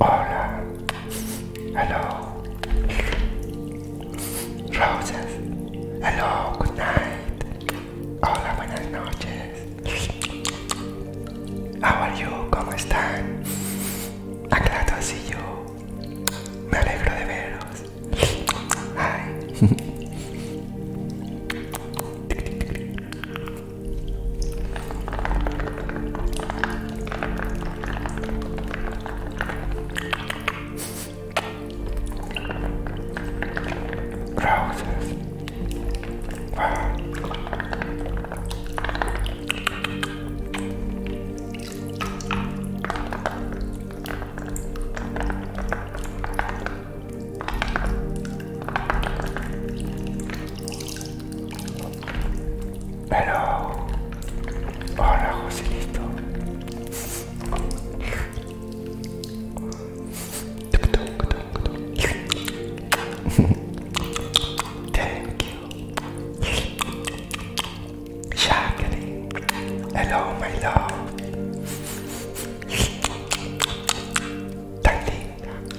Hola. Hello. Roses. Hello, good night. Hola, buenas noches. How are you? ¿Cómo están? I'm así yo, Me alegro de veros. Hi. Roses. Wow. Hello. Hola, Joselito. Thank you. Jacqueline. Hello, my love. Darling.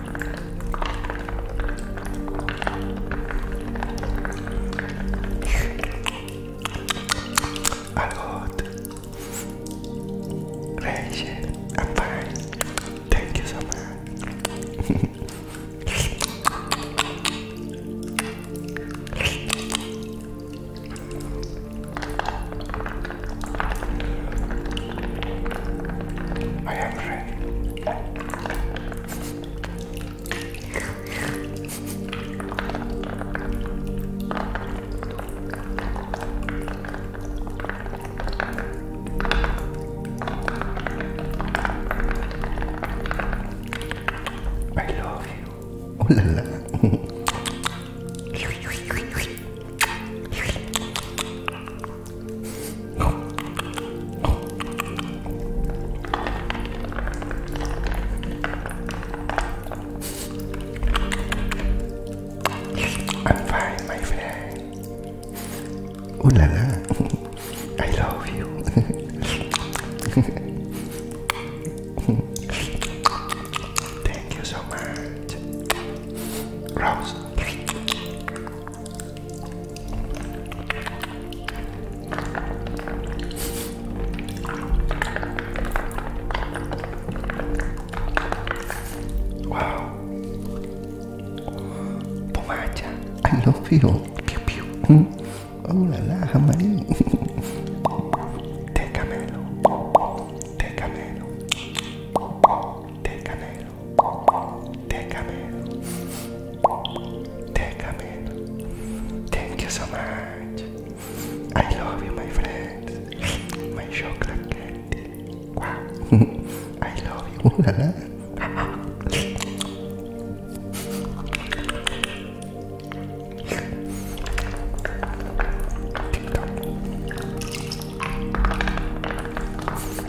Algot, Rachel, I'm fine. Thank you so much. I am I love you. Oh I'm fine, my friend. Ooh la I love you. Thank you so much. Rose. Wow. Pomacha, I love you. Pew, pew. Mm. Oh la la, Jamarí. Té canelo. Té Thank you so much. I love you, my friends. My chocolate candy. Wow. I love you.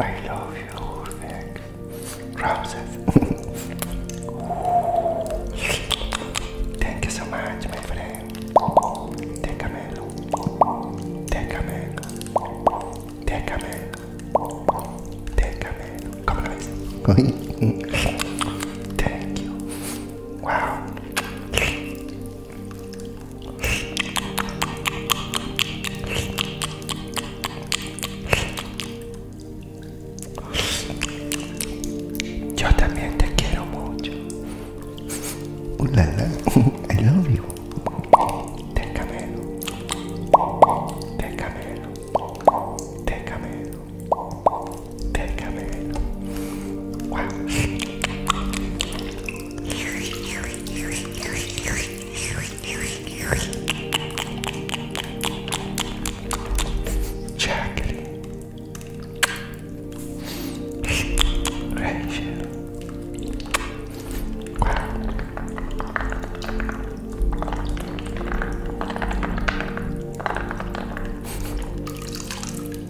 I love you, Vic. Roses. Thank you so much, my friend. Take a man. Take a man. Take a man. Take a man. Come on, Thank you. Wow. Yo também te quiero mucho. Ulala, uh, I love you. Te camelo, te camelo, te camelo, te camelo. Wow. Jacqueline, Rachel,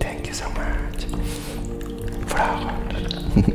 Thank you so much for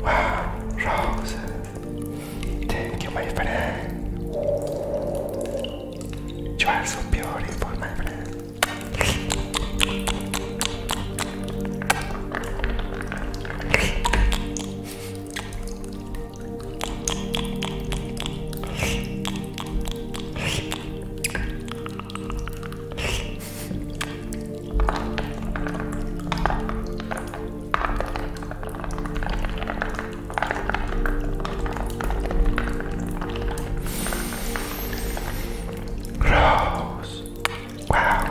Wow, roses. Thank you, my friend. You are so beautiful, my friend. Rose. Wow.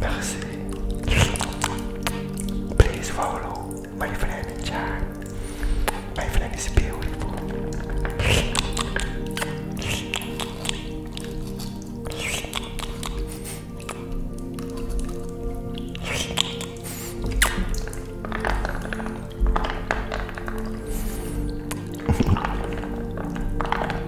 Merci. Please follow my friend in chat. My friend is beautiful.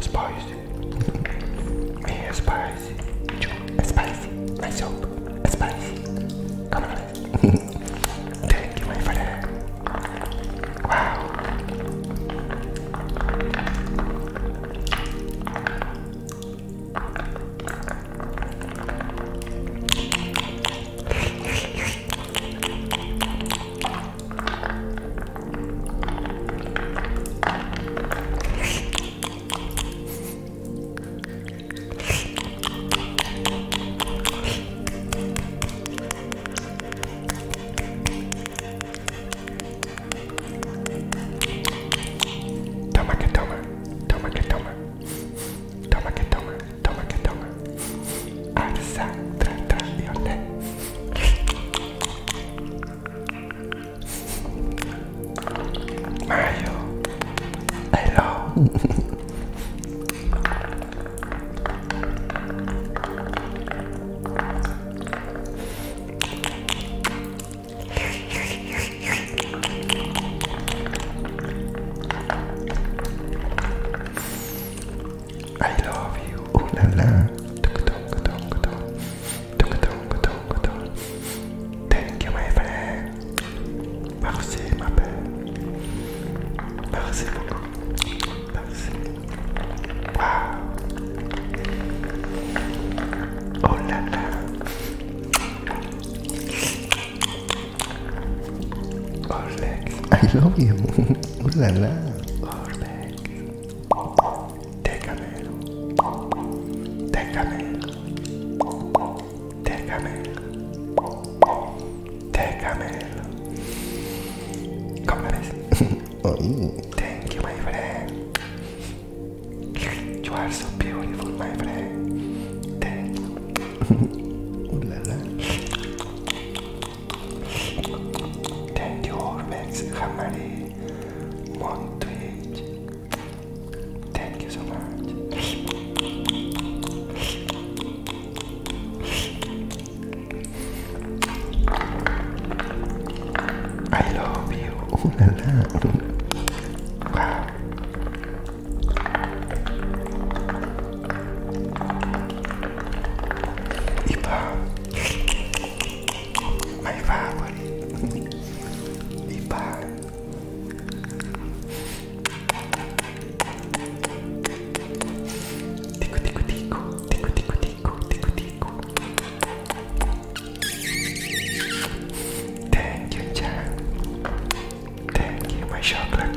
spicy. Yeah, spicy. Spicy. My soap. Spicy. Come on. Thank you, my friend. Wow. Toma que toma, toma que toma, toma que toma. Don't work and don't work. I decide that day. Mario, hello. I love you. Oh Thank you, my friend. Merci, ma belle. Merci beaucoup. Merci. Oh la Orlex. I love you. Ooh la la. Orlex. Tecamelo. Tecamelo. Tecamelo. Tecamelo. Come on. Thank you, my friend. You are so beautiful, my friend. Thank you. Ooh la la. Thank you, Orbex, Hamari, Montwich. Thank you so much. I love you. Ooh, la, Wow. Iba. My favorite. Iba. Tico, tico, tico. Tico, tico, tico. Tico, tico. Thank you, Jack. Thank you, my chocolate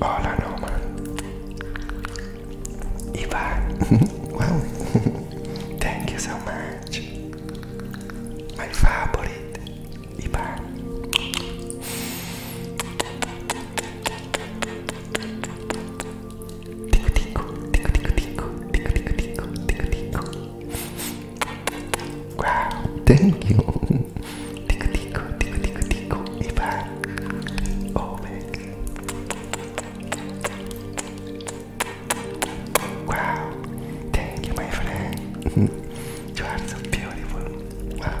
Hola Roma Ibar, Wow Thank you so much My favorite Ivan Wow, thank you. Tickle, tickle, tickle, tickle, tickle. If I, oh baby. Wow, thank you, my friend. you are so beautiful. Wow.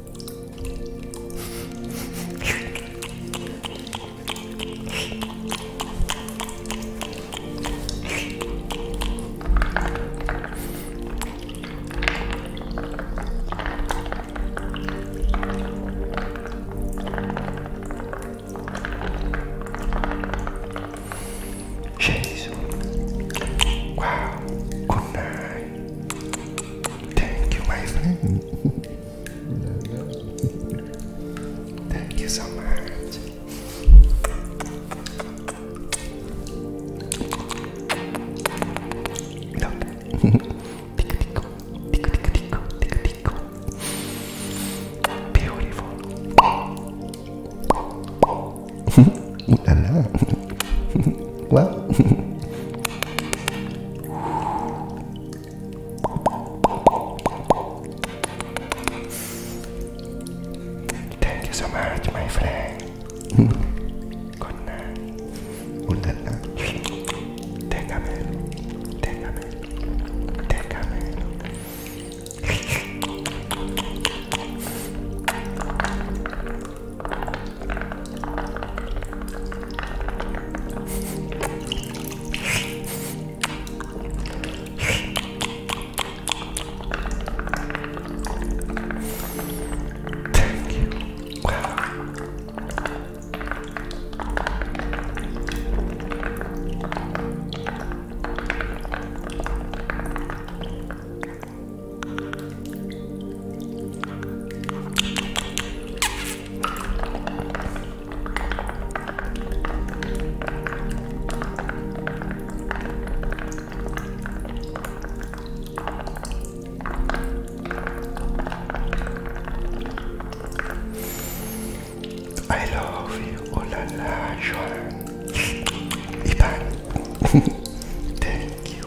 Jeez. Wow. Good night. Thank you, my friend. Thank you so much. Beautiful. Ooh Thank you so much, my friend. Good night. Ooh la la. Déjame. Déjame. Déjame. Thank you. Wow. I love you, oh Ivan. Thank you.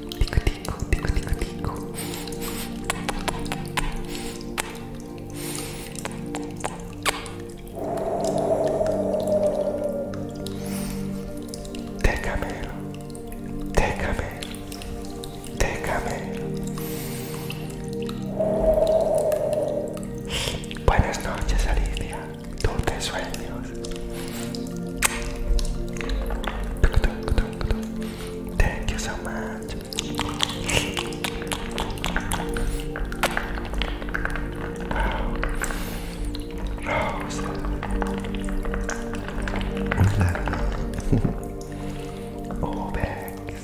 Tico, tico, tico, tico, tico. Déjame, déjame, déjame. Buenas noches, Alicia. Dulces sueños. Thank you so much. Rose. Love. All bags.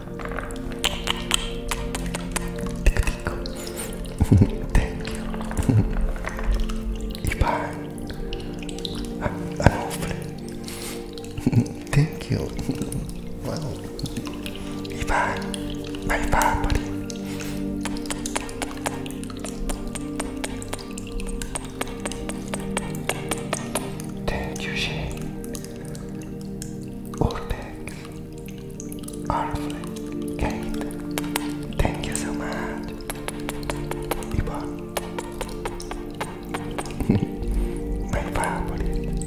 Thank you. Ipan. Anofre. Thank you. Wow. Ipan. My family. Thank you, Shane. Urbex, Orflex, Kate, thank you so much. People, my favorite.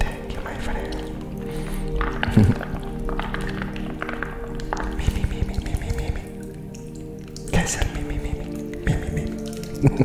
Thank you, my friend. me, me, me, me, me, me, me, me. Guys, help me, me, me, me, me, me, me.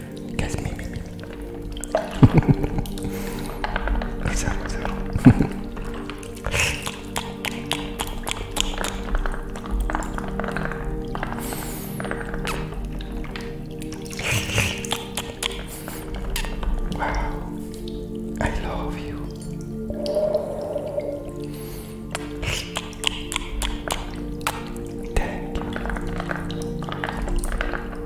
That's me, me, me. What's up, what's wow, I love you. Thank you.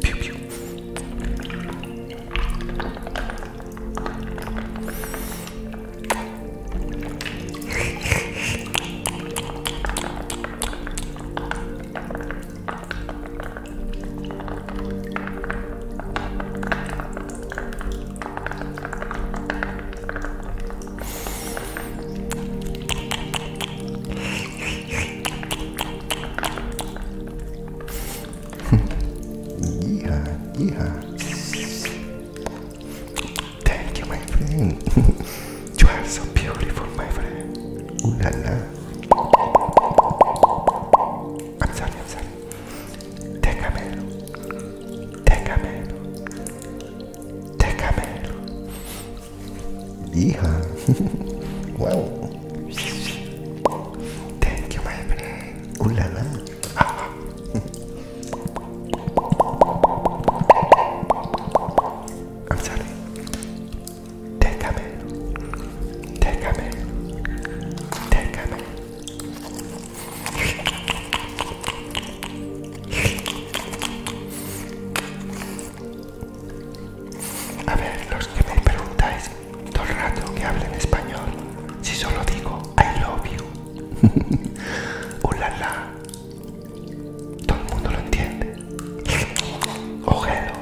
Pew pew yeehaw, yeehaw. Thank you, my friend. you are so beautiful, my friend. Ooh la la. I'm sorry, I'm sorry. Déjamelo. Déjamelo. Déjamelo. Hija. wow. Thank you, my friend. Ooh la la. I'm sorry. Déjame. Déjame. Déjame. A ver, los que me preguntáis todo el rato que hablen español, si solo digo I love you, la la todo el mundo lo entiende. Ojelo,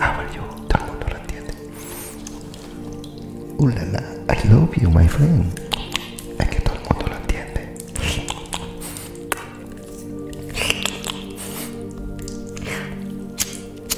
how are you, todo el mundo lo entiende. Hola la I love you, my friend. Es que todo el mundo lo entiende.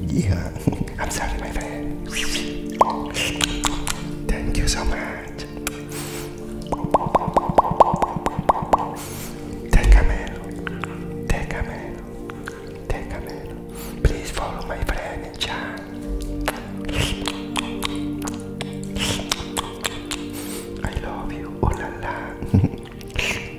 Yeah, I'm sorry, my friend. Thank you so much. Take a minute. Take a minute. Take a minute. Please follow my friend in I love you, oh la la.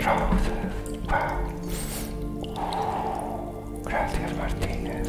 Roses, wow. Gracias Martínez.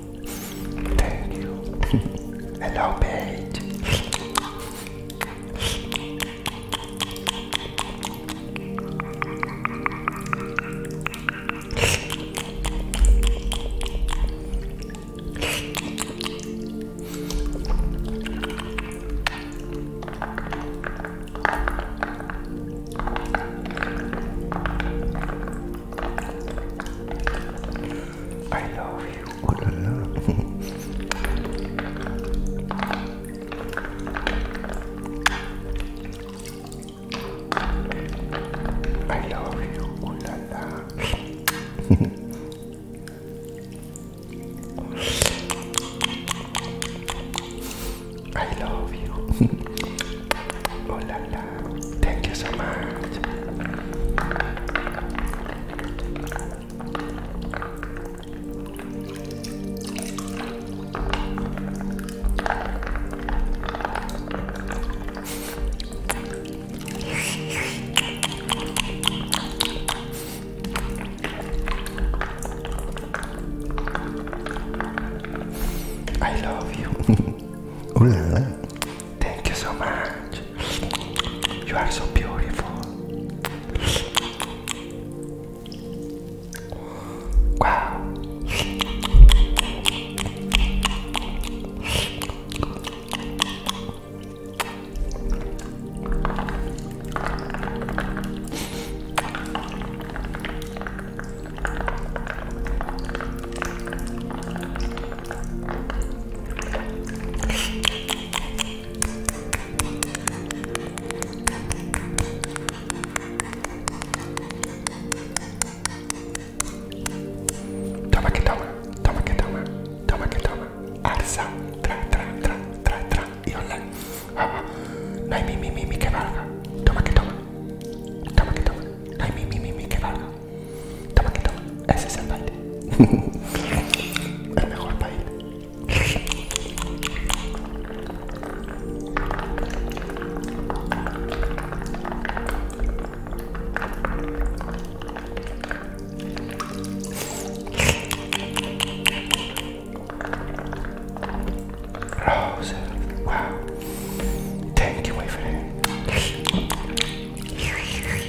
Thank you. Hello, Paige. I love you. Oh I love you. Oh I love you. oh Thank you so much. I love you. Ooh Thank you so much. You are so beautiful. Wow. Toma que toma, toma que toma, toma que toma. Alza, y online. Ah, mi, mi, mi, mi que valga. Toma que toma, mi, mi, mi, mi que valga. Toma que toma. Ese es el baile. el mejor baile. Rose, wow. Thank you, my friend.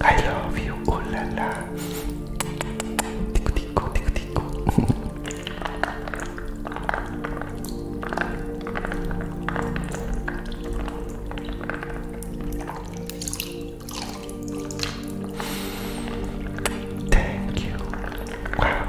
I love you, oh la la. Tico tico tico tico. Thank you. Wow.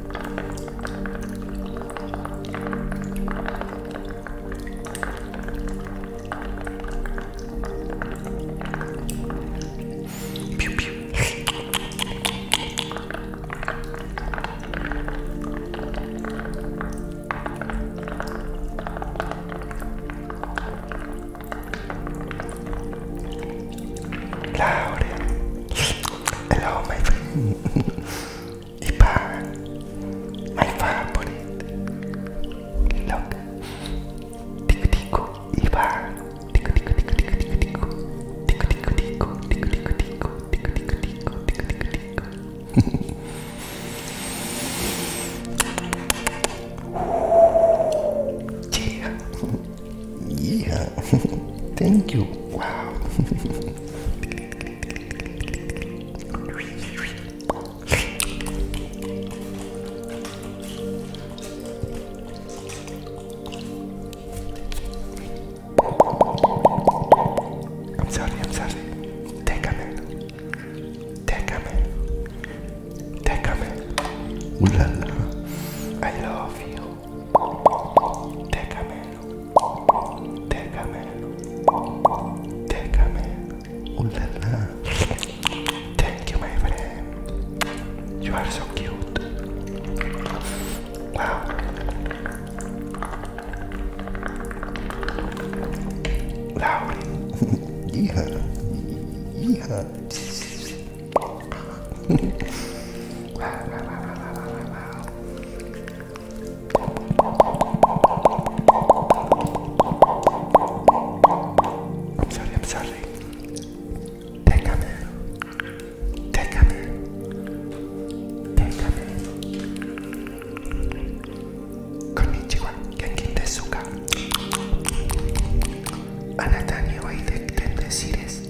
Pew, pew. Lauren, hello, my friend. e power. My favorite. Look. Tico tico e power. Tico tico tico tico tico tico. Tico tico tico tico tico tico tico tico tico tico tico tico. Yeah. Yeah. Thank you. Wow. I'm sorry, I'm sorry. Take a minute. Take a minute. Take a minute. Ooh I love you. Take a minute. Déjame, déjame, ooh la la. Thank you, my friend. You are so cute. Wow. Lowry. yeah. Yeah. I'm sorry, I'm sorry. Déjame. Déjame. Déjame. Konnichiwa, Genki Tezuka. Anata ni oide tendesires.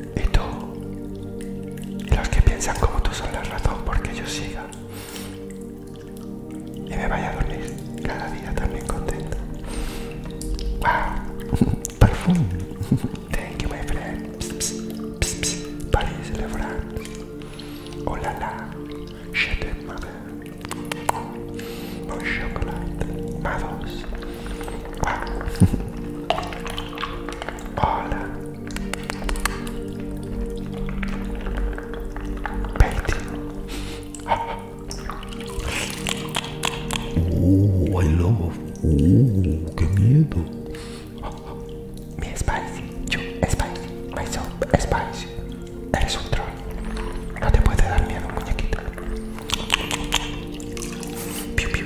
Y tú, y los que piensan como tú son la razón porque yo siga y me vaya a dormir cada día también contento. Wow, perfume. Thank you, my friend. ps ps Paris, le France. Oh la la, je t'aime, chocolate, Hola. Oh, I love. Oh, qué miedo. Mi spicy, yo my son, spicy. Eres un troll. No te puede dar miedo, muñequito. Piu, piu.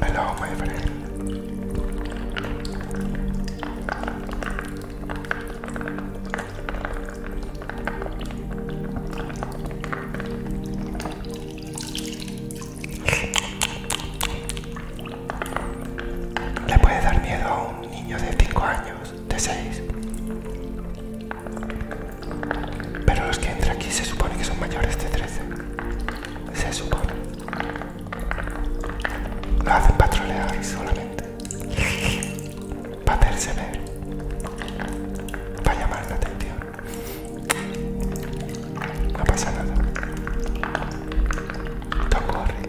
Hello, my Le puede dar miedo a un niño de 5 años de 6. Pero los que entran aquí se supone que son mayores de 13. Se supone. Lo hacen trolear solamente. Para hacerse ver. Para llamar la atención. No pasa nada. No ocurre.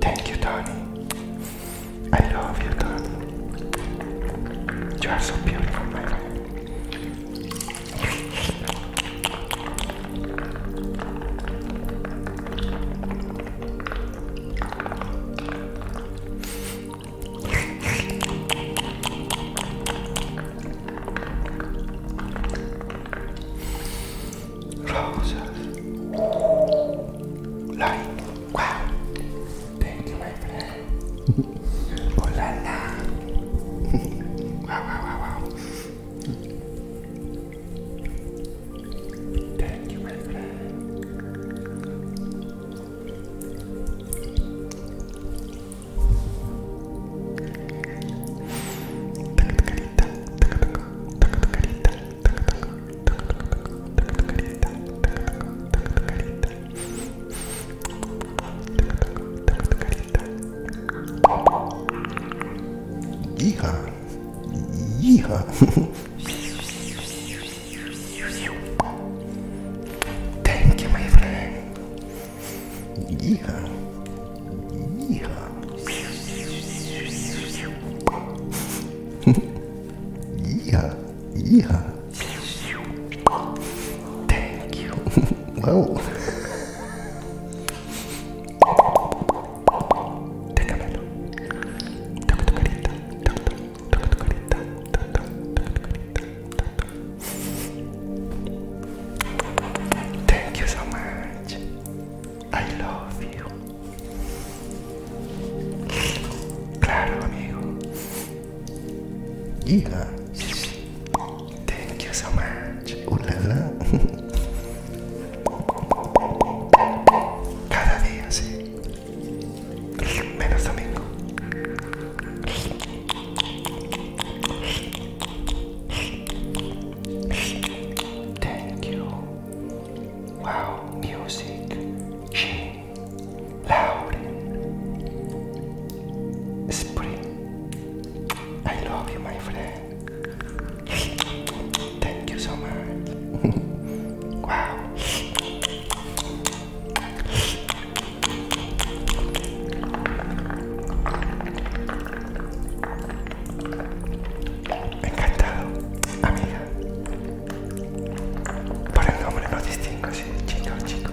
Thank you, Tony. I love you, Tony. You are so beautiful, Rosas. Light. Wow. Thank you, my friend. oh la la. wow, wow, wow, wow. Thank you, my friend. Yeehaw! Yeehaw! Thank you, my friend. Yeehaw. Yeehaw. Yeehaw. Yeehaw. Thank you. well. Thank you so much. I love you. Claro, amigo. Yeah. Thank you so much. Uh, Cada día, sí. Menos domingo. Thank you. Wow, music. She loud. Spring. I love you, my friend. Thank you so much. wow. Encantado, amiga. Por el nombre no distingo si chino, chico.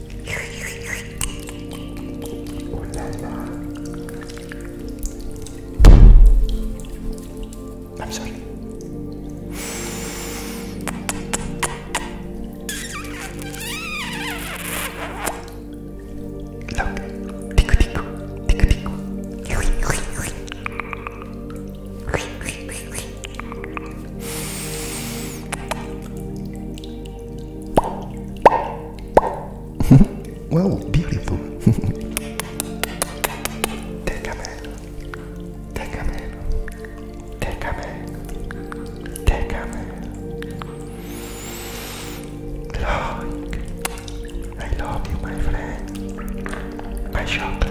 I'm sorry. Look, tickle, tickle, tickle, tickle. Well, beautiful. Take a man. Take a I love you, my friend. My chocolate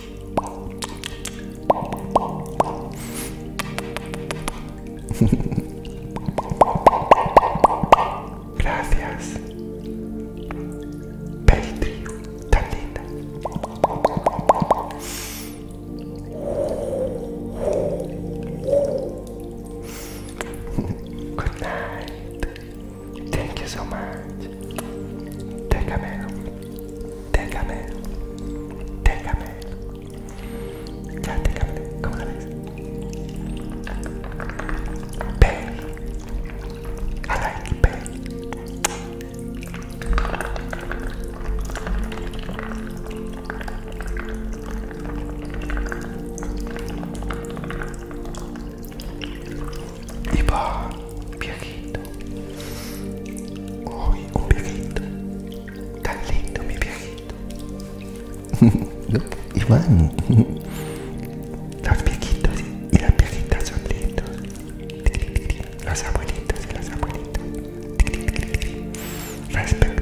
Gracias. Petri, tan Good night. Thank you so much. Déjamelo. Déjamelo. Déjamelo. Ya, déjamelo. ¿Cómo la ves? Baby. I like it, baby. Y viejito. Uy, un viejito. Tan lindo, mi viejito. Iván. Los viejitos y las viejitas son lindos. Las abuelitas y las abuelitas. Respecto.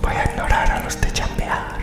Voy a ignorar a los de chambear.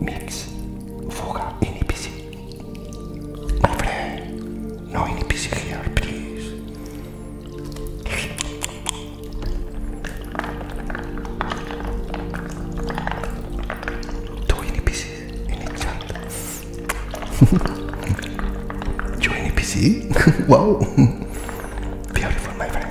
Mix, fuga, inipc. My friend, no inipc here, please. Two inipc in each chat. Two inipc? wow! Beautiful, my friend.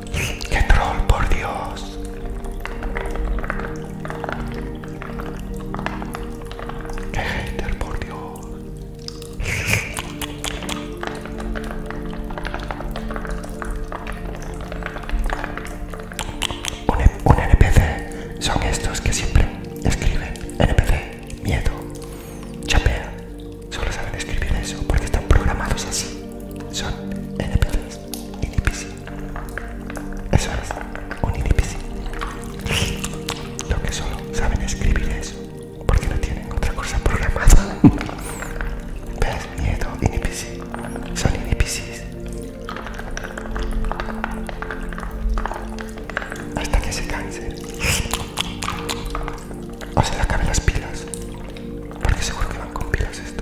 ¡Qué troll, por Dios! ¡Qué hater, por Dios! Un, NPC son estos que siempre escriben NPC, miedo, chapea. Solo saben escribir eso porque están programados así. Son NPCs. Eso es, un inipisi. Lo que solo saben escribir eso, porque no tienen otra cosa programada. ¿Ves? Miedo, inipisi. Son inipisis. Hasta que se canse O se le acaben las pilas. Porque seguro que van con pilas esto.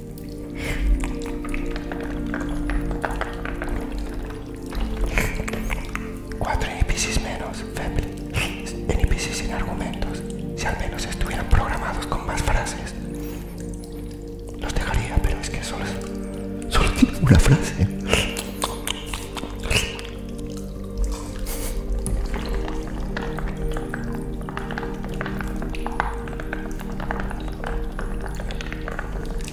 Cuatro NPCs menos, En sin argumentos. Si al menos estuvieran programados con más frases. Los dejaría, pero es que solo, solo una frase.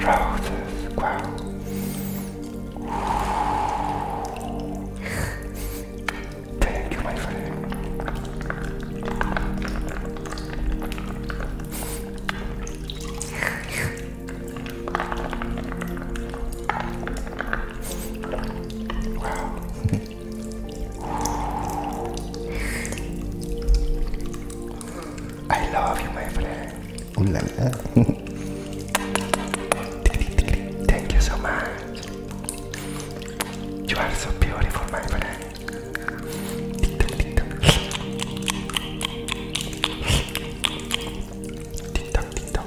Roses, wow. Thank you, my friend. Wow. I love you, my friend. Ooh la la. Thank you so much. You are so beautiful, my friend. Tick tock, tick tock.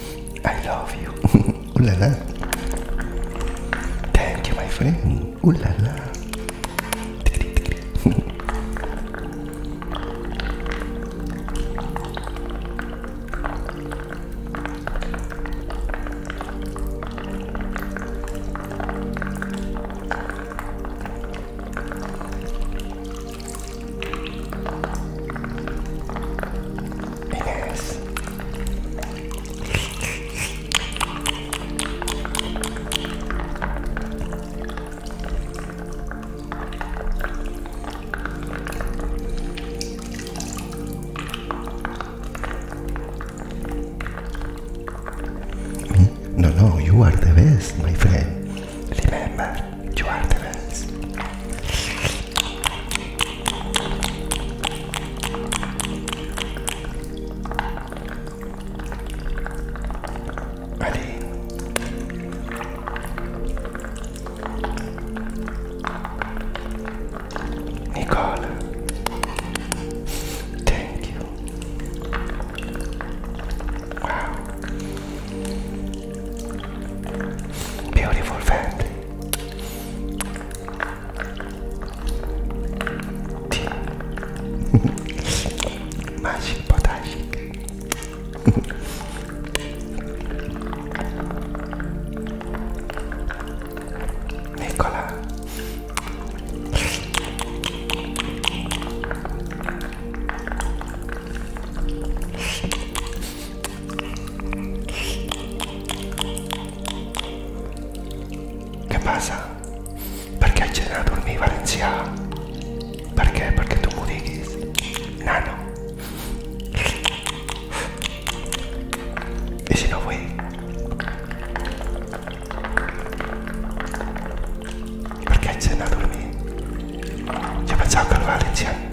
I love you. Ooh la Thank you, my friend. Ooh la. Yes. No, no, you are the best, my friend. Remember, you are the best. Ready? Nicole, thank you. Wow. Beautiful family. magic, but magic. Què passa? Per què haig d'anar a dormir valencià? Per tu m'ho Nano. I si no vull? Per què haig d'anar a dormir? Jo pensava que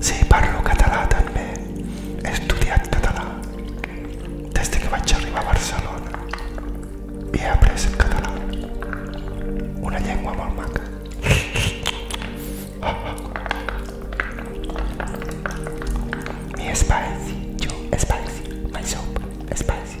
Sí, parlo català també. He estudiat català des que vaig arribar a Barcelona i he après el català. Una llengua molt maca. Me spicy, you spicy, my soap spicy.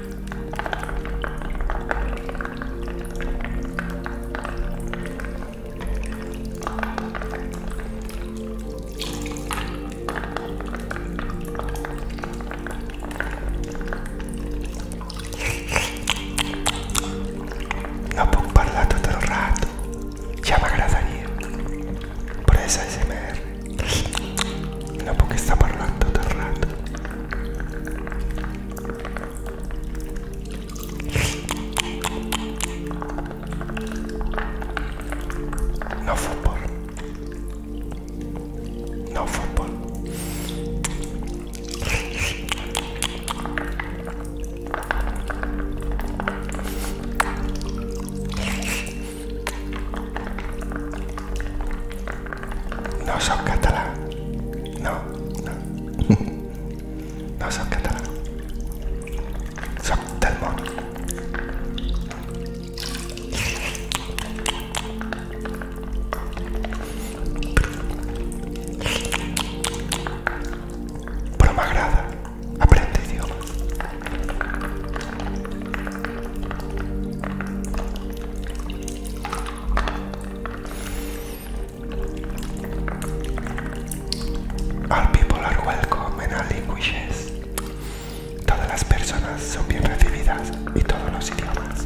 No puedo hablar todo el rato. ya me Ja Por eso se ASMR. No porque está parlando de rato, No fútbol. No fútbol. No soy catalán. No, no. No soy catalán. soy del mundo. Pero me agrada. Aprende idioma. All people are welcome in all languages. Todas las personas son bien recibidas y todos los idiomas.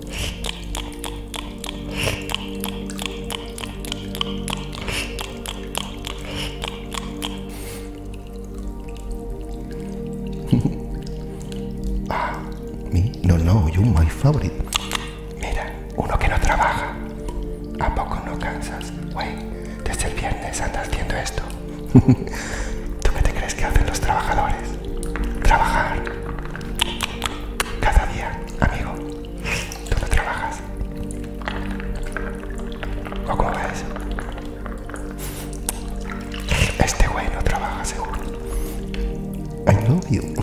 ah, No, no, you my favorite. Mira, uno que no trabaja. ¿A poco no cansas? Güey, desde el viernes andas haciendo esto. ¿Tú qué te crees que hacen los trabajadores? trabajar cada día, amigo. ¿Tú no trabajas? ¿O cómo ves? Este güey no trabaja seguro. I novio. you.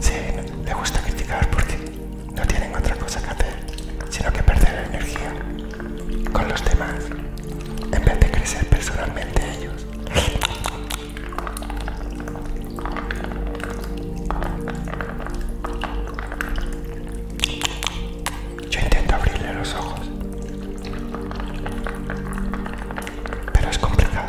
Sí, le gusta criticar porque no tienen otra cosa que hacer, sino que perder energía con los demás en vez de crecer personalmente ellos. Yo intento abrirle los ojos, pero es complicado.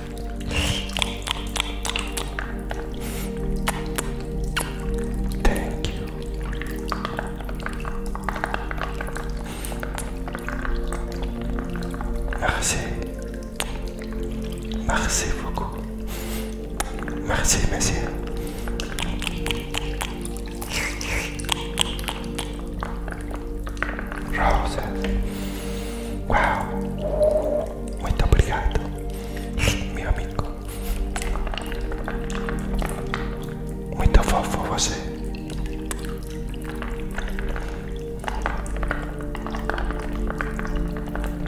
Merci. Merci beaucoup. Merci, messieurs. Wow. Muito obrigado, meu amigo. Muito fofo você.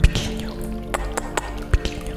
Pequinho, pequinho.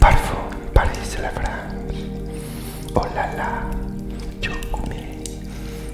Parfum París, La France. Oh la la, yo comí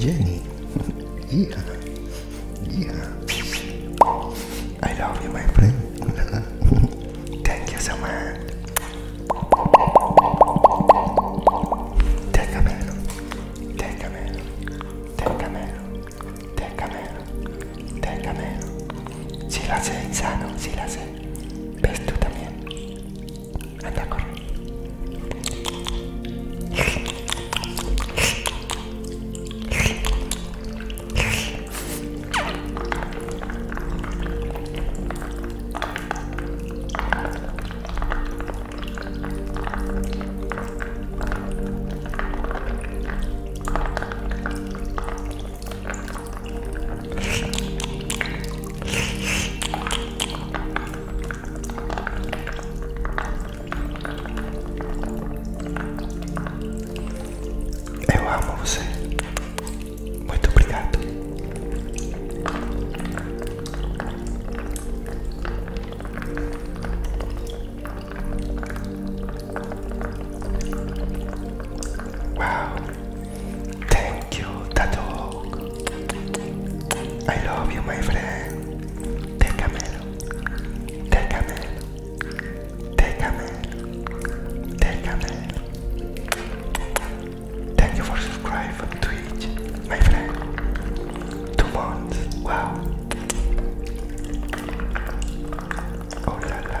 Jenny, yeah, yeah. I love you, my friend. Thank you so much. Take a Técame, técame, técame, técame. Si la sé, sano, si la sé. ves tú también. Anda, corre. Eu amo você. Muito obrigado. Wow, thank you, Tato. I love you, my friend. Take a melon, take a melon, take a melon, take a melon. Thank you for subscribing to Twitch, my friend. Two months. Wow. Oh la la.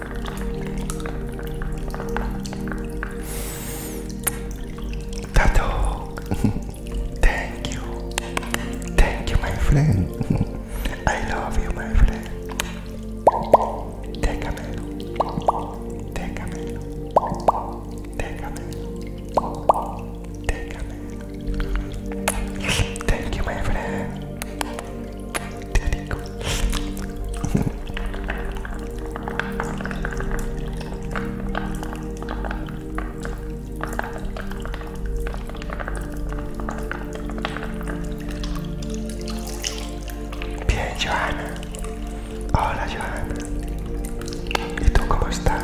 Tato, thank you, thank you, my friend. I love you, my friend. Déjamelo, déjamelo, déjamelo, déjamelo. Thank you, my friend. Bien, Johanna, Hola, Johanna, ¿Y tú cómo estás?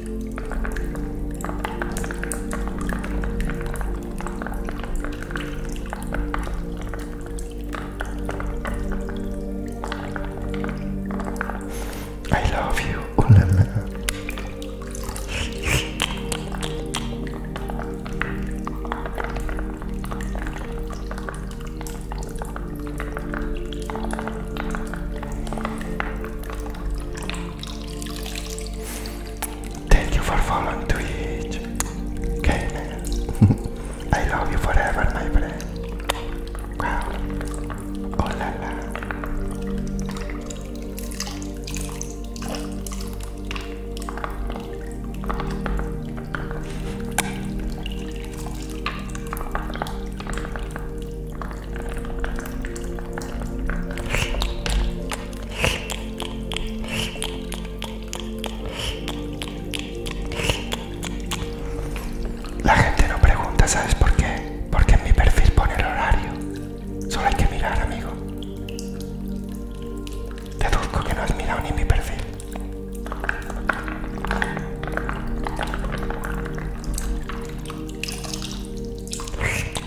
I love you. Oh, Thank you for following Twitch. Okay, I love you forever, my friend. Oh la la. La gente no pregunta, ¿sabes por qué? Porque en mi perfil pone el horario. Solo hay que mirar, amigo. Deduzco que no has mirado ni mi perfil.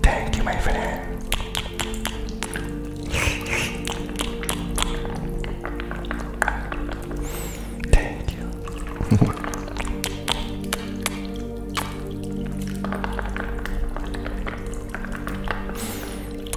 Thank you, my friend. Thank you.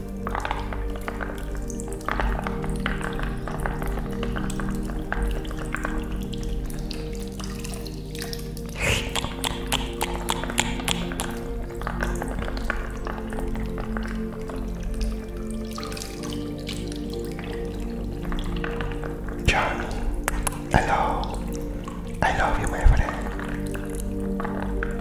John, hello. I love you, my friend.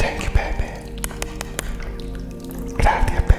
Thank you, baby. Gracias, baby.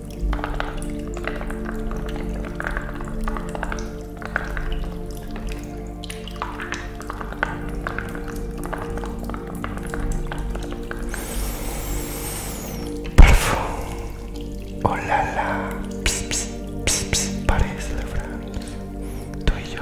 Parfum, oh la la, la tú y yo,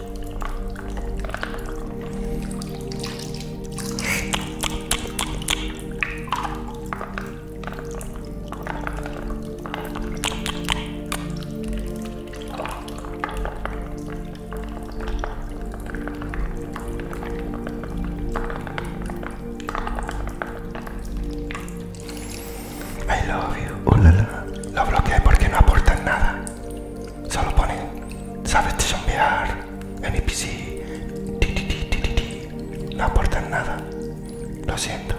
I love you. Lo bloqueé porque no aportan nada solo ponen, sabes te en NPC, ti, no aportan nada, lo siento.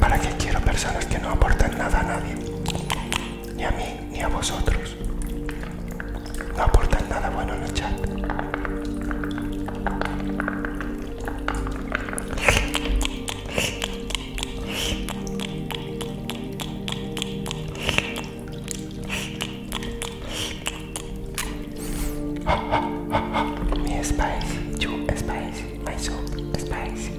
¿Para qué quiero personas que no aportan nada a nadie? Ni a mí, ni a vosotros. No aportan nada bueno en el chat. Me spicy, you spicy, my soul spicy.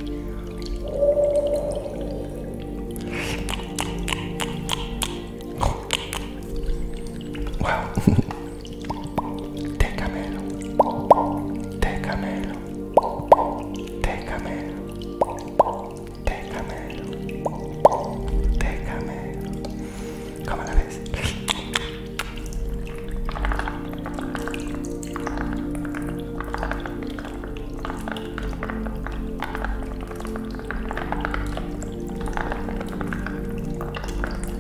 Wow. Técamelo, técamelo, técamelo, técamelo, técamelo. ¿Cómo la ves?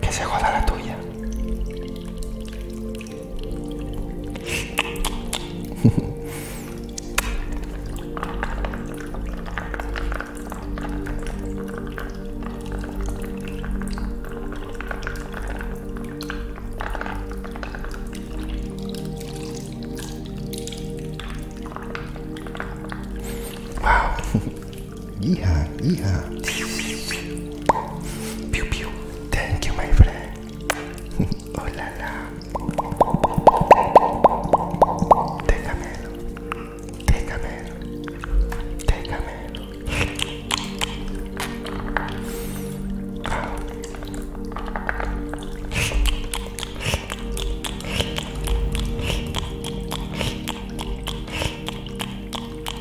Que se joda la tuya. Wow. Yeehaw, yeehaw. Pew, pew. Thank you, my friend. oh la la. Déjamelo. Déjamelo. Déjamelo.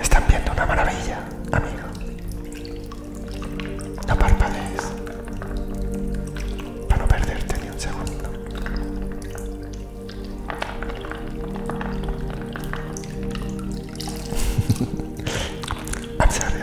Están viendo una maravilla, amigo. No parpadees para no perderte ni un segundo. I'm sorry,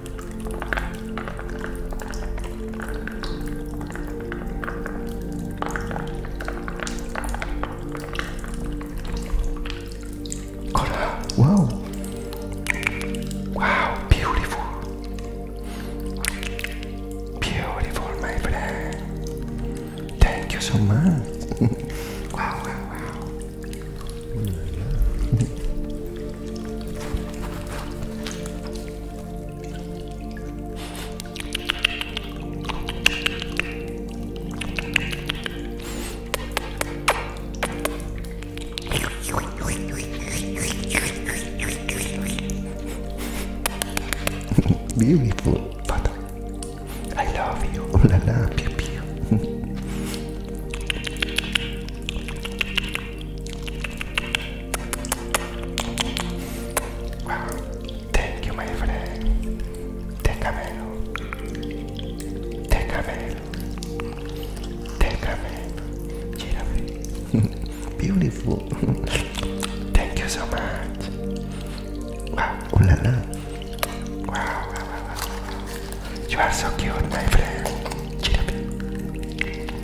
Color. Wow. Wow, beautiful. Beautiful, my friend. Thank you so much. wow, wow, wow. Oh Beautiful, Father. I love you. Oh la la, più più. Wow, thank you, my friend. Take a meal. Take a meal. Take a meal. Beautiful. thank you so much. Wow, ooh la la. Wow, wow, wow, wow. You are so cute, my friend.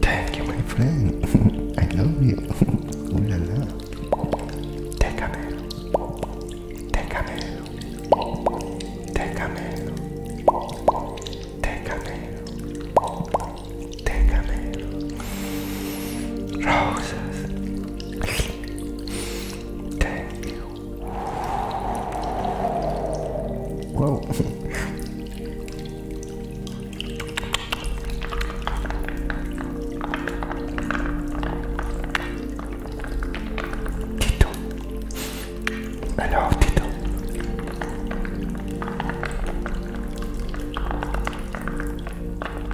Thank you, my friend. I love you. Ooh la la. Déjame. Take a Déjame déjame rosas thank you wow Tito I love Tito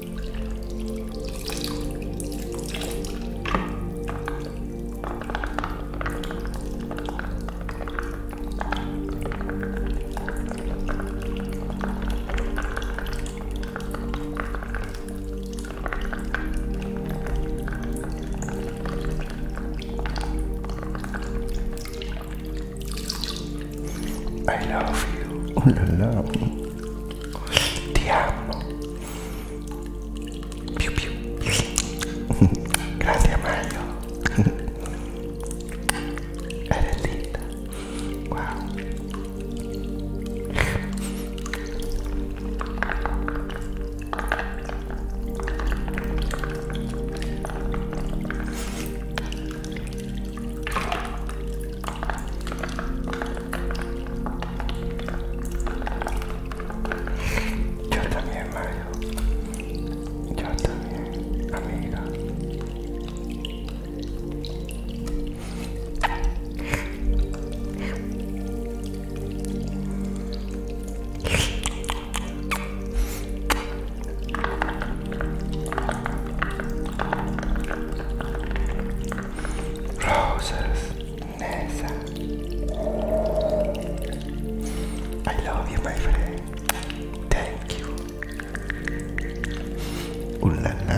I love you. Oh, ti amo più più grazie Mario era linda wow Yo también, Mario. Yo también, amiga. Roses, Nessa. I love you, my friend. Thank you. Ooh la la.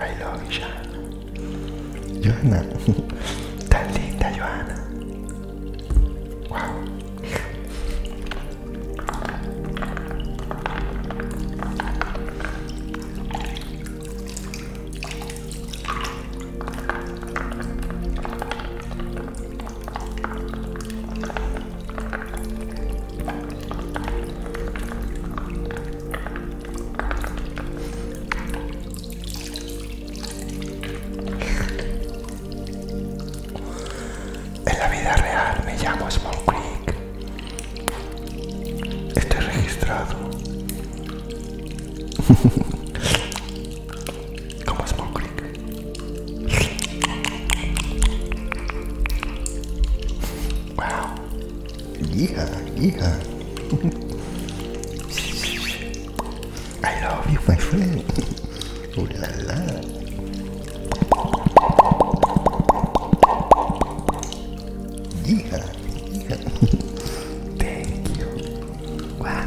I love you, Johanna. Johanna. Tan linda, Johanna. Wow. En la vida real me llamo Small este registrado. Como Small Creek. Wow. Yeah, yeah. I love you, my friend. ¡Hola! Yeehaw. Yeehaw. Thank you. Wow.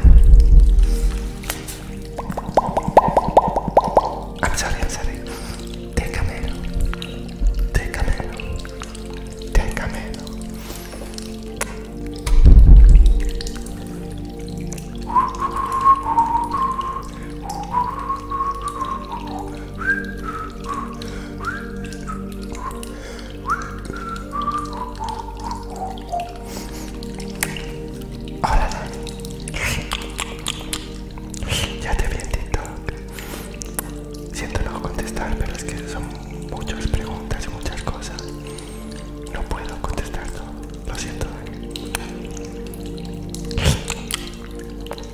I'm sorry, I'm sorry. Te camelo. Te camelo. Te camelo. Hola. Ya te vi en Siento no contestar, pero es que son muchas preguntas y muchas cosas. No puedo contestar todo. Lo siento.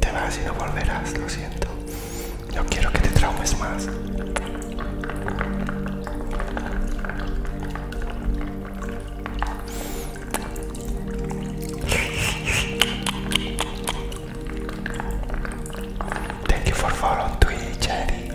Te vas y no volverás, lo siento. No quiero que te traumes más. Thank you for following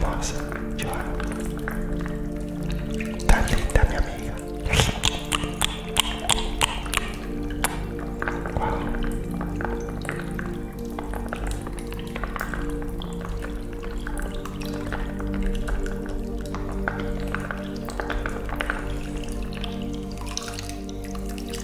Nossa, tchau. Tá linda, minha amiga. Uau.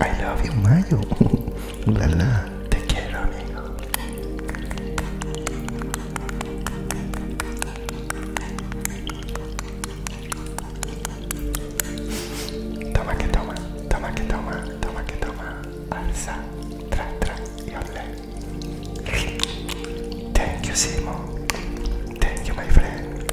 I love you, Mayo. la la, te quiero, amigo. Toma que toma, toma que toma, toma que toma. Alza, tra, tra y Thank you, Simón. Thank you, my friend.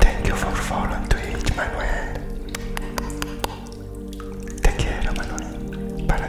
Thank you for following Twitch, Manuel. Te quiero, Manuel, para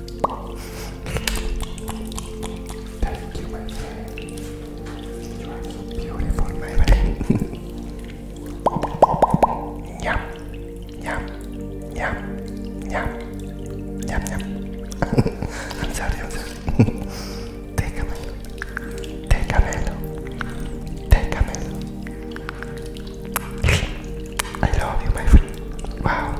Thank you, my friend. You are beautiful, my friend. Yum, yum, yum, yum, yum, yum. I'm sorry, i Take a minute. Take a minute. Take a minute. I love you, my friend. Wow.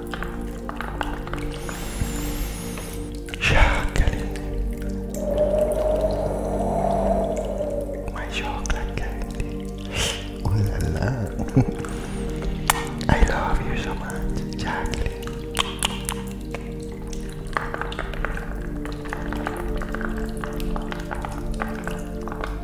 My chocolate candy. I love you so much, Jacqueline.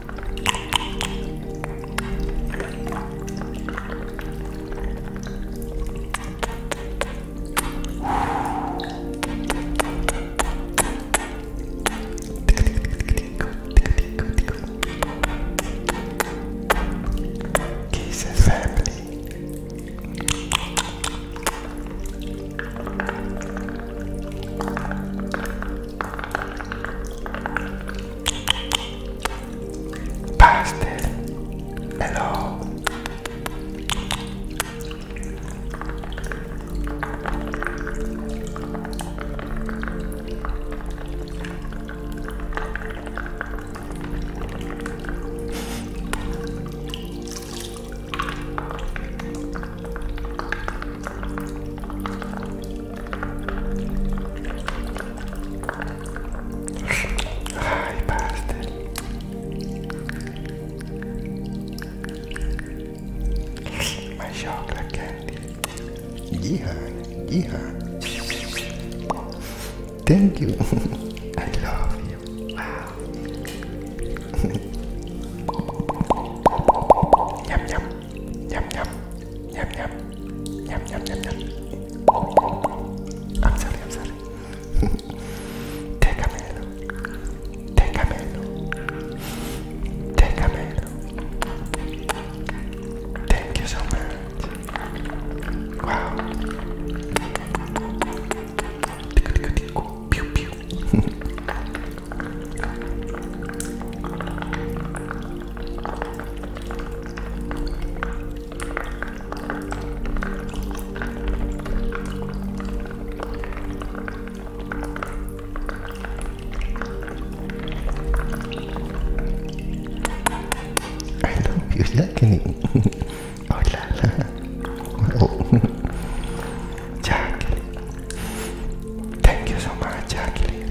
Kiss and family. Pastel. Hello. Hi, bastard. My chocolate candy. Yeah, yeah. Thank you. I love you. Yum yum. Yum yum. Yum yum. Thank you so much. Wow. Tickle, tickle, tickle. Pew, pew. I hope you liking oh la oh. Thank you so much, Jacqueline.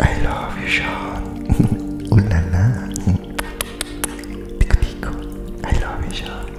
I love you, Sean. Ooh la Tico, tico. I love you, Sean.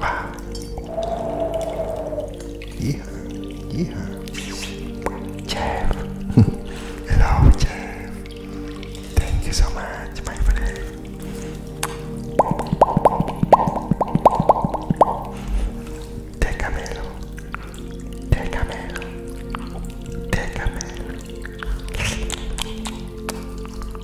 Ah. Yeah, yeah. Jeff. Hello, Jeff. Thank you so much, my friend. Déjamelo. Déjamelo. Déjamelo.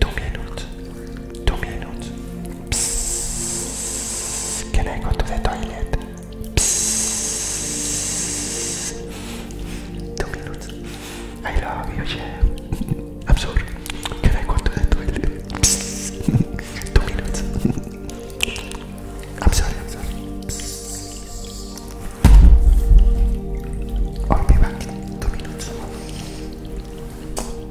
Two minutes. Two minutes. Psst. Can I go to the toilet? Psst. Two minutes. I love you, chef. I'm sorry. Can I go to the toilet? Psst. Two minutes. I'm sorry. I'm sorry. Psst. I'll be back. Two minutes.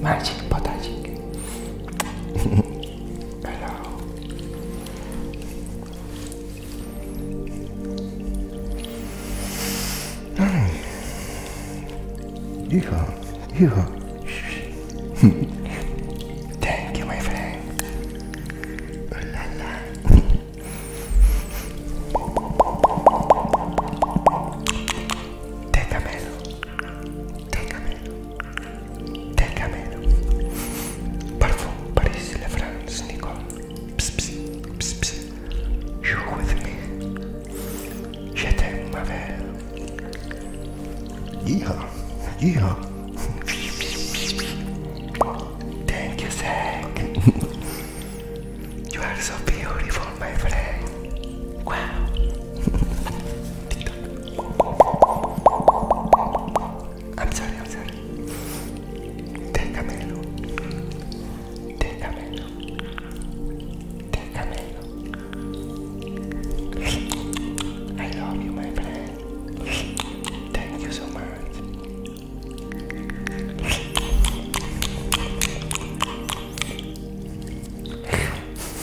Magic potagic. Hello. Yeehaw, yeehaw. Thank you, my friend. Oh, la, la. Te Téngame, téngame. Parfum, Paris, La France, Nicole. Pss, pss, pss, pss. you with me. Je t'aime, ma Yeah, yeah. Thank you, Zach. you are so beautiful down, my friend. I'm sorry, I'm sorry. Déjamelo. Déjamelo. Déjamelo. I love you, my friend. Thank you so much.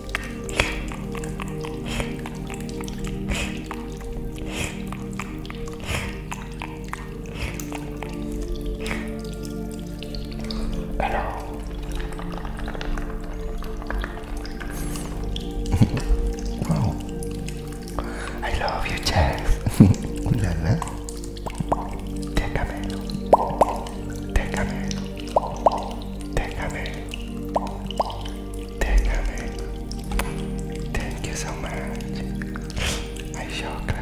Hello. wow. I love you, Jeff. Ooh la la. Te camelo. Te camelo. Déjame. Déjame. Thank you so much. I shall crack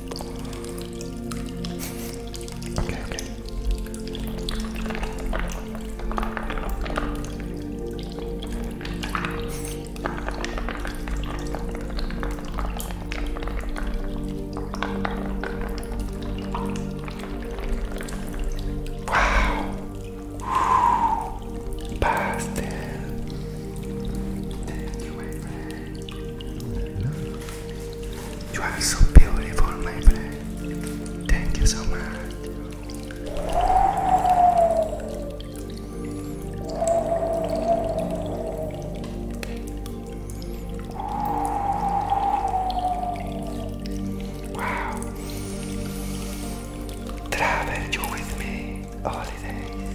Okay, okay. Wow. Past it. Anyway, you are so beautiful, my friend. Thank you so much. Wow. Travel with me holidays.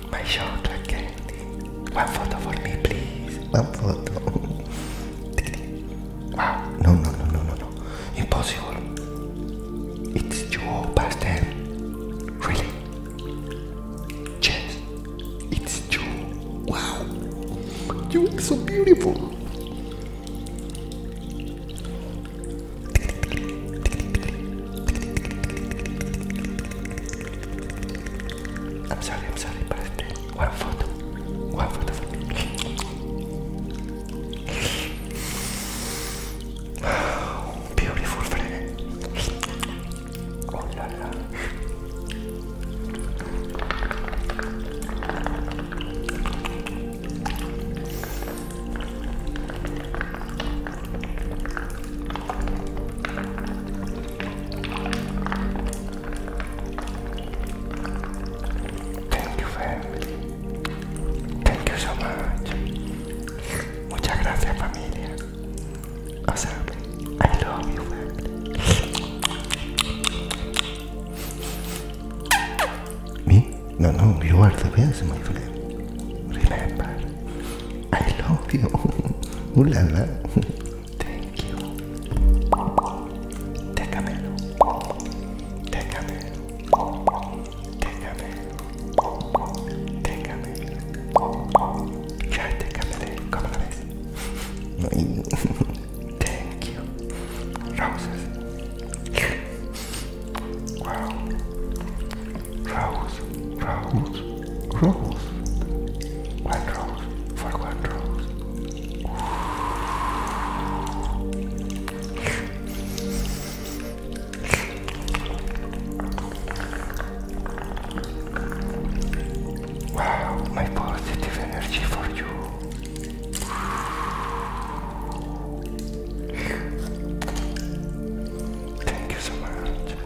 My chocolate candy. One photo for me, please. One photo. wow. No, no, no, no, no, no. Impossible. It's two past ten. Really? Yes. It's two. Wow. You are so beautiful. I'm sorry, I'm sorry, but one photo. One photo for me. Oh, beautiful Oh la la. Thank you family. Thank you so much. Muchas gracias familia. O sea, I love you family. Me? No, no, you are the best my friend. Remember, I love you. Hola, la Thank you. Déjamelo. Déjamelo. Déjamelo. Déjamelo. Ya te cambiaré, ¿cómo la ves? No Thank you. Roses. Wow. Rose. Rose. Rose. One rose for one rose. Wow, my positive energy for you. Thank you so much.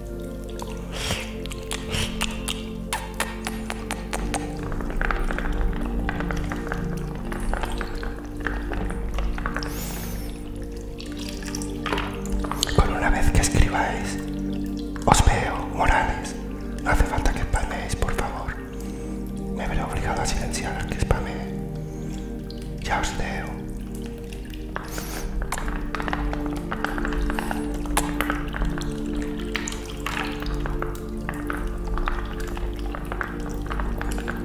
Por una vez que escribáis, os veo, Morales. hace falta que espameéis, por favor. Me veré obligado a silenciar al que spame. Ya os leo.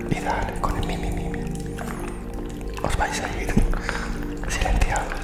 Y dale, con el mi, mi, mi, mi. Os vais a ir silenciados.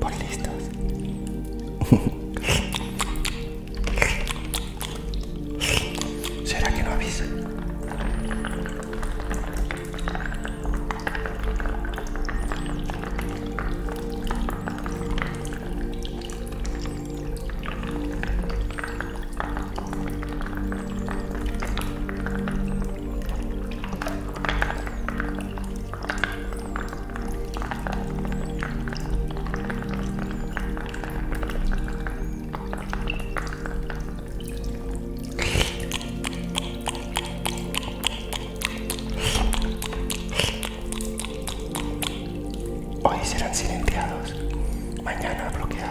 por listos. ¿Será que no avisa? Hoy serán silenciados, mañana bloqueados.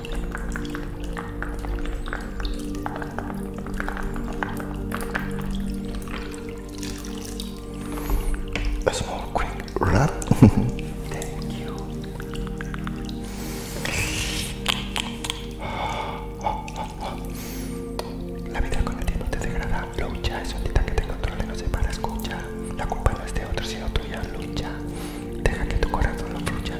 A small quick run. Thank you. La vida con el tiempo te degrada. Lucha, es un solita que te y no se para, escucha. La culpa no es de otro, sino tuya. Lucha, deja que tu corazón lo fluya.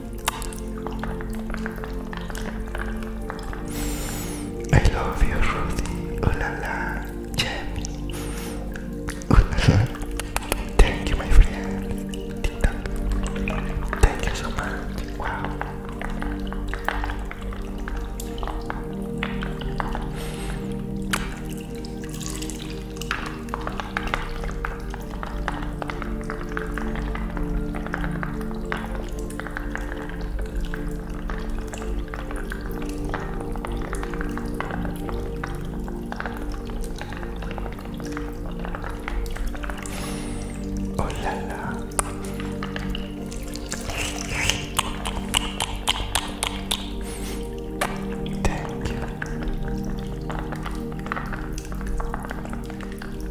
I love you, Rudy. Oh la la, Jamie. Oh la la. Thank you, my friend. TikTok. Thank you so much. Wow. Oh la la. Thank you.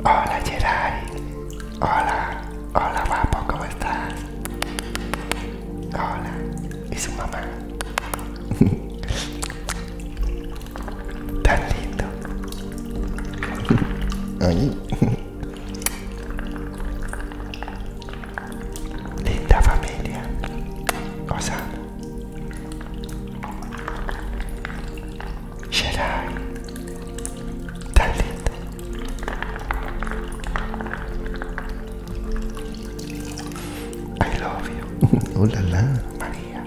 Hola Gerard. Hola. Hola guapo, ¿cómo estás? Hola. ¿Y su mamá? Tan lindo. Linda famiglia, Osana, Sherai, Dalit, I love you, oh la la, Maria.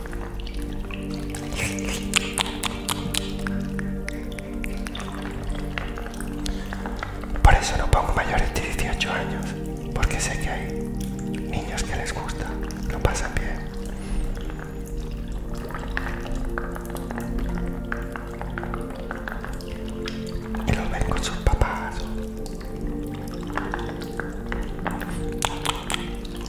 Por eso no pongo mayores de 18 años, porque sé que hay niños que les gusta, lo pasan bien. Y lo ven con sus papás.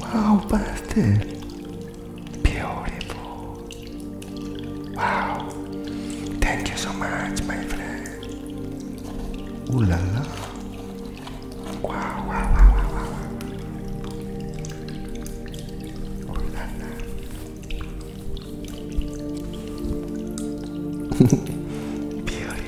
wow, bastard. Beautiful. Wow. Thank you so much, my friend. Ooh Wow, wow, wow, wow, Beautiful.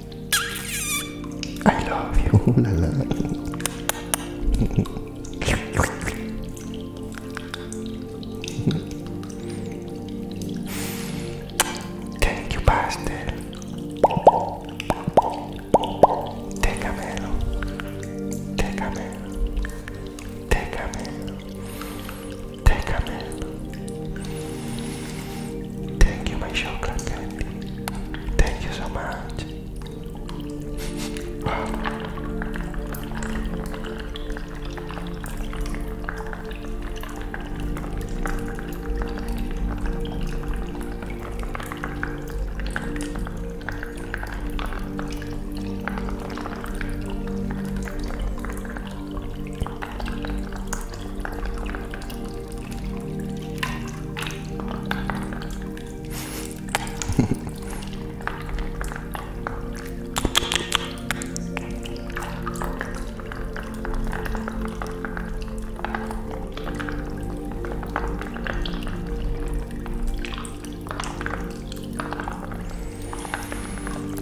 I love you. La, la, Thank you, pastel. Take a melon. Take a melon. Take a melon. Take a melon. Thank you, my chocolate candy. Thank you so much.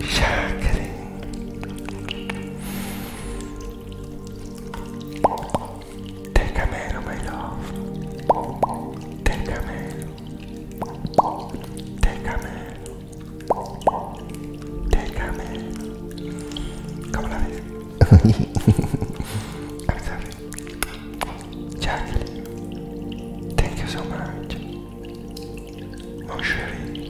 Shackling. Ten Camelo, my love. Ten Camelo. Ten Camelo. Ten Camelo. ¿Cómo la ves? I'm sorry. Jacqueline, thank you so much. Mon chéri,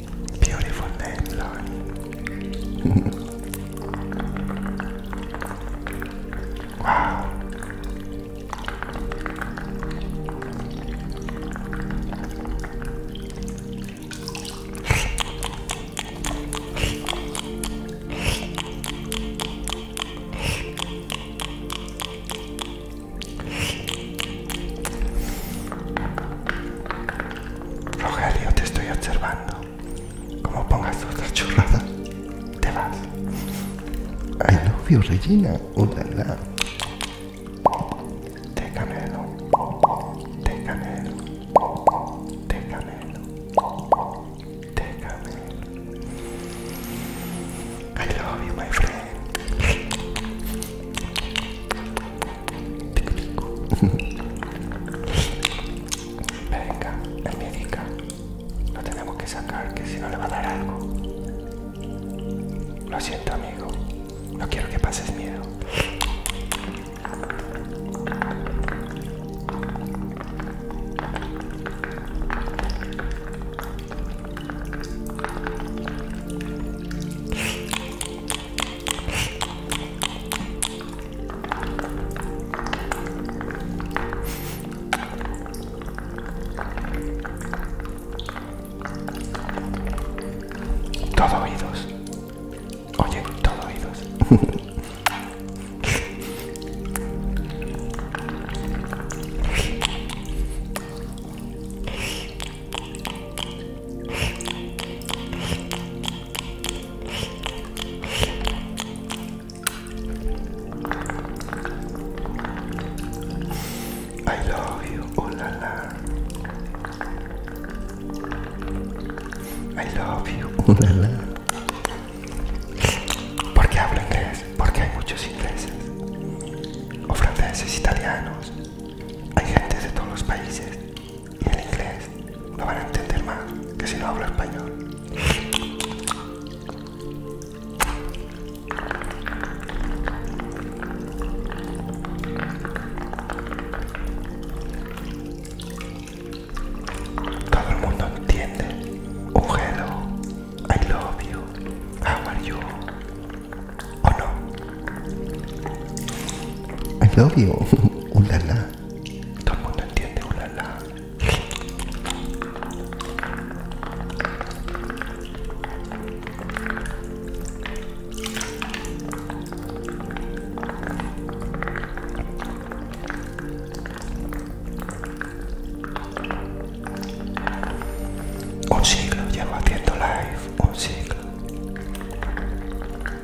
Beautiful name, Laurie. wow. Rogelio, te estoy observando. Como pongas otras churradas, te vas. I love you, Regina. Udala. Te camelo, Te camelo, Te camelo, Te I love you, my friend. Venga, mi médica. Lo tenemos que sacar, que si no le va a dar algo. Lo siento, amigo. No quiero que pases miedo. Todo oídos. Oye, todo oídos. I love you, oh la I love you, oh ¿Por qué hablo inglés? Porque hay muchos ingleses, o franceses, italianos, hay gente de todos los países y el inglés no van a entender más que si no hablo español. Todo el mundo entiende un hello, I love you, how are you, ¿O no. I love you. Ulala. Todo el mundo entiende ulala. un siglo llevo haciendo live, un siglo.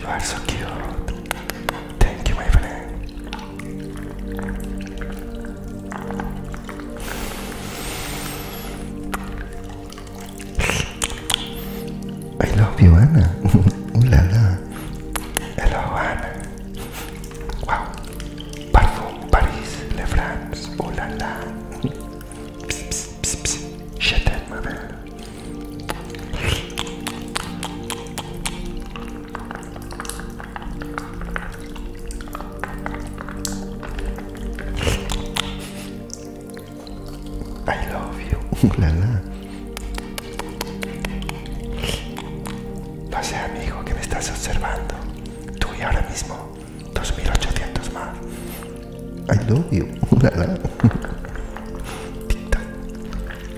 You are so cute. Thank you, my friend. I love you, Anna. Ooh la la. Hello, Anna. Wow. Parfum, Paris, Le France. Ooh la Psst, psst, psst, psst. Je t'aime, ma I love you. No amigo, que me estás observando. Tú y ahora mismo, 2800 más. I love you.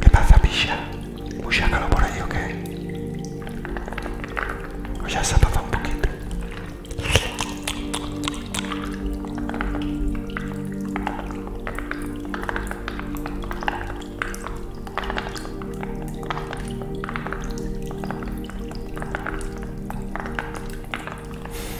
¿Qué pasa, pilla? ¿Mucha calor por ahí o qué? O ya se ha pasado un poquito.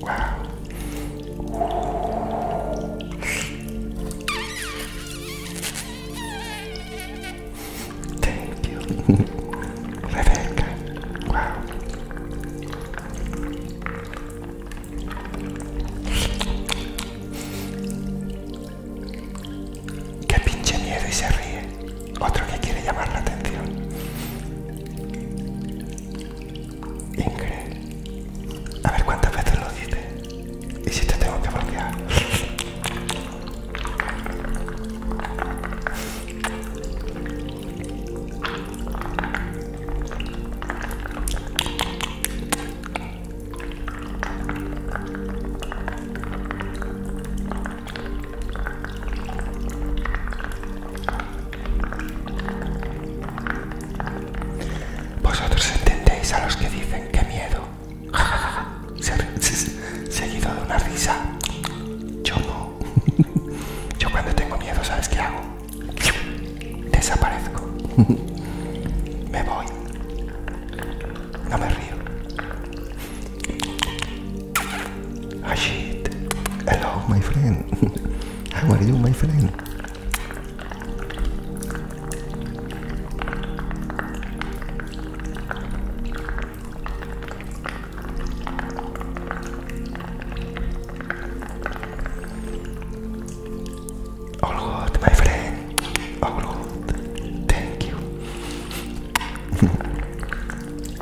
Wow. Qué pinche y se ríe. Otro que quiere llamar la atención. Ingrid, a ver cuántas veces lo dices y si te tengo que bloquear. Vosotros entendéis a los que dicen que miedo, seguido de una risa. Yo no. Yo cuando tengo miedo, ¿sabes qué hago? Desaparezco. Me voy. No me río. Ajit. Hello, my friend. How are you, my friend? All good, my friend. All good. Thank you.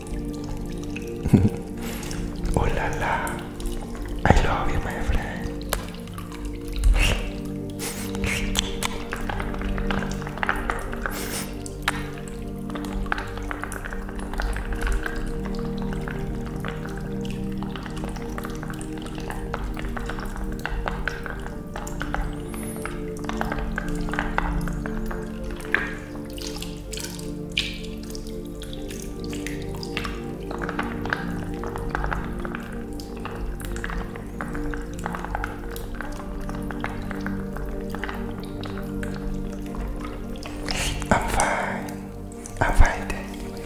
oh I love you, my friend. I'm fine. I'm fine. Thank good.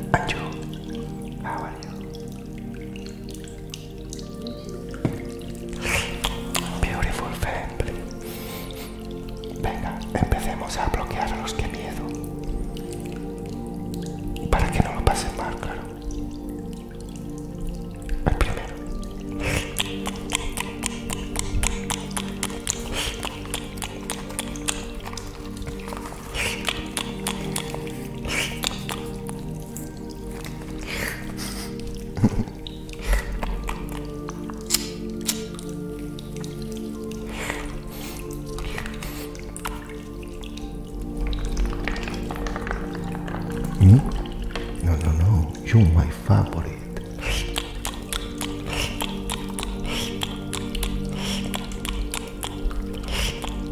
And you? Oh, how are you? Beautiful family. Venga, empecemos a bloquear a los que miedo. Para que no me pasen mal, claro. El primero. You? Hmm? No, no, no. You're my favorite.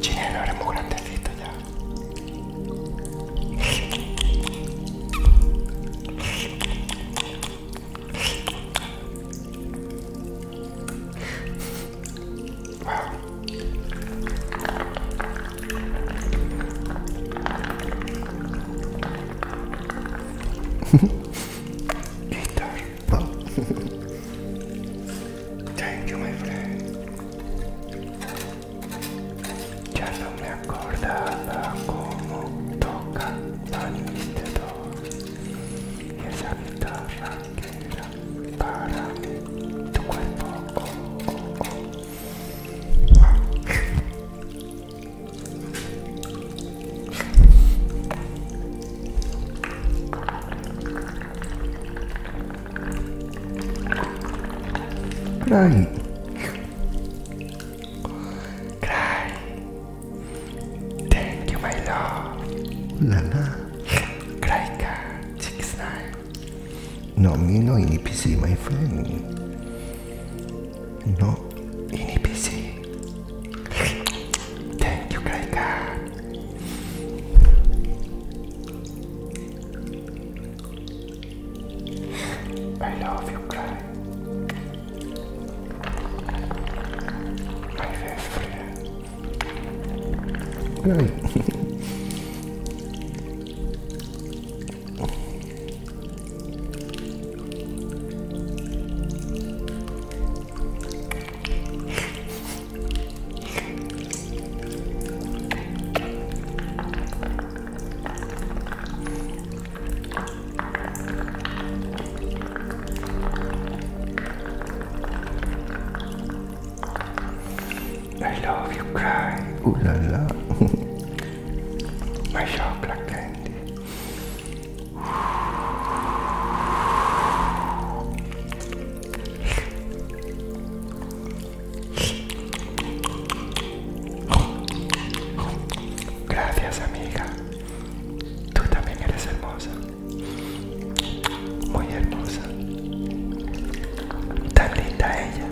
Chile, lo haremos grandecito ya. Wow. Guitar. Oh. Thank you, my friend. Ya no me acordaba cómo toca tan y esa guitarra que era para tu cuerpo. Oh, oh, oh. Cry. Thank you, my love. Lala. Cry car. Six nine. No, me no in EPC, my friend. No in EPC. Thank you, Cry car. I love your cry. My best friend. I love you cry. Ooh la la. My chocolate candy. Gracias amiga. Tú también eres hermosa. Muy hermosa. Tan linda ella.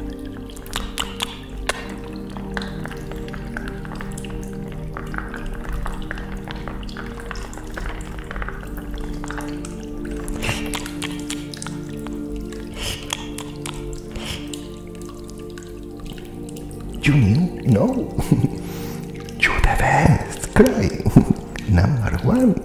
You knew? No. you would have asked. Cry. Number one.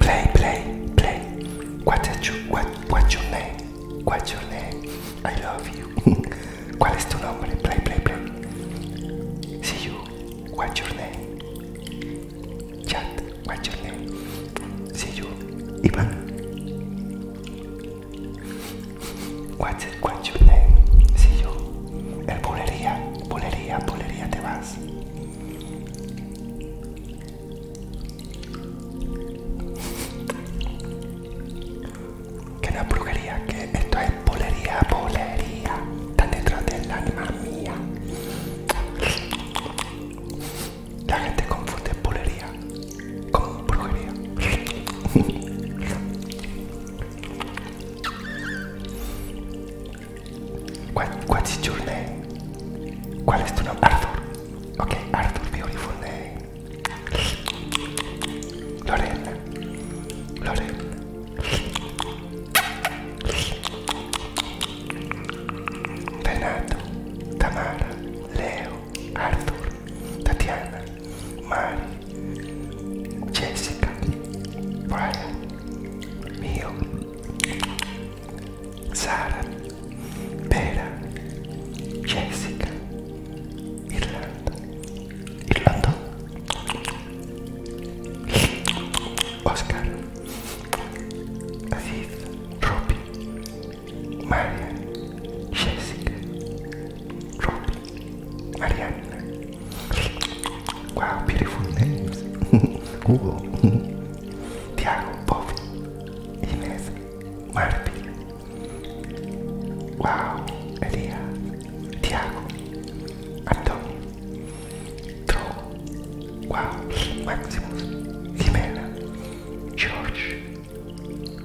Play, play, play. What is your, name? What's your name? I love you. What is your name? nombre? Play, play, play. See you. What's your name? Chat. What's your name? See you. Ivan. What's your name? Si, yo. El bulería, bulería, bulería te vas. Que no es brujería, que esto es bulería, bulería. Están detrás del alma mía. La gente confunde bulería con brujería. What, what's your name? Qual è il tuo nome? Arthur. Ok, Arthur, beautiful name. Lorena. Lorena. Renato. Tamara. Leo. Arthur. Tatiana. Mari. Jessica, Brian, Mio, Sara, Vera, Jessica, Irlanda, Irlanda, Oscar, Aziz, Ruby, Maria, Jessica, Truly. Ariadne. Wow, beautiful names. Hugo. Tiago, Bobby, Inés, Marty. Wow, Elia, Tiago, Antonio, Drogo. Wow, Maximus, Jimena, George.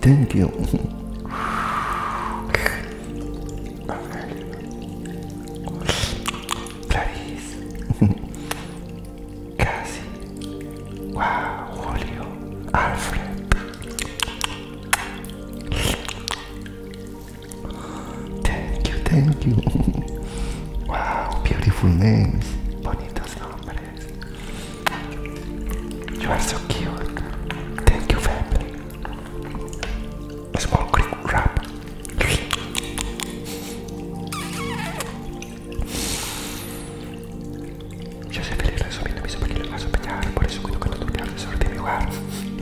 Thank you. Clarice. Casi. Wow, Julio. Alfred. Thank you, thank you. Wow, beautiful names. Bonitos nombres. You are so cute. Thank you, family. A small quick Rap. Yo soy feliz resumiendo mis opiniones a por eso cuido que no tuviera suerte de mi hogar.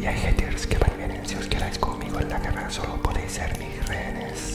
Y hay haters que van bien. vienen, si os quedáis conmigo en la guerra solo podéis ser mis rehenes.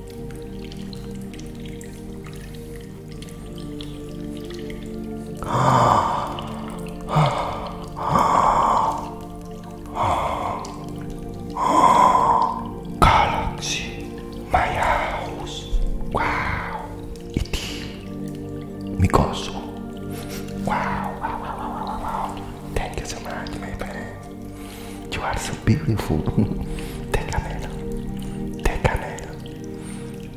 Galaxy, my house. Wow, it Mikoso. wow. Thank you so much, my friend. You are so beautiful. Tecanela. Tecanela.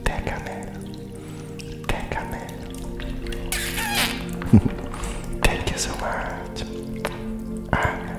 Tecanela. Tecanela. Thank you so much. Anna. Ah.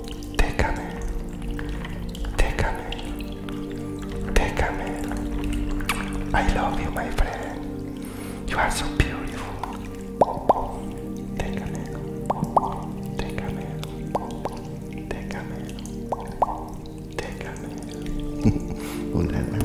Take take Déjame, déjame, déjame. I love you, my friend. You are so beautiful. Take take take déjame, déjame, déjame. Una más.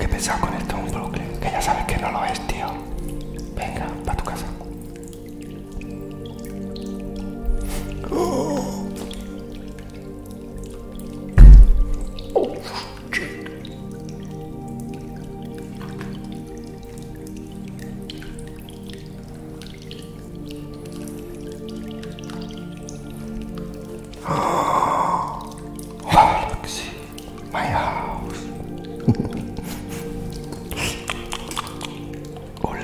Qué pensás con esto un bloque que ya sabes que no lo es, tío. Venga, para tu casa. Oh, my house. oh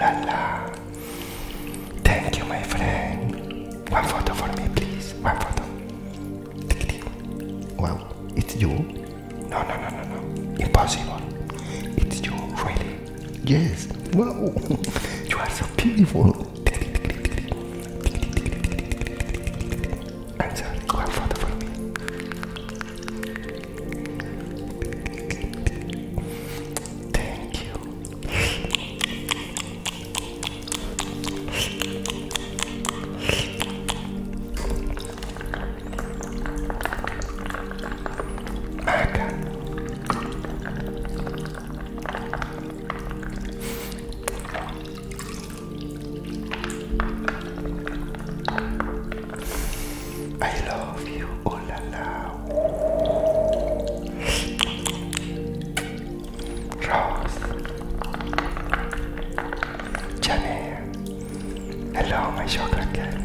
Thank you, my friend. One photo for me, please. One photo. Well, it's you? No, no, no, no, no. Impossible. It's you, really. Yes. Wow. you are so beautiful. I'm photo for me. Thank you. Maca. I love you, oh la Rose, Janelle, hello my chocolate candy.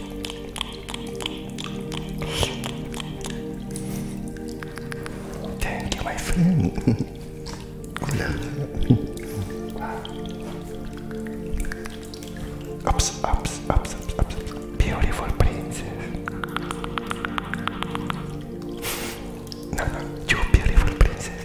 Thank you, my friend. ups, ups, ups, Beautiful princess. No, no, beautiful princess.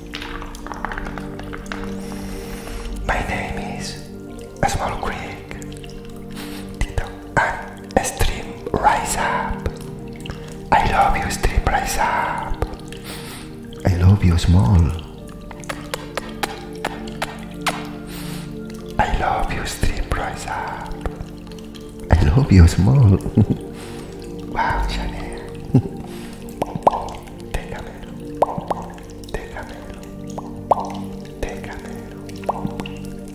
My name is a Small Creek and Stream Rise Up. I love you, Stream Rise Up. I love you, Small. I love you, Stream Rise Up. I love you, Small. wow, Chanel. Tejanero, tejanero, tejanero,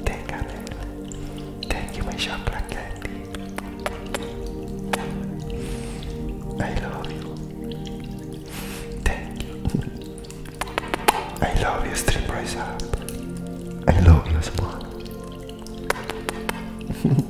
tejanero. Thank you, my chocolate candy. I love you. Thank you. I love you, strip rise up. I love you, small.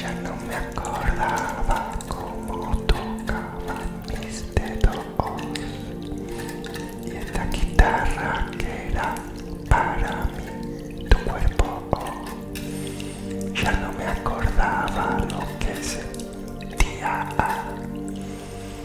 Ya no me acordaba cómo tocaba mis dedos. Y esta guitarra que era para mi tu cuerpo. Ya no me acordaba lo que sentía.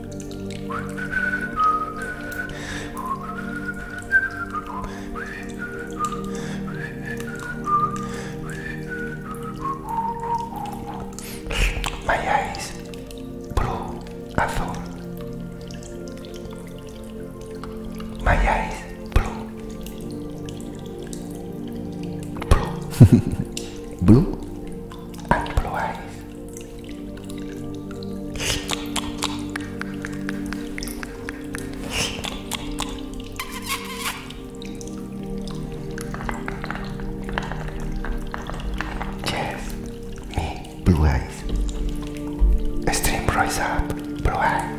My eyes blue azul. My eyes blue. Blue. blue and blue eyes. Yes, me, blue eyes. Stream rise up, blue eyes.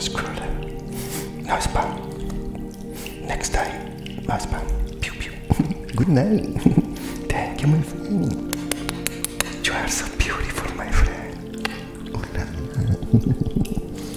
Screw that. No spam. Next time, no spam. Pew pew. Good night. Thank you, my friend. You are so beautiful, my friend.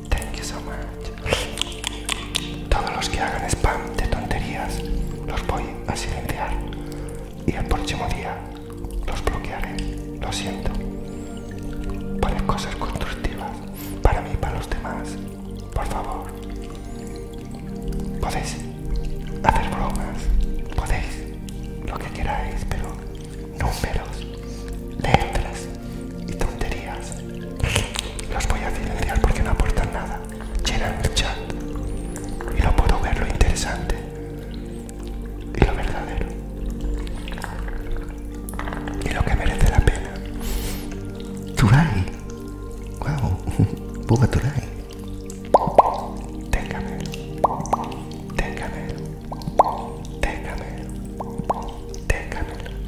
Thank you so much. Todos los que hagan spam de tonterías los voy a silenciar y el próximo día los bloquearé. Lo siento. poned cosas constructivas para mí y para los demás. Por favor. Podéis hacer bromas. Podéis lo que queráis, pero números, letras, y tonterías. Los voy a silenciar porque no aportan nada. Llenan el chat y no puedo ver lo interesante y lo verdadero y lo que merece la pena. Turai, wow, ¡Buga Turai. Téngame, téngame, téngame, téngame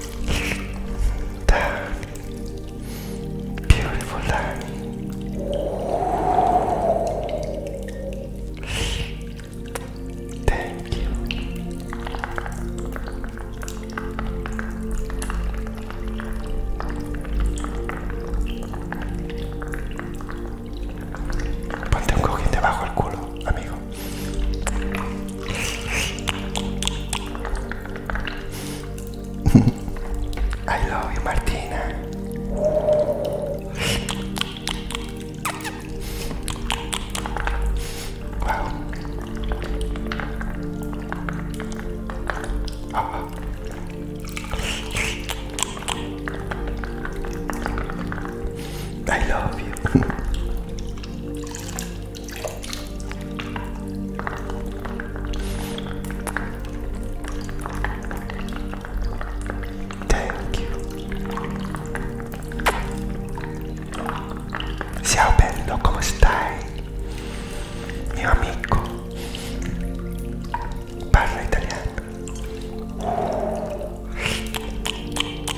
beautiful Thank you. Ponte un cojín debajo del culo, amigo. I love you, Martina. Wow. Uh-uh. I love you. Thank you. Ciao bello, come stai? Mio amico. Parla italiano.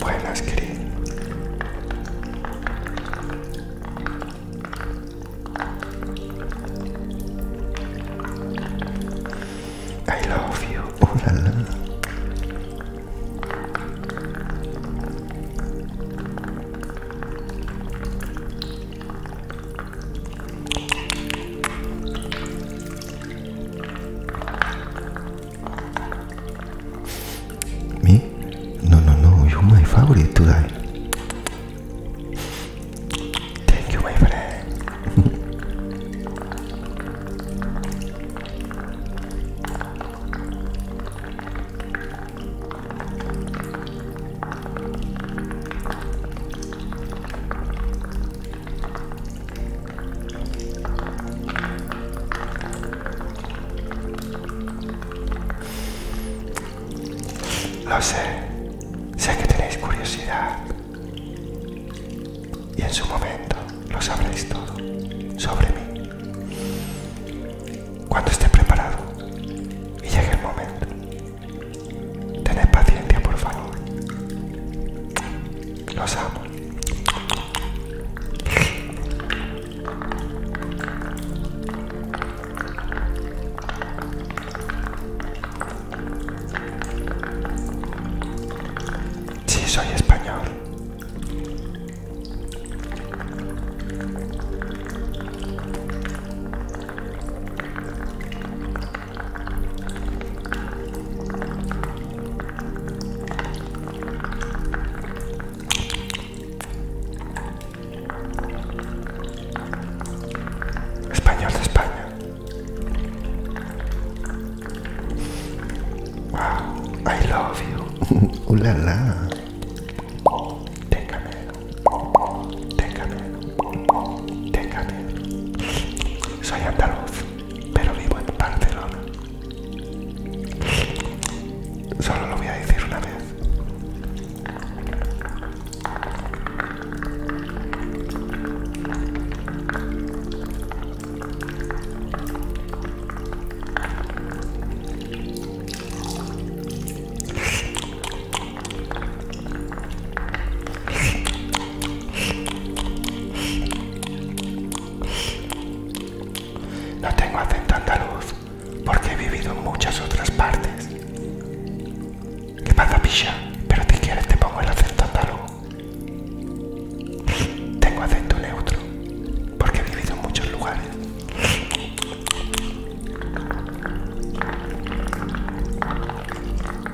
Buenas, querido. I love you. Oh la me? No, no, no, you my favorite today. Thank you, my friend. Lo sé, sé que tenéis curiosidad y en su momento lo sabréis todo sobre mí. Cuando esté preparado y llegue el momento. Tened paciencia, por favor. Los amo. Sí, soy español. Español de España. Wow, I love you. Uh, la la. Téngame. Soy andaluz, pero vivo en Barcelona. Solo lo voy a decir una vez. No tengo acento andaluz porque he vivido en muchas otras partes. ¿Qué pasa, pilla? Pero si quieres te pongo el acento andaluz. Tengo acento neutro porque he vivido en muchos lugares.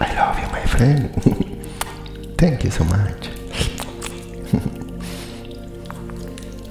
I love you, my friend. Thank you so much.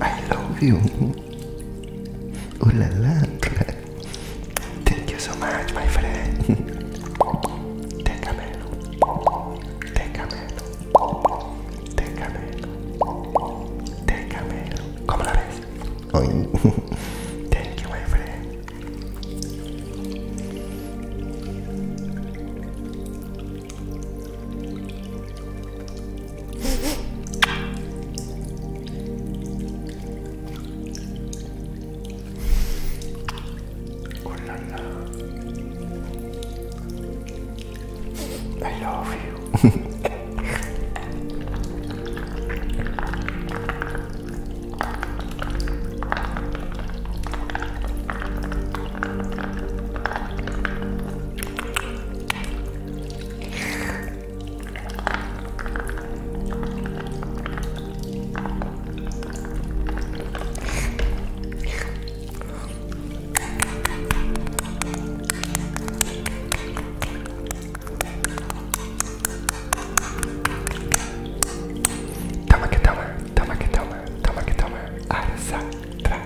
I love you. Ooh la Thank you so much, my friend. Take a minute. Take a minute. Take a minute. Thank you, my friend. Oh la I love you. Toma que toma, toma que toma, toma que toma, arrasa, tra,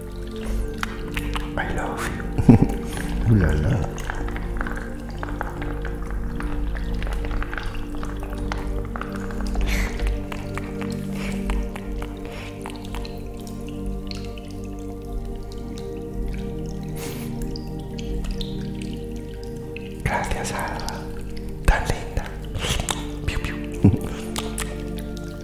I love you. Ooh la la. Gracias, Alba. Tan linda. Piu, piu.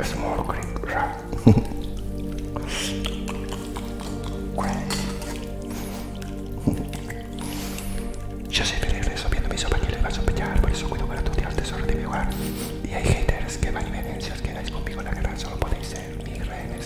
es muy raro Yo siempre eso. viendo mis sopa para les a por eso cuido para tu el tesoro de mi hogar. Y hay haters que van y me que si os quedáis conmigo en la guerra, solo podéis ser mi reyes.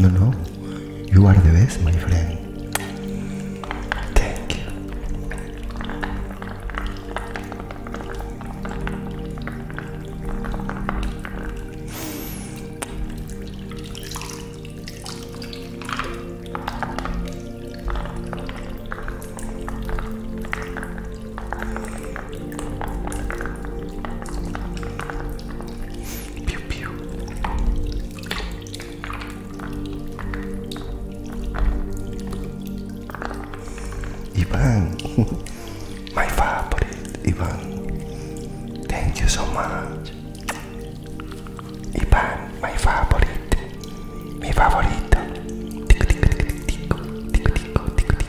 No, no. You are the best, my friend. Thank you. Piu, Ivan, my favorite, Ivan. Thank you so much. Ivan, my favorite, mi favorito. Tico, tico, tico, tico, tico, tico, tico, tico,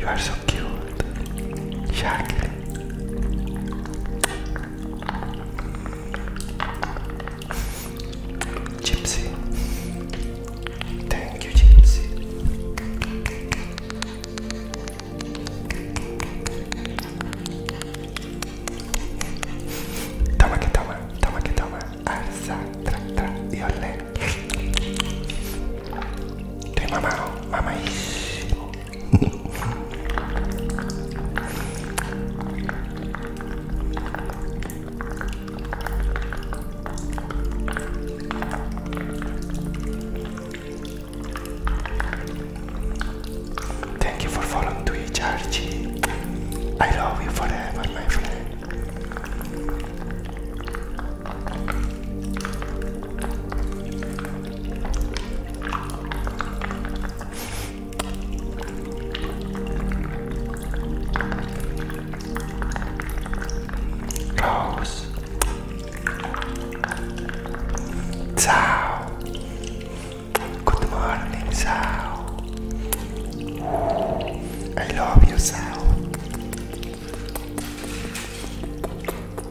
You are so cute. Shark. Gypsy. Thank you, Gypsy. Toma que toma, toma que toma. Alza, tra, tra y olé. Estoy mamado, mamadísimo. Thank you for following Twitch, Archie. I love you forever, my friend. Rose. Ciao. Good morning, Sao. I love you, Sao.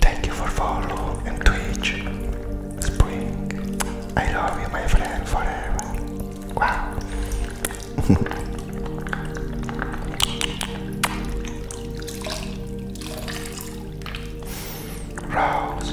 Thank you for following and Twitch. Spring. I love you, my friend, forever. Wow. Rose.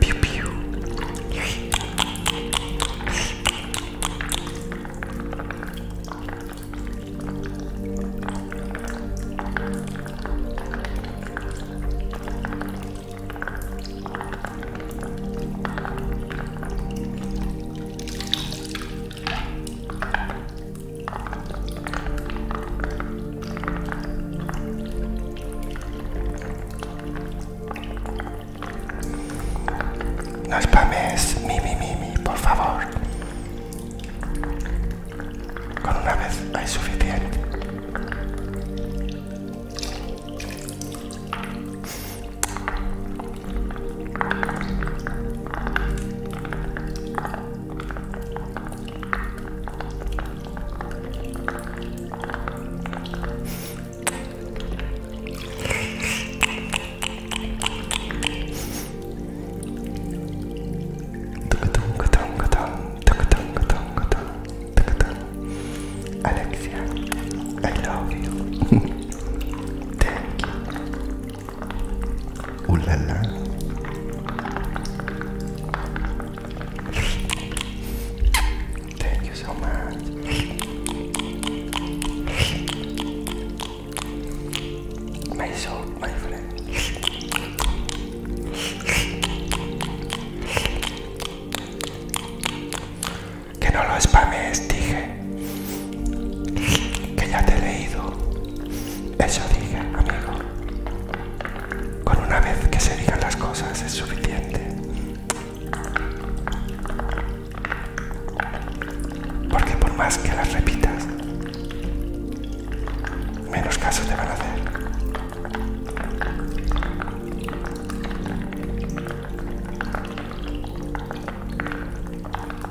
Pew pew. No espames, mi mi mi por favor. Con una vez hay suficiente. Alexia, I love you. Thank you. Uh, la, la. Thank you so much. My soul, my friend. Que no lo espames, dije. Que ya te he leído. Eso dije, amigo. Con una vez que se digan las cosas es suficiente. Porque por más que las repitas, menos casos te van a hacer.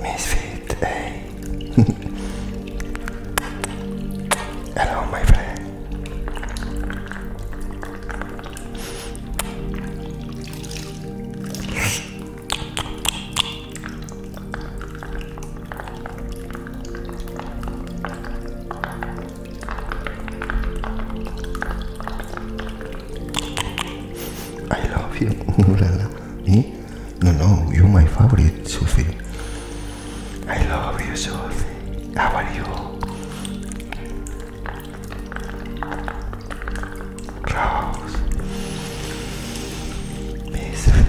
Misfit, hey. Hello, my friend. I love you. Me? No, no, you're my favorite, Sophie. I love you, Sophie. How are you? Rose. Vincent.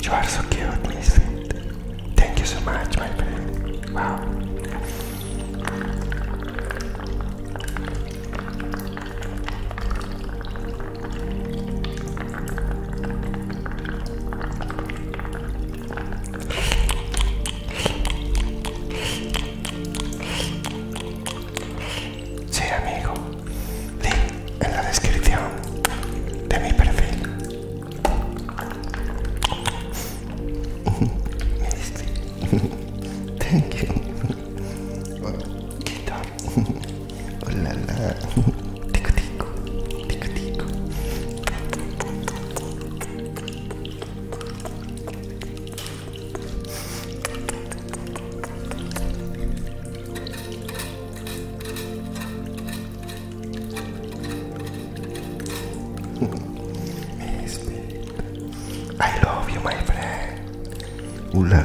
You are so cute, Miss. Thank you so much, my friend. Wow. Sí, amigo. Link en la descripción de mi perfil. Este. Thank you. oh la la. tico tico. Tico tico. I love you, my friend. Ooh la.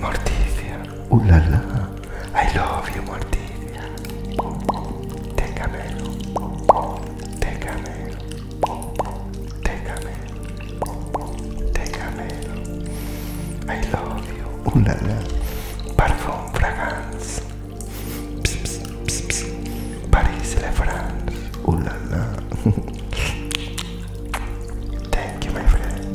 Morticia, oh la la, I love you Morticia, te téngame. Déjame, déjame. I love you. la, la. Parfum Fragance. Pss, pss, pss, Paris, France. Uh, la, la. Thank you, my friend.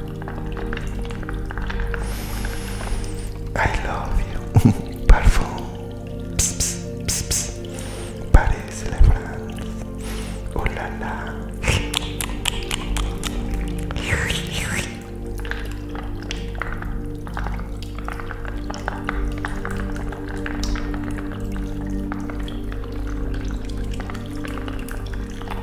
I love you. Parfum. Pss, pss, pss, la France. Oh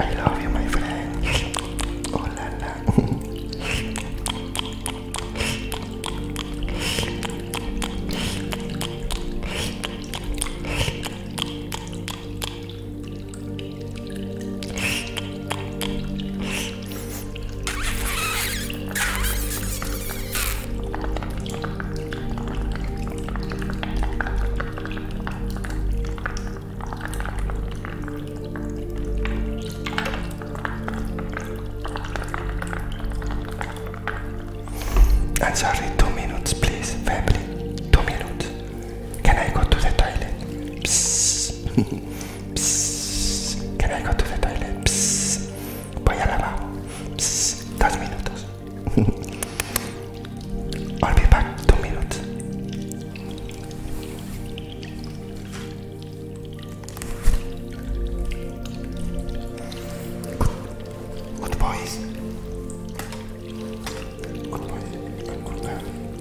I love you, my friend. Oh la la. I'm sorry, two minutes, please, family. Two minutes. Can I go to the toilet? Psss, que vengo a tus detalles. Psss, voy a lavar. Psss, dos minutos. I'll be back two minutes. Good, good boys. Good boys. Good, good, good.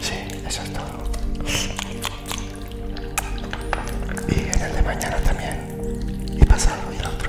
Sí, eso es todo. Y en el de mañana también. Y pasado y el otro.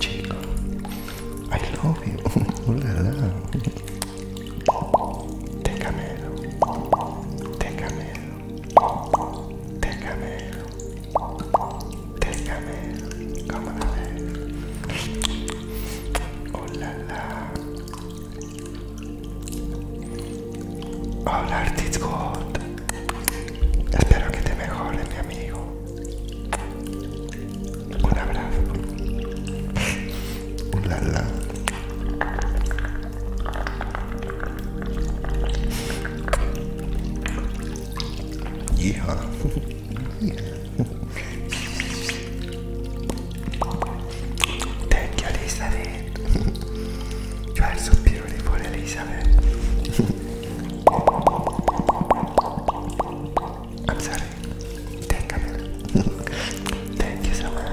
Chico, I love you. Ooh la la. Te camelo. Te camelo. Te camelo. Te camelo. Come on, Ooh la la. All art is good. Espero que te mejore, mi amigo. Un abrazo. Un la, la. Yeah. ten Thank you, Elizabeth. you are so beautiful, Elizabeth. sorry. Thank you. Thank you so much.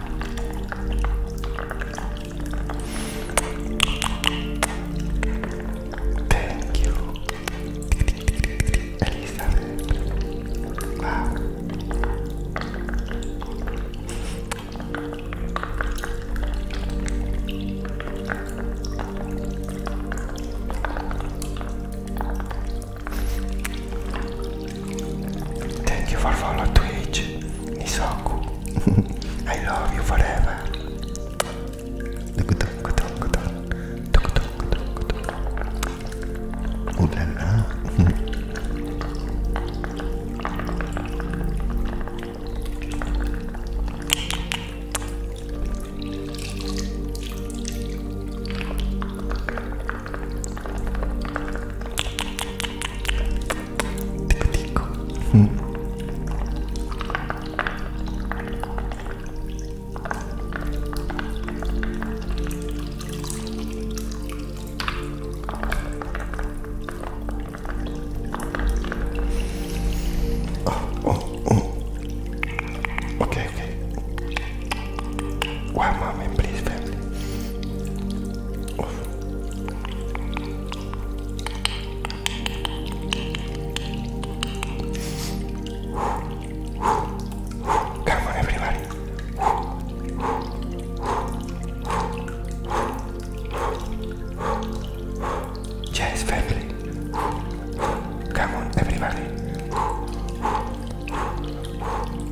Thank you, Elizabeth. Wow. Thank you for follow Twitch, Nisoku. I love you forever. Oh la la. Hum. Oh, oh, oh. Okay, okay. One mamãe please, family. Come on, everybody. Yes, family. Come on, everybody.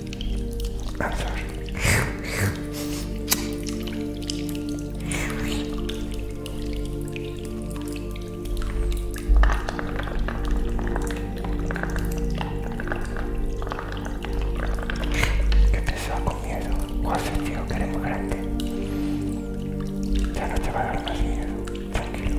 I'm con miedo? ¿Cuál sentido queremos grande? Ya no te va a dar más miedo, tranquilo.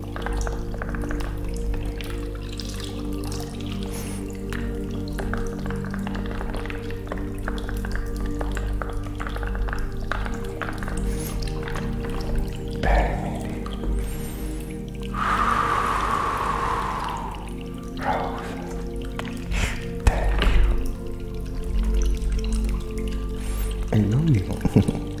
Rose, thank you. I love you.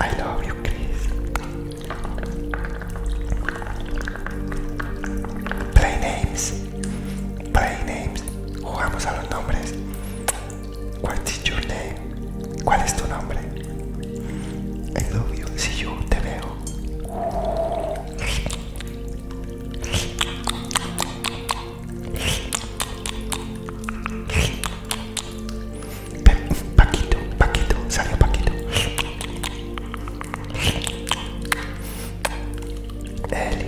I love you, Chris. Play names. Play names. Jugamos a los nombres. What is your name? ¿Cuál es tu nombre? I love you. si you. Te veo. Paquito, Paquito, salió Paquito. Eli.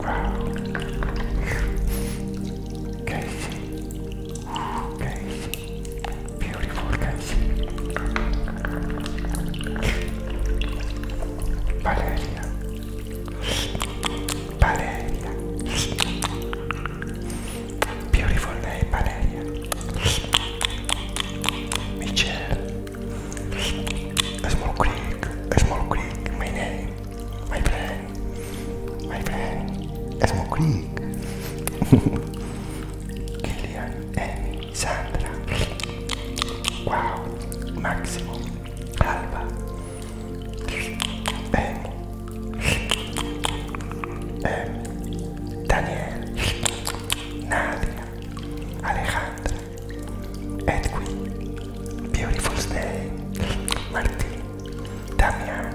Wow. Casey. Casey. Beautiful, guys. Valeria. Valeria. Beautiful Valeria. Michelle. A small creek. A My name. My friend. My friend. A small Kilian, Emi, Sandra, Wow, Massimo, Alba, Emi, Emi, Daniel, Nadia, Alejandra, Edwin, Beautiful Day, Martín, Damián,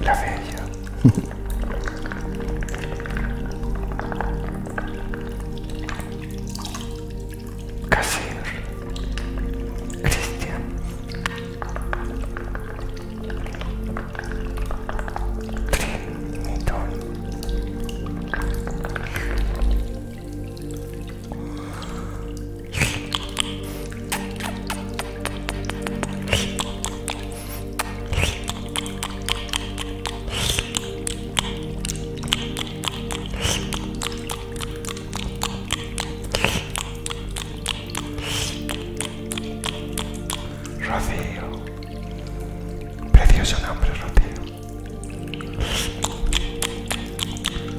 La bella. Casir. Cristian. Trinitón. Rocío, precioso nombre, Rocío.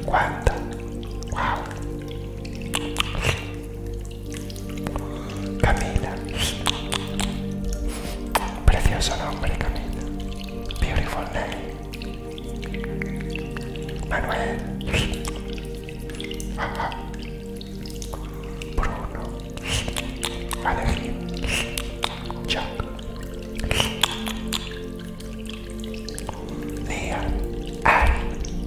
¿Cuánto? ¡Wow! Camila. Precioso nombre, Camila. Beautiful name. Manuel. Bruno. Alejandro, Chuck. Lea. Ari.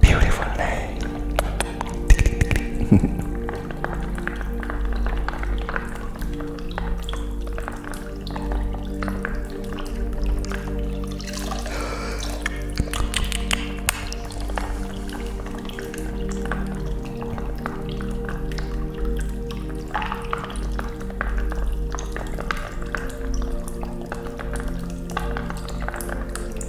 Beautiful day.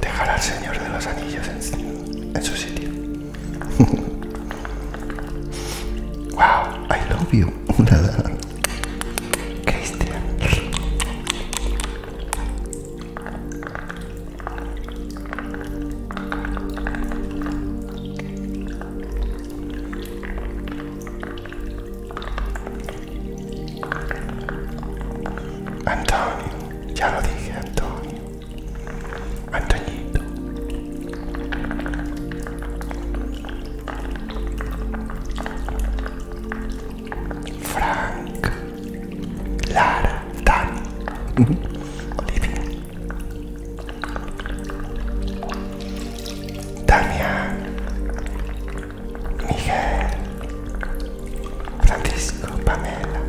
dejar al Señor de los Anillos en, su sitio. wow, I love you. Una Cristian. Antonio, ya lo dije, Antonio. Antonito Frank Lara Dani Olivia Damian Miguel Francisco, Pamela,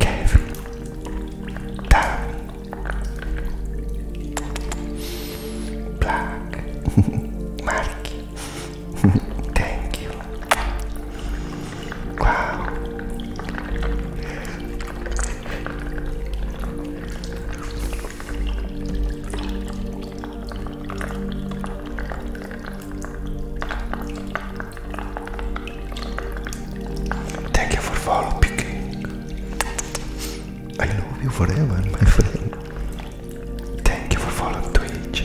Kevin, Tami, Black, Mark, thank you. Wow. Thank you for following. picking. I love you forever, my friend. Thank you for following Twitch.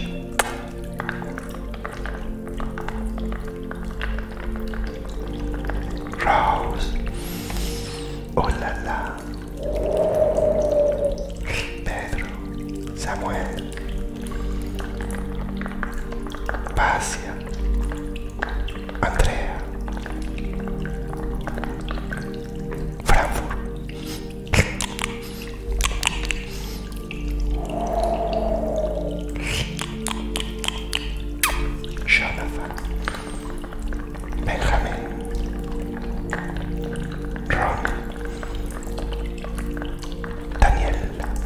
Rouse. Oh Pedro. Samuel. Pasia, Andrea, Franco Jonathan, Benjamin, Ron, Daniel.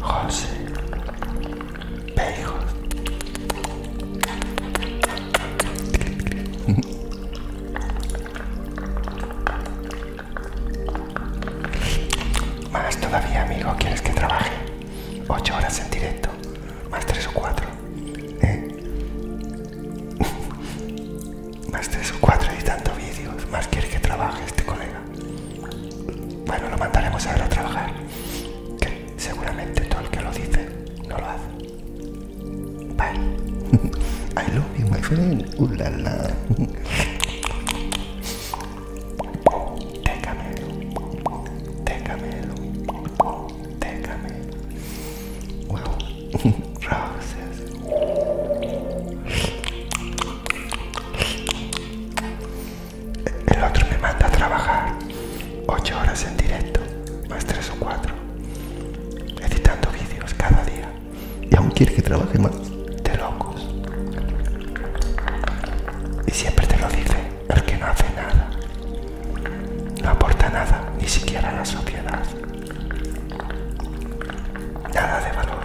José Pejos. Más todavía, amigo, ¿quieres que trabaje? Ocho horas en directo, más tres o cuatro. ¿eh? más tres o cuatro tanto vídeos, más quieres que trabaje este colega. Bueno, lo mandaremos a trabajar, que seguramente todo el que lo dice no lo hace. Bye. I love you, my friend. Uh, la, la. Té roses el otro me manda a trabajar ocho horas en directo, más tres o cuatro, editando vídeos cada día. Y aún quiere que trabaje más. De locos. Y siempre te lo dice el que no hace nada. No aporta nada, ni siquiera a la sociedad. Nada de valor.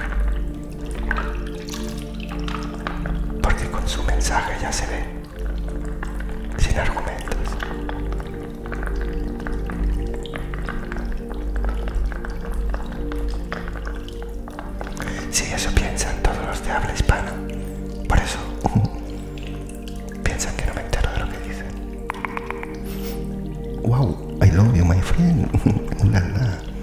Porque con su mensaje ya se ve, sin argumentos. Sí, eso piensan todos los de habla hispana. Por eso uh, piensan que no me entero de lo que dicen. Wow, I love you, my friend.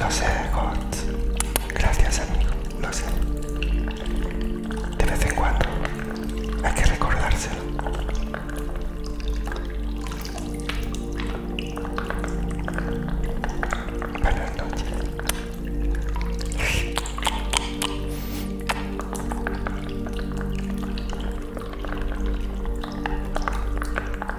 Lo sé, God. Gracias, amigo. Lo sé. De vez en cuando hay que recordárselo.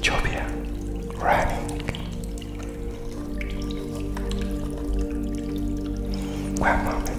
Jovia running. One moment.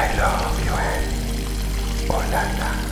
I love you, eh?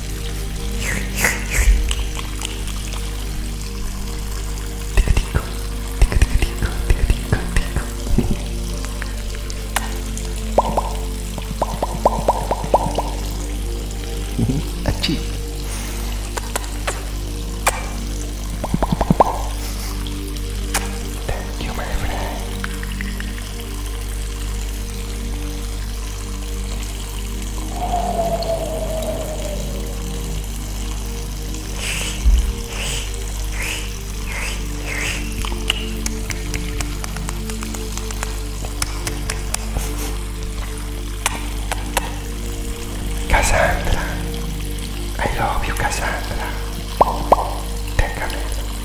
Achieve. Thank you, my friend. Cassandra, I love you Cassandra, oh, oh, take a minute.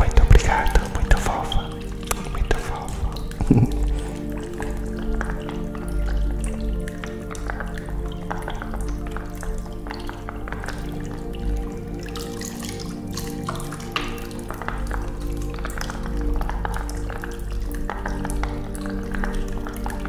Muito obrigado, muito fofa, muito fofa.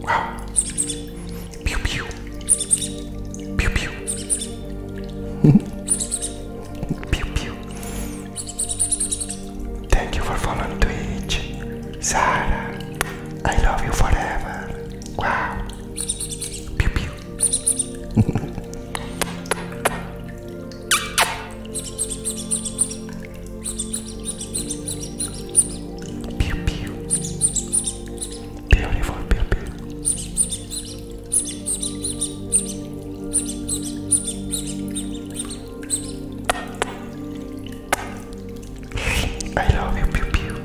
Wow. Pew pew. Pew pew. pew pew. Thank you for following Twitch. Sarah, I love you forever. Wow. Pew pew. Pew pew. Beautiful pew pew. I love you pew pew.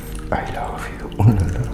I love you. Oh, la, la.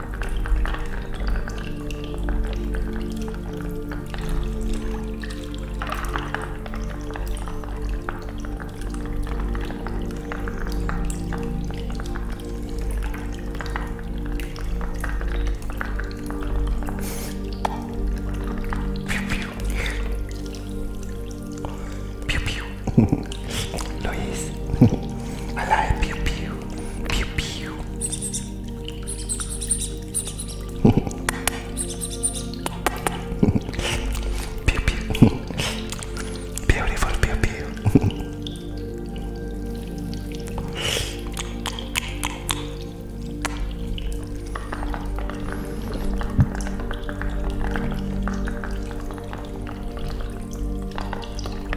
Pew pew. Lo hice. Alive pew pew. Pew pew. pew pew. Beautiful pew pew.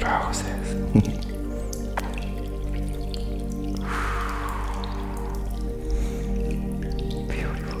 Roses. Beautiful.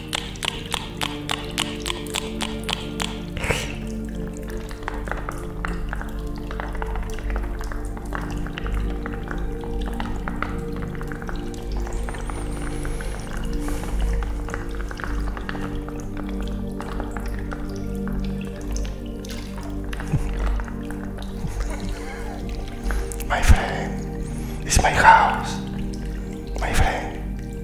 My friend, it's my house. My friend,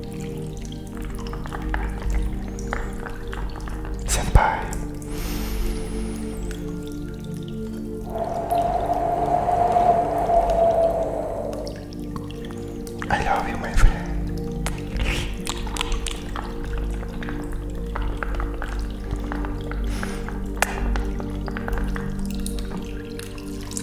Senpai. I eu you, my friend.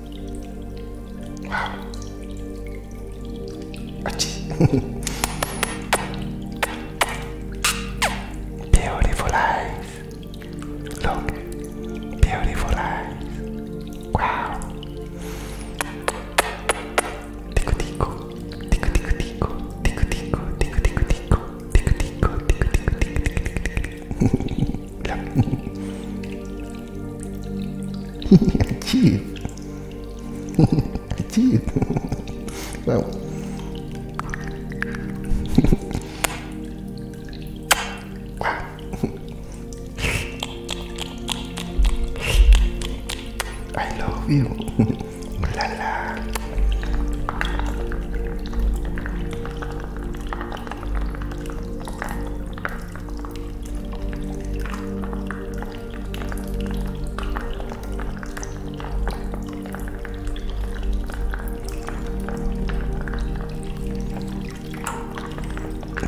Wow. beautiful eyes. Look. Beautiful eyes. Wow. Tico tico. Tico tico tico. Tico tico tico tico tico. Tico tico tico tico tico tico. Achieve. Achieve. Well. wow. I love you. la la.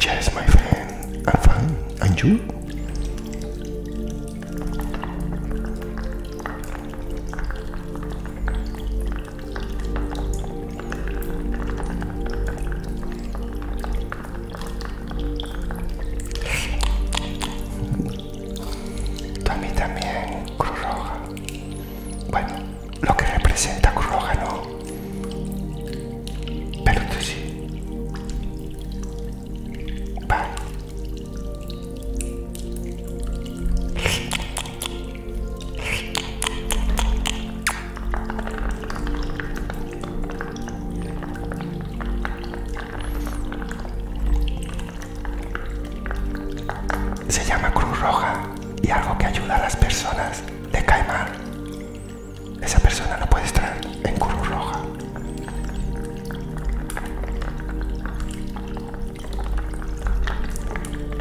Yes, my friend, I'm fine. And you? mí también Cruz Roja. Bueno, lo que representa Cruz Roja no. Pero tú sí. Se llama Cruz Roja y algo que ayuda a las personas de mal Esa persona no puede estar en Cruz Roja.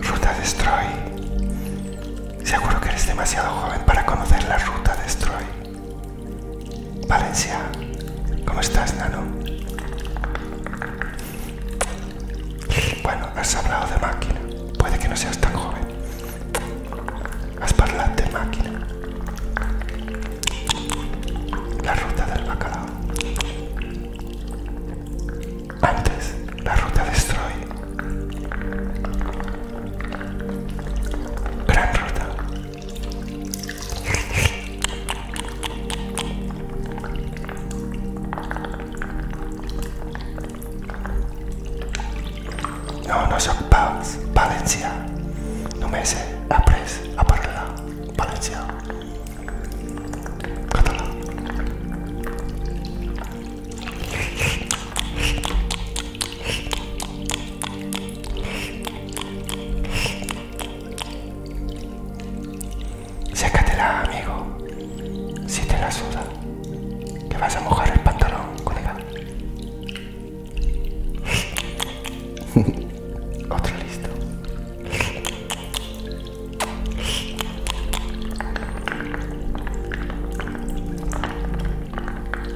Ruta Destroy. Seguro que eres demasiado joven para conocer la ruta Destroy. Valencia, ¿cómo estás, Nano? Bueno, has hablado de máquina. Puede que no seas tan joven. Has hablado de máquina. La ruta del bacalao. Antes, la ruta destroy. Gran ruta. No, no soc No no no he après a Valencia. palencia, Sécatela, amigo, si te la suda, que vas a mojar el pantalón, colega. Otro listo.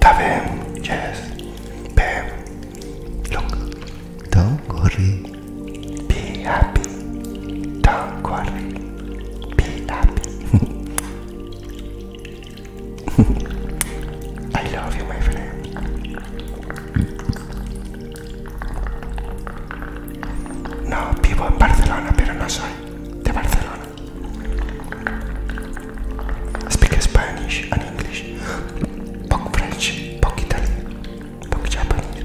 Taven, yes. bem, look. Don't worry. Be happy. Don't worry. Be happy. I love you, my friend. No, vivo en Barcelona, pero no soy de Barcelona. Speak Spanish and English. Poc French, poc Italian, poc Japanese.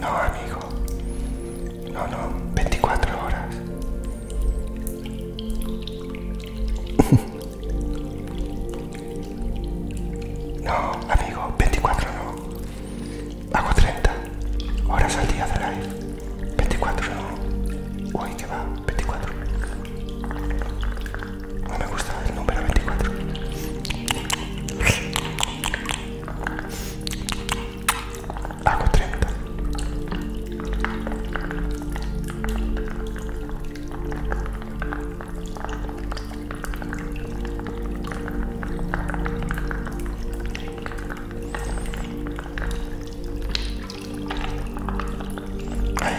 No, amigo. No, no, 24 horas. No, amigo, 24 no. Hago 30 horas al día de live. 24 no. Uy, que va, 24. No me gusta el número 24. I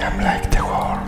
am like the wall.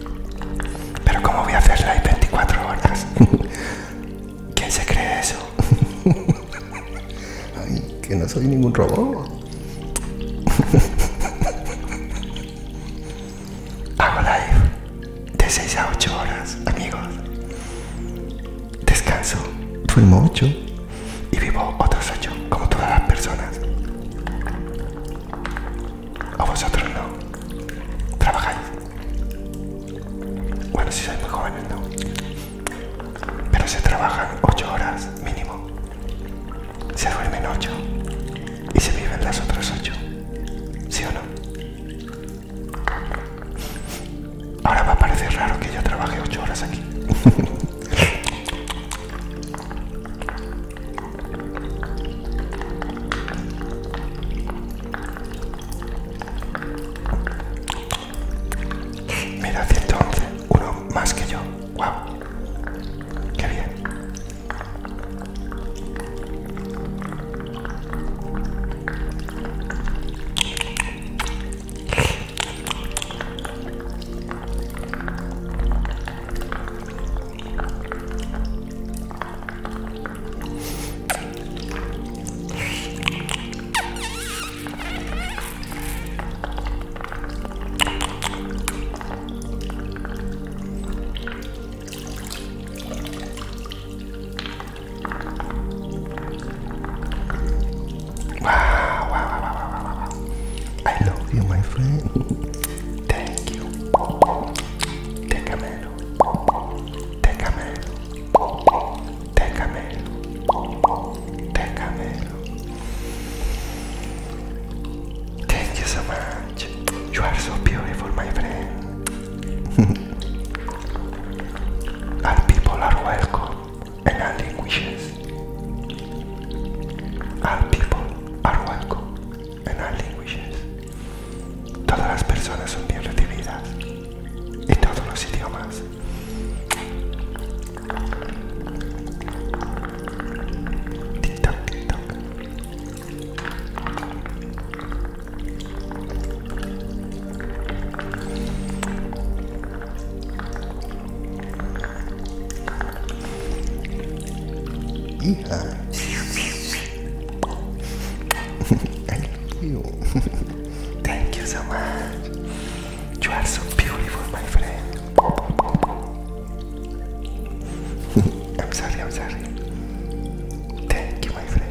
Pero ¿cómo voy a hacer live 24 horas? ¿Quién se cree eso? Ay, que no soy ningún robot. Hago live de 6 a 8 horas, amigos. Descanso, duermo 8 y vivo otros 8, como todas las personas. ¿O vosotros no? ¿Trabajáis? Bueno, si sois muy jóvenes, no. Pero se trabajan ocho horas mínimo. Se duermen ocho. y se viven las otras ocho. ¿Sí o no? Ahora va a parecer raro que yo trabaje ocho horas aquí. Mira, 111, uno más que yo. ¡Wow! ¡Qué bien! Wow, wow, wow, wow, wow, wow, I love you, my friend. Thank you. Take a minute. Thank you so much. You are so beautiful, my friend. all people are welcome and all languages. All people are welcome and all languages. Todas las personas son bien recibidas, y todos los idiomas. I love you. Thank you so much. You are so beautiful, my friend. I'm sorry, I'm sorry. Thank you, my friend.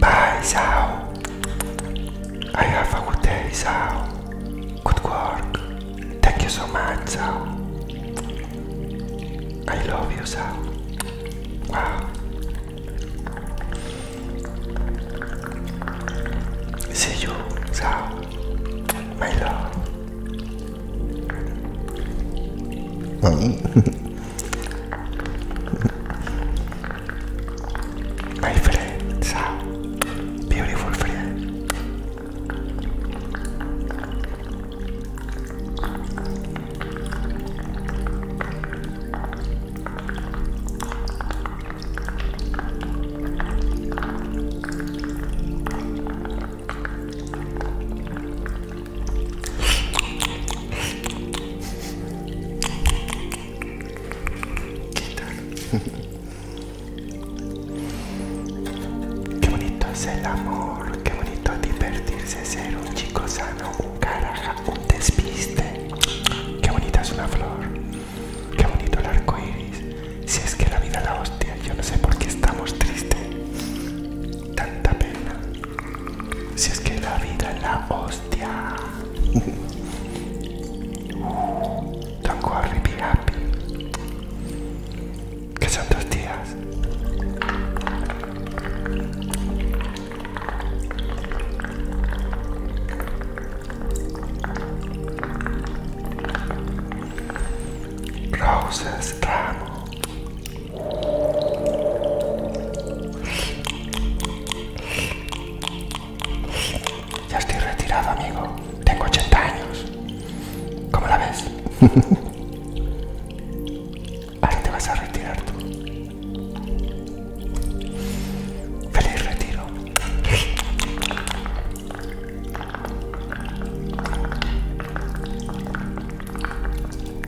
Bye, Sal. I have a good day, Sal. Good work. Thank you so much, Sal. I love you, Sal. Wow. See you, Sal. My love. My friends are beautiful friends. ¿Qué bonito es el amor, qué bonito divertirse, ser un chico sano, un caraja, un despiste. Qué bonita es una flor, qué bonito el arco iris. Si es que la vida la hostia, yo no sé por qué estamos tristes. Tanta pena. Si es que la vida la hostia. Don't worry, be happy. Que son tus días. Roses, ramo. Ya estoy retirado, amigo. Tengo 80 años. ¿Cómo la ves? Ahora te vas a retirar tú. Feliz retiro.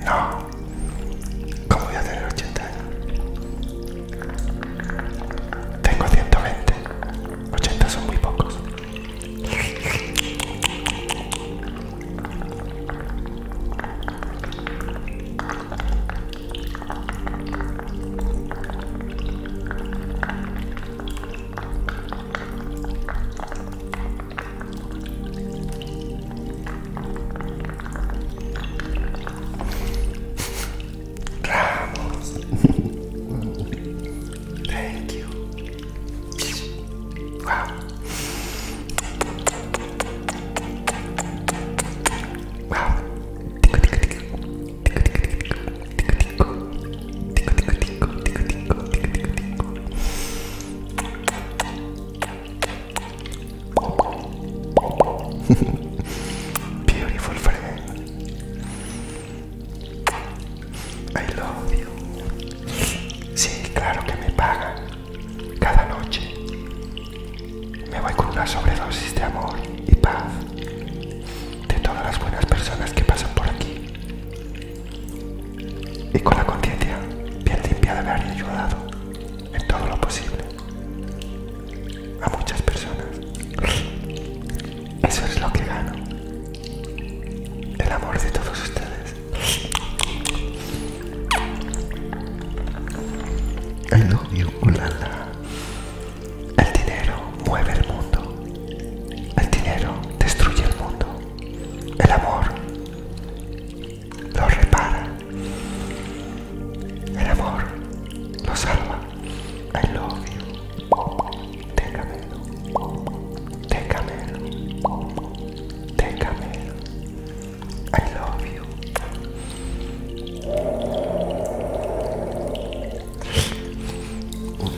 No. ¿Cómo voy a tener 80 años? Tengo 120. 80 son muy pocos. Ramos. Thank you. Wow. Wow. Beautiful friend. I love you. Sí, claro que me pagan Cada noche. Me voy con una sobredosis de amor y paz. De todas las buenas personas que pasan por aquí. Y con la conciencia bien limpiada de haber ayudado en todo lo posible a muchas personas. Eso es lo que gano. El amor de todos ustedes. El love El dinero mueve el mundo. El dinero destruye el mundo. El amor lo repara. El amor lo salva. I love you. Técamelo. Técamelo. Técamelo. I love you. Ooh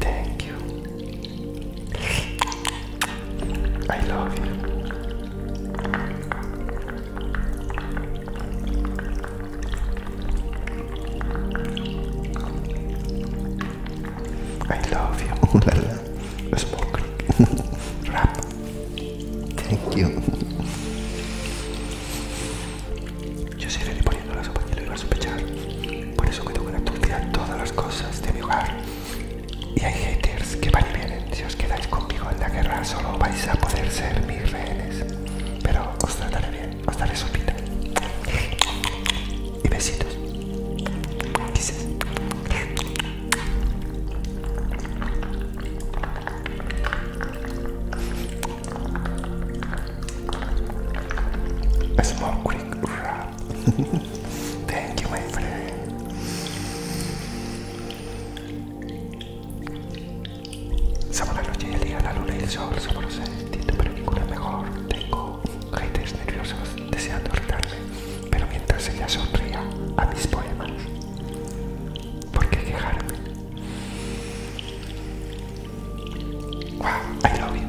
Thank you. I love you. I love you. Smoke. Rap. Thank you. Yo seguiré poniendo la sopa y lo iba a sospechar. Por eso cuido con la todas las cosas de mi hogar y hay haters que van y vienen. Si os quedáis conmigo en la guerra, solo vais a poder ser mis rehenes. Pero os trataré bien, os daré vida. Y besitos. small quick Thank you, my friend. Somos la noche y el día, la luna y el sol, somos los sentidos pero ninguna mejor. Tengo haters nerviosos deseando retarme, pero mientras ella sonría a mis poemas, ¿por qué quejarme? Wow, I love you.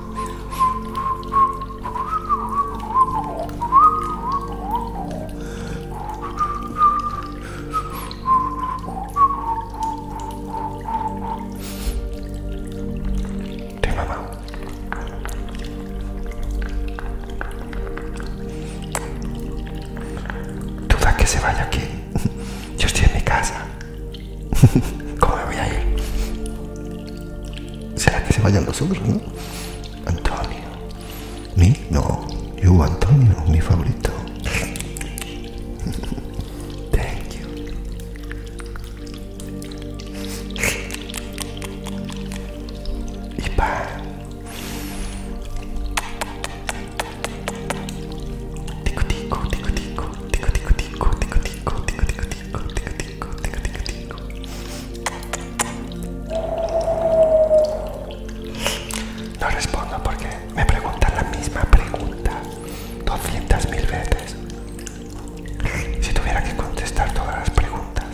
Te mamá. Duda que se vaya aquí. Yo estoy en mi casa. ¿Cómo me voy a ir? ¿Será que se vayan los otros, no? Antonio. ¿Mi? No. Yo, Antonio, mi favorito. Thank you. Y no respondo porque me preguntan la misma pregunta 200 mil veces. Si tuviera que contestar todas las preguntas,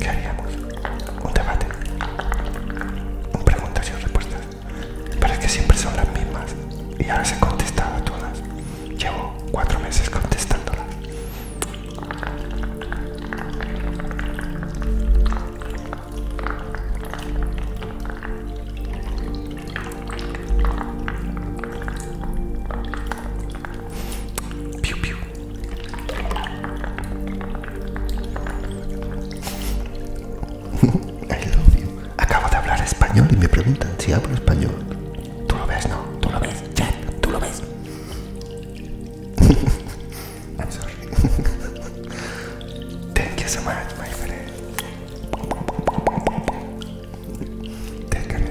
¿qué haríamos? Un debate. Un preguntas y respuestas pero es que siempre son las mismas y ahora se han contestado todas. Llevo cuatro meses contestándolas. piu. I love you. Acabo de hablar español y me preguntan si hablo español. Tú lo ves, no, tú lo ves, Jack, tú lo ves. I'm sorry. Thank you so much, my friend. Déjame,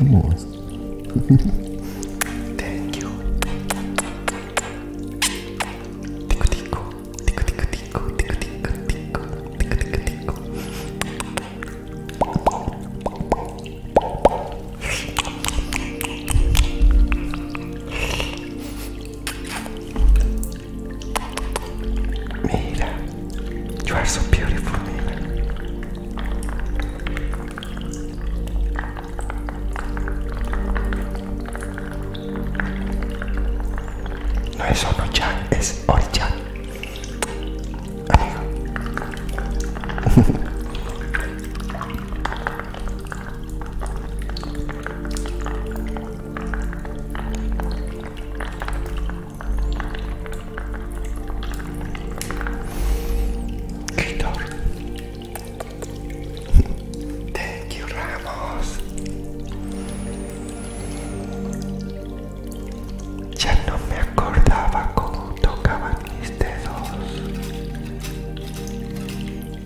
Amor. Thank you. Tico, tico, tico, tico, tico, tico, tico, tico, tico, tico, tico. Mira. You are so beautiful, Nina. No es Ono-chan, es Ori-chan. Thank Ya no me acordaba cómo tocaban mis dedos.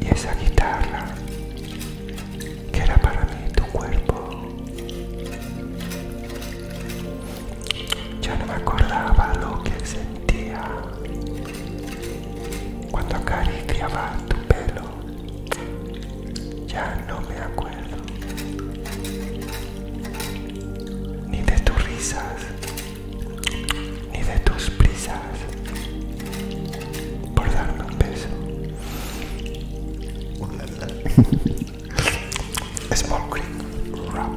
Y esa guitarra que era para mí tu cuerpo. Ya no me acordaba lo que sentía cuando acariciaba tu pelo. Ya no me acuerdo ni de tus risas, ni de tus prisas por darme un beso. Small Creek Rap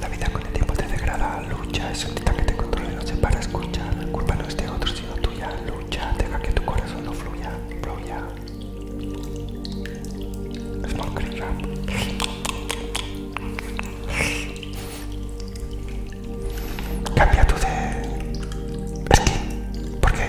La vida con el tiempo te degrada, lucha, es tita que te controle, no se para, escucha. La culpa no es de otro, sino tuya, lucha, deja que tu corazón no fluya, fluya. Small Creek Rap Cambia tu de ¿Por qué?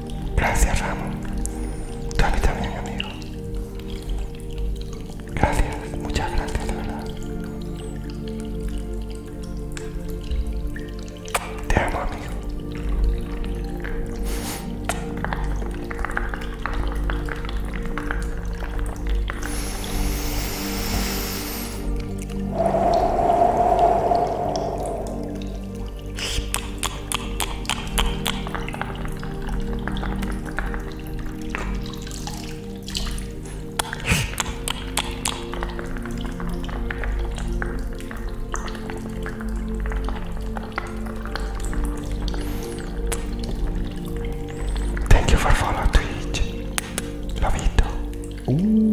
Gracias, Ramón. Tú a mí también, amigo. Gracias, muchas gracias, de verdad. Te amo, amigo. Thank you for following Twitch. Love it. Ooh.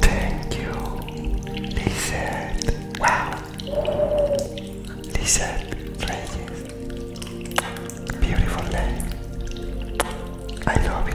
Thank you, Lizard. Wow, Lizard Reyes. Beautiful I love it,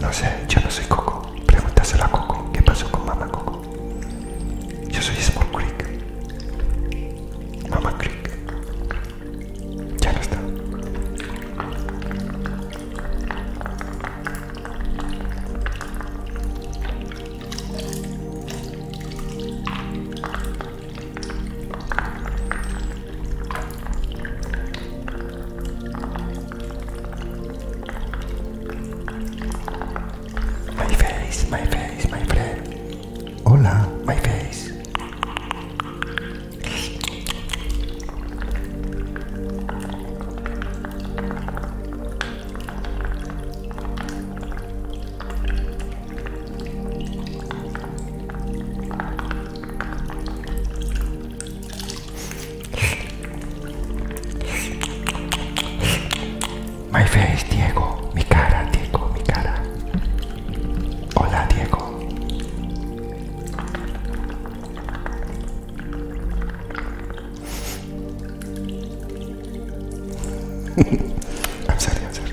No sé, yo no soy Coco. Pregúntaselo a Coco. ¿Qué pasó con Mamá Coco? Yo soy Small Creek. Mamá Creek. Ya no está. My face, my face, my friend. Hola, my face. My face, Diego, mi cara, Diego, mi cara. Hola, Diego. I'm sorry, I'm sorry.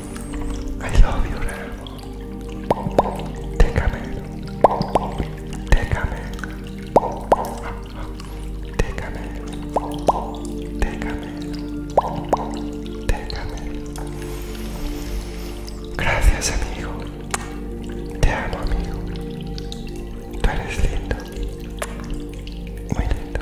I love you, Rare. Take a minute. Take a minute. Take a minute. Take a minute. Gracias, amigo. Te amo, amigo. Tú eres lindo. Muy lindo.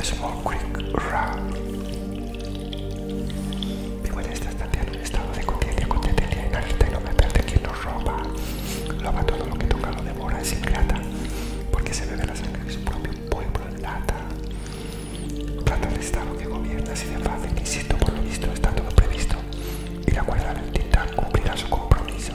Es small quick run. Mi huella está en un estado de conciencia, conciencia te y no me de quien lo roba. Loba todo lo que toca, lo devora, es ingrata, porque se bebe la sangre de su propio pueblo en lata. Trata de estado que gobierna así de fácil, insisto, por lo visto está todo previsto, y la cuerda del cumplirá su compromiso.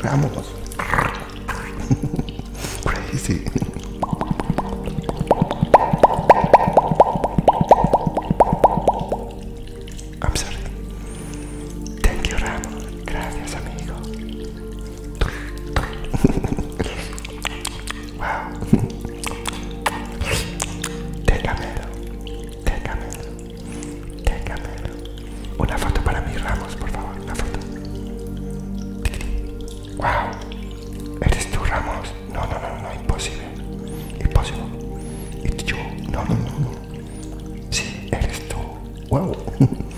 Ramos, Crazy. I'm sorry. Thank you, Ramos. Gracias, amigo wow. Tecamelo, tecamelo, Una foto para mí ramos, por favor, una foto. Wow, eres tú, Ramos. No, no, no, no, imposible, imposible. It's you. No, no, no, no. Sí, eres tú. Wow.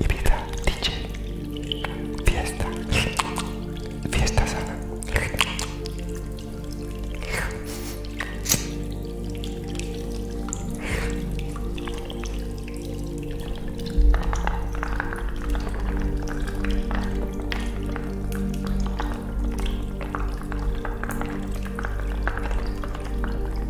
Ibiza, DJ, fiesta, fiesta sana.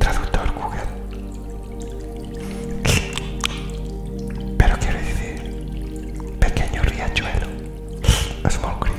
Traductor Google. Pero quiero decir, pequeño riachuelo. Small Creek.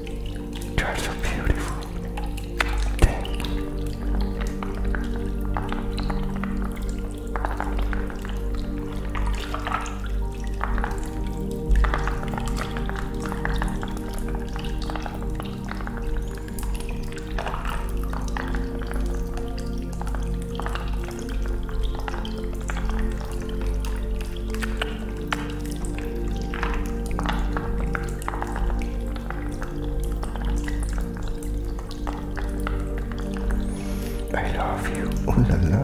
That's a beautiful thing. I love you. Ooh la la.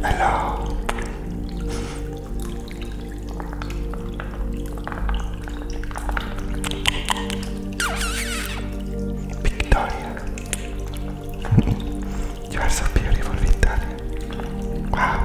Hello. Victoria. you are so beautiful, Victoria. Wow.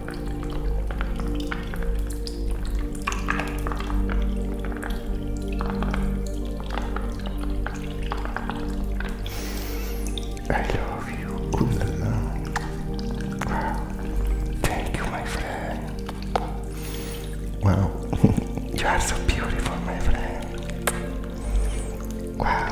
I love you. Ooh, Wow. Thank you, my friend. Wow. you are so beautiful, my friend. Wow.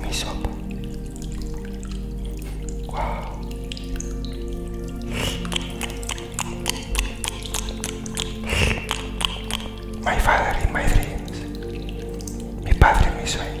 mi sopa. Wow. My father in my dreams. Mi padre en mis sueños.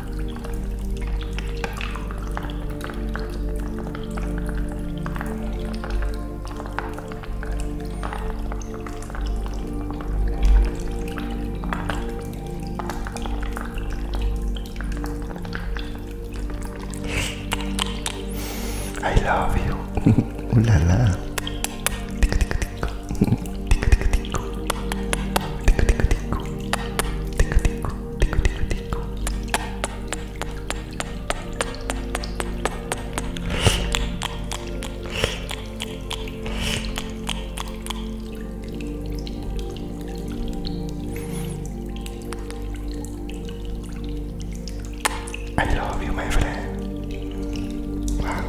I love you. Ooh la la. Tico tico tico. Tico tico tico. Tico tico tico. Tico tico. I love you, my friend. Wow.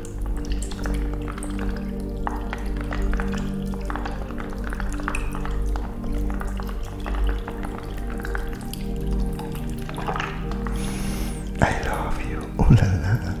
I love you. Oh la la.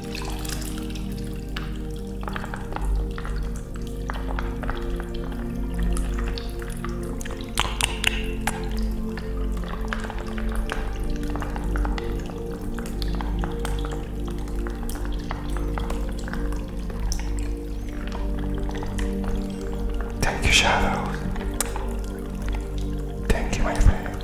Thank you, shadows. Thank you, my friend.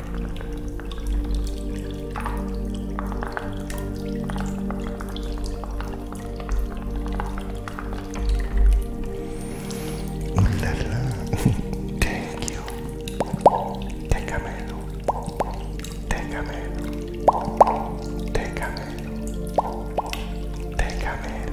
La Thank you. Técamelo. Técamelo. Técamelo. Técamelo.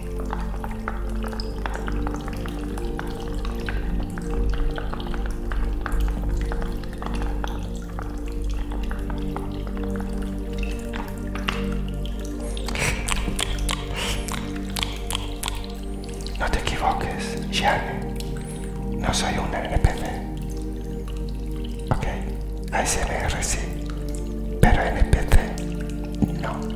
No te equivoques, Shane. No soy un NPC. Ok, ASMR sí, pero NPT no.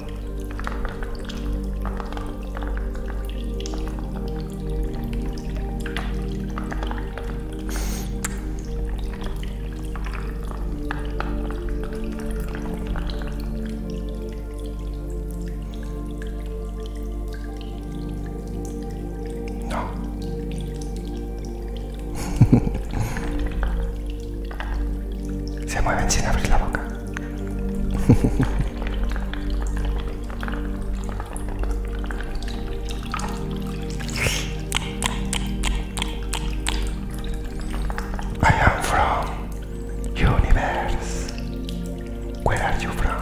No. Se mueven sin abrir la boca. I am from universe. Where are you from?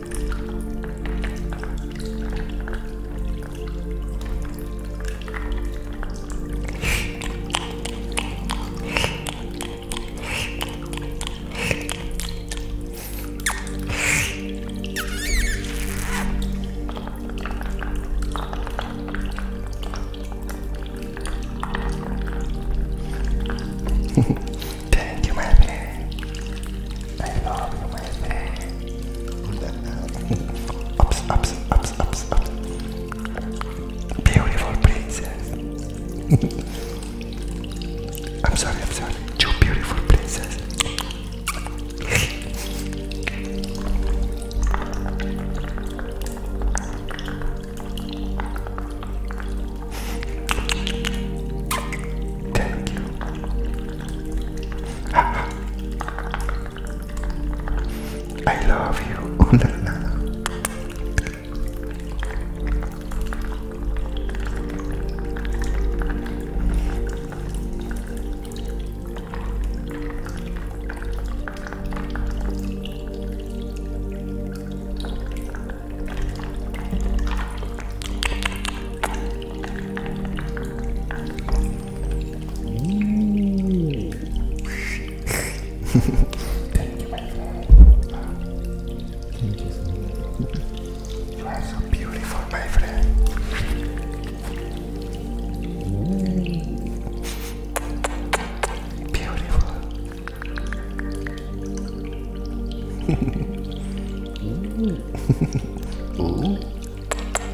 Thank you, my friend. Beautiful princess. I'm sorry, I'm sorry. You beautiful princess. Thank you. I love you. Oh, la, la. Thank you, my friend. Thank you so much. You are so beautiful, my friend. Beautiful. Ooh.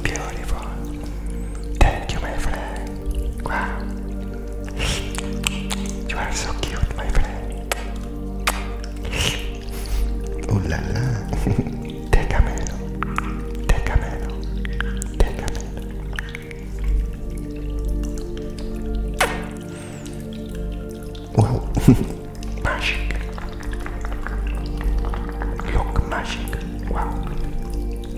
Beautiful. Thank you, my Wow. You are so cute, my friend. Ooh la la. Técamelo. Técamelo. Técamelo. Wow. magic. Look, magic. Wow.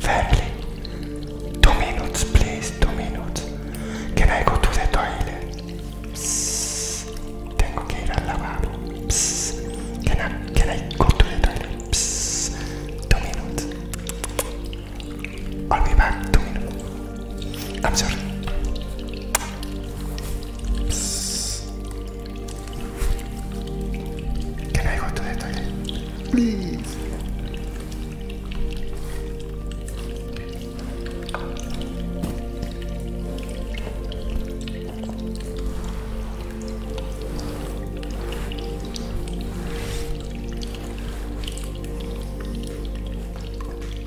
Family, two minutes, please, two minutes. Can I go to the toilet? Psst. Tengo que ir al lavabo. Psst. Can I, can I go to the toilet? Psst. Two minutes. I'll be back, two minutes. I'm sorry. Can I go to the toilet? Please.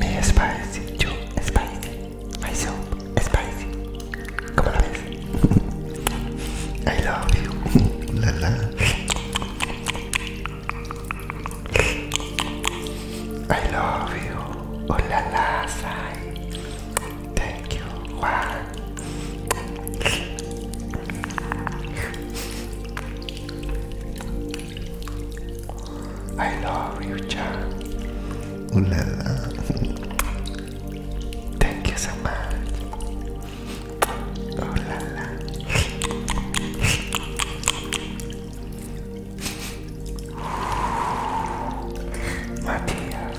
Me eh, spicy, yo spicy, myself spicy. ¿Cómo lo I love you. La la. I love you. Oh la la, Thank you. I love you, John. Ooh Thank you so much. Ooh la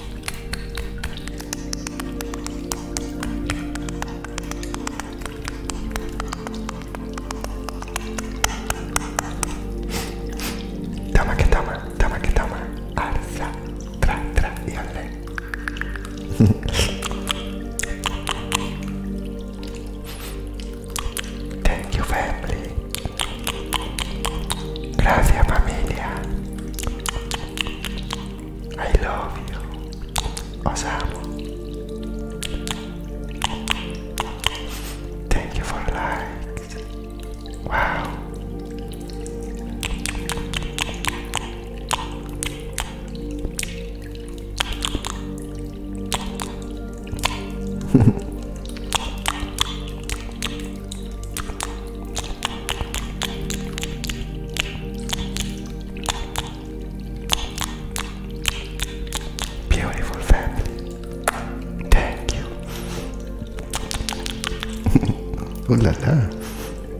Tama que tama, tama que tama, arsa, tra, tra y Thank you, family. Gracias familia. I love you. Os Thank you for likes. Wow. Beautiful family. Thank you. Ooh la la.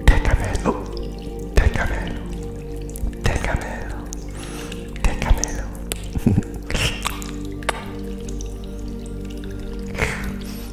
Te camelo. Oh. Te camelo. Te camelo. Te camelo.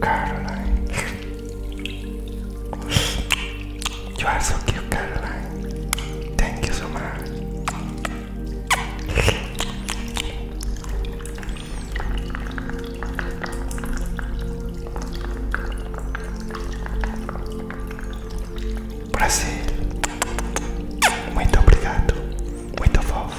Caroline. eu acho que cute, Caroline. Thank you so much. Brasil, muito obrigado, muito fofo.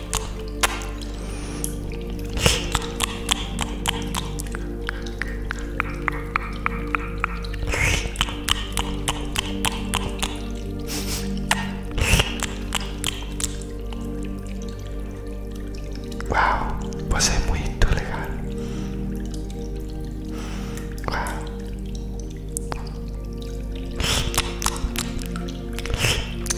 Wow, pues muy muito legal. Wow.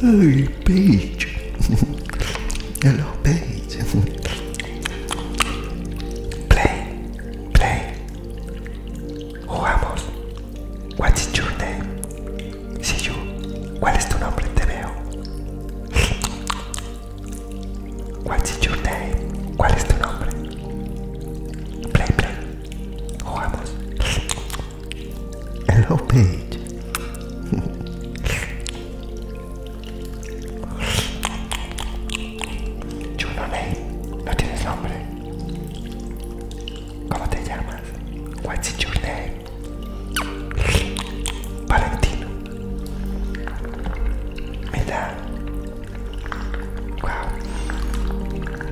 Hey, Paige. Hello, Paige. play, play. Jugamos. What is your name? See you. ¿Cuál es tu nombre? Te veo. What is your name? ¿Cuál es Play, play. Jugamos. Hello, Paige. ¿Tu ¿No tienes nombre? ¿Cómo te llamas? What's your name? Valentino. da. Wow.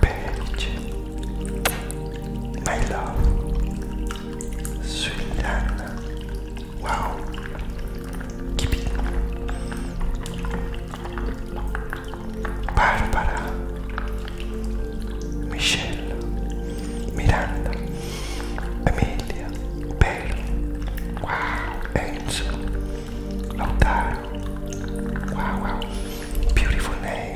page. My love, sweet Wow, keep Barbara, Michelle, Miranda, Emilia, Bell. Wow, Enzo, Lautaro. Wow, wow, beautiful name.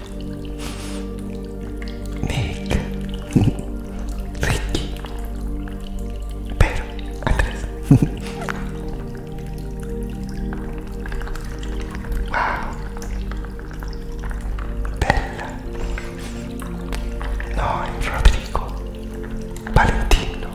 Nick, Ricky, Pedro, Andrés. wow. Bella. No, Rodrigo. Valentino.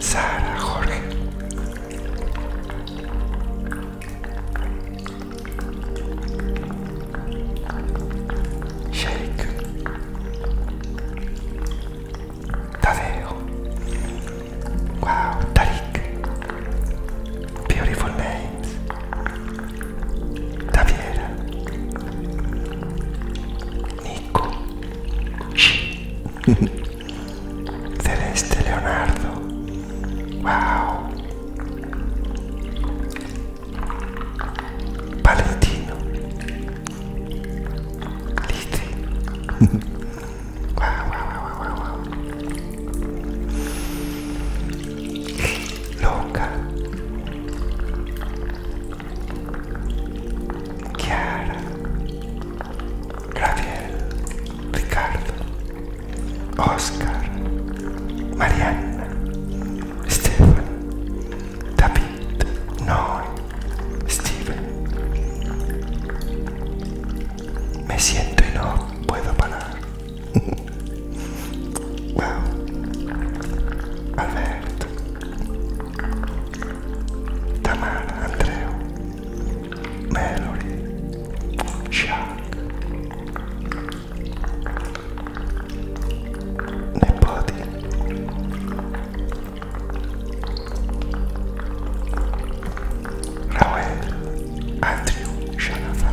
Sara, Jorge. Shake. Tadeo. Wow, Tariq. Beautiful names. Taviera, Nico, Celeste Leonardo, wow, Valentino, Litri, wow, wow, wow, wow. Loca, Kiara, Gabriel, Ricardo, Oscar, Mariana, Stefan, David, no. Steven. Me siento y no puedo parar. wow. Alberto. Tamara, Andreu. Melody. Chuck. Nepoti. Raul. Andrew. Shanafa.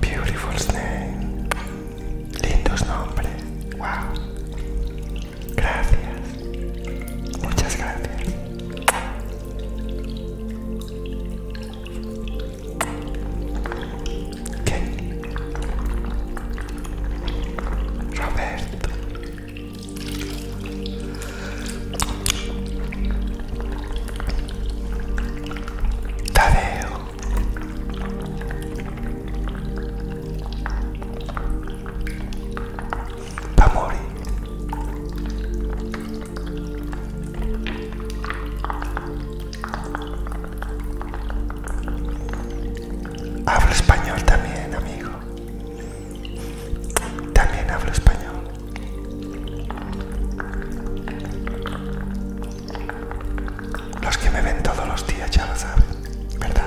Beautiful name. Lindos nombres. Wow. Gracias. Muchas gracias. ¿Qué? Roberto. Tadeo. Pamori. Hablo español también, amigo. También hablo español. Los que me ven todos los días ya lo saben, ¿verdad?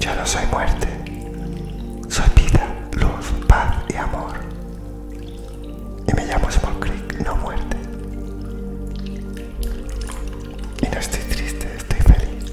Yo no soy muerte, soy vida, luz, paz y amor. Y me llamo Small no muerte. Y no estoy triste, estoy feliz.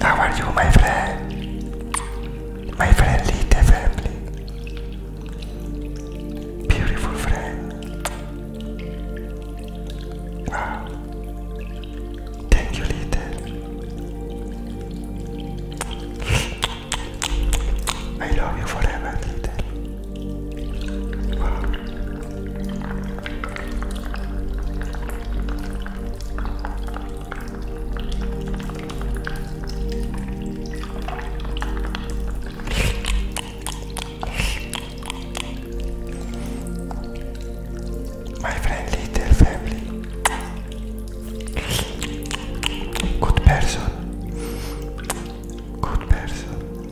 How are you, my friend? My friendly, family. Beautiful friend. Wow. Thank you, little. I love you forever, little. My friend little family. Good person. Good person.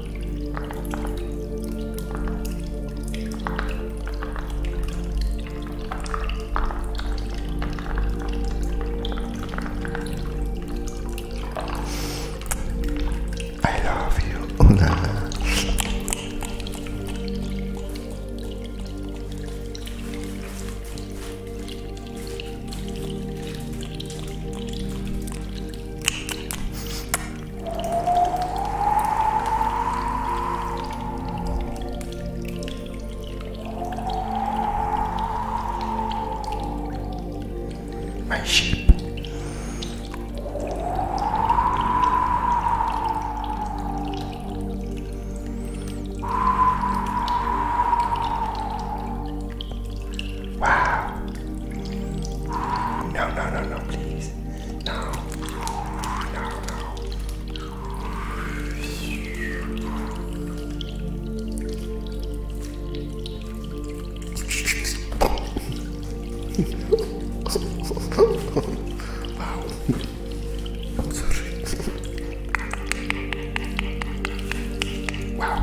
I love you, Una. My sheep. Wow. No, no, no, no, please. No. No, no. wow. Sorry. Wow.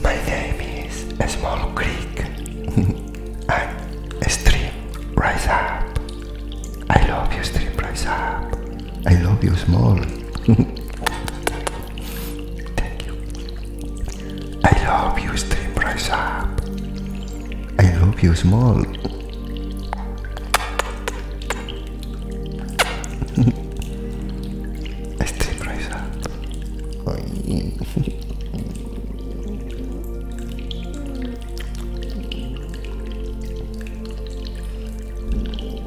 My name is a Small Creek and Stream Rise Up. I love you, Stream Rise Up. I love you, Small. Thank you. I love you, Stream Rise Up. I love you, Small. Stream Rise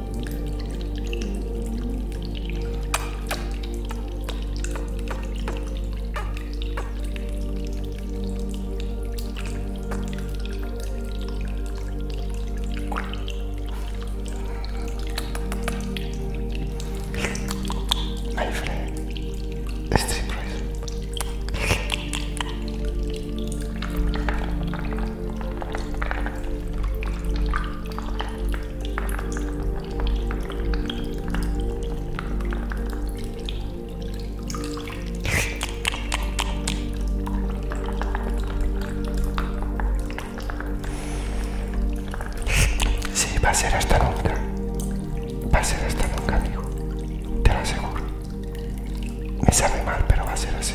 My friend, stream price. Sí, va a ser hasta nunca. Va a ser hasta nunca, amigo. Te lo aseguro. Me sabe mal, pero va a ser así.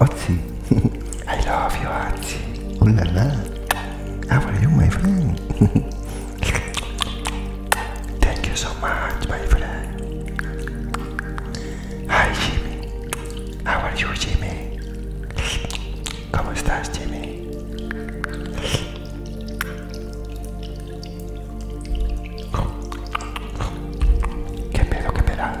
Otzi, I love you, Otzi. Ooh la la. How ah, are you, my friend? Thank you so much, my friend. Hi, Jimmy. How are you, Jimmy? ¿Cómo estás, Jimmy? ¿Qué pedo, qué peda?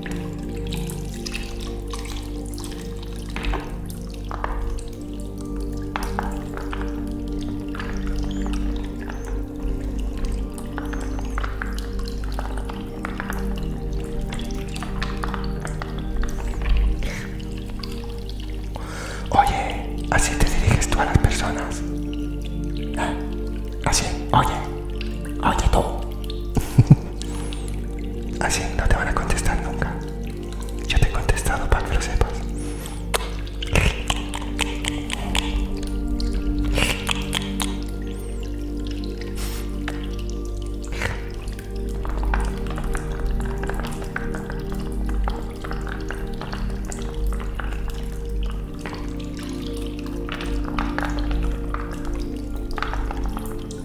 Oye, así te diriges tú a las personas. ¿Eh? Así, oye, oye tú. Así no te van a contestar nunca. Yo te he contestado para que lo sepas.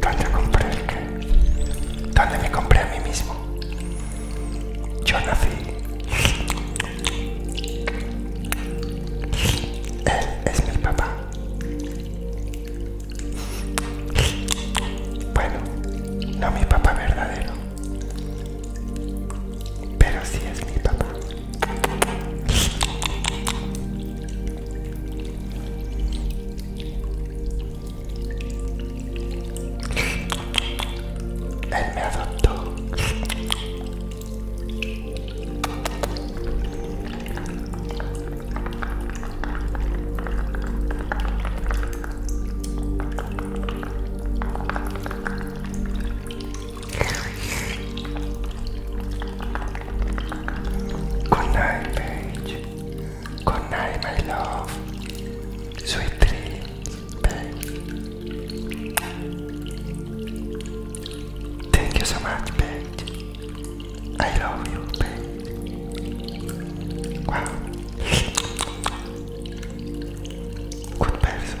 ¿Dónde compré el qué? ¿Dónde me compré a mí mismo? Yo nací. Él es mi papá. Bueno, no mi papá verdadero. Pero sí es mi papá. Another dog. Good Paige. Good night, my love. Sweet dreams, babe. Thank you so much, babe. I love you, babe. Wow. Good person.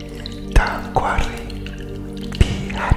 Don't worry, be happy.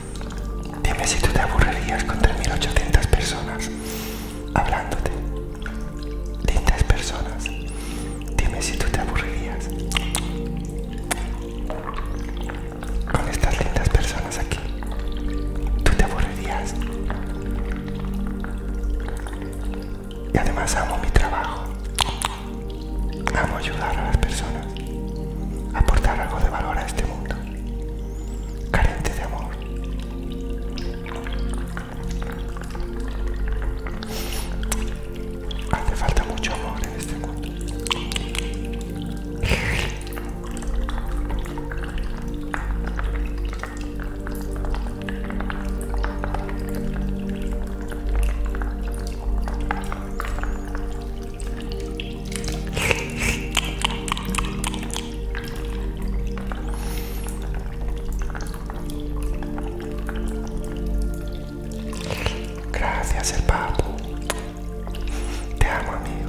Dime si tú te aburrirías con 3.800 personas hablándote. Lindas personas. Dime si tú te aburrirías con estas lindas personas aquí. Tú te aburrirías. Y además amo mi trabajo. Amo ayudar a las personas. Aportar algo de valor a este mundo. Carente de amor. Hace falta mucho amor en este mundo. Gracias, el papo. Te amo, amigo.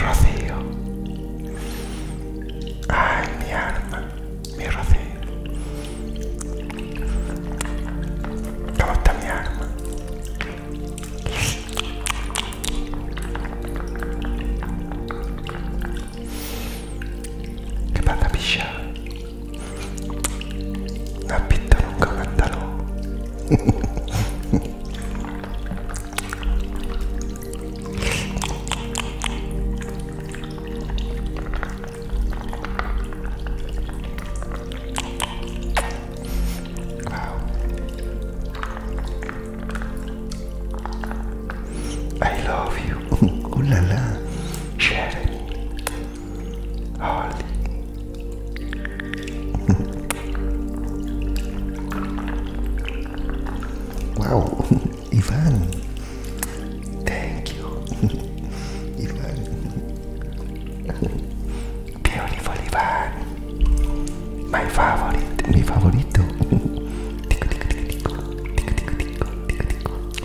Rocío. Ay, mi alma, mi Rocío. ¿Cómo está mi arma, ¿Qué pasa, picha? La pinta non cantano. wow. I love you. Oh la la. Sharing. Holy. wow, Ivan. Thank you, Ivan. Beautiful Ivan. My favorite, tico, tico, tico, tico, tico, tico, tico, tico.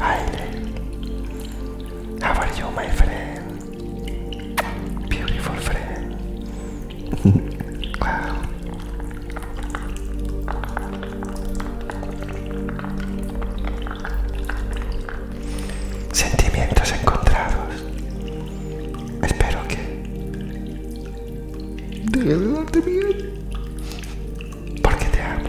Aire. How are you, my friend? Beautiful friend. wow. Sentimientos encontrados. Espero que debe de darte miedo. Porque te amo.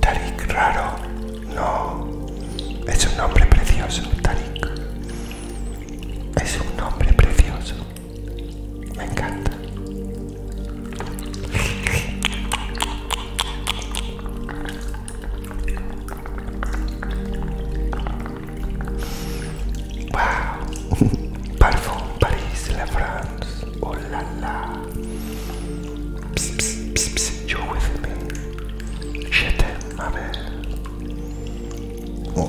Tarik raro, no. Es un nombre precioso, Tarik. Es un nombre precioso. Me encanta. Waouh Parfum Paris, la France. Oh là là Psst, psst, You're with me. Je t'aime, ma mère. Oh.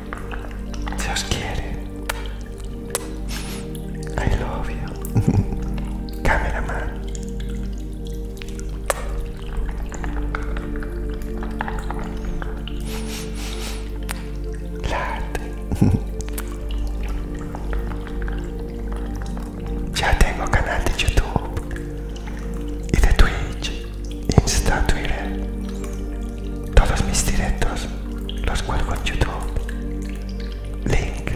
Se os quiere. I love you. Cameraman. late, Ya tengo canal de YouTube y de Twitch Insta, Twitter, todos mis directos los cuelgo en YouTube. Link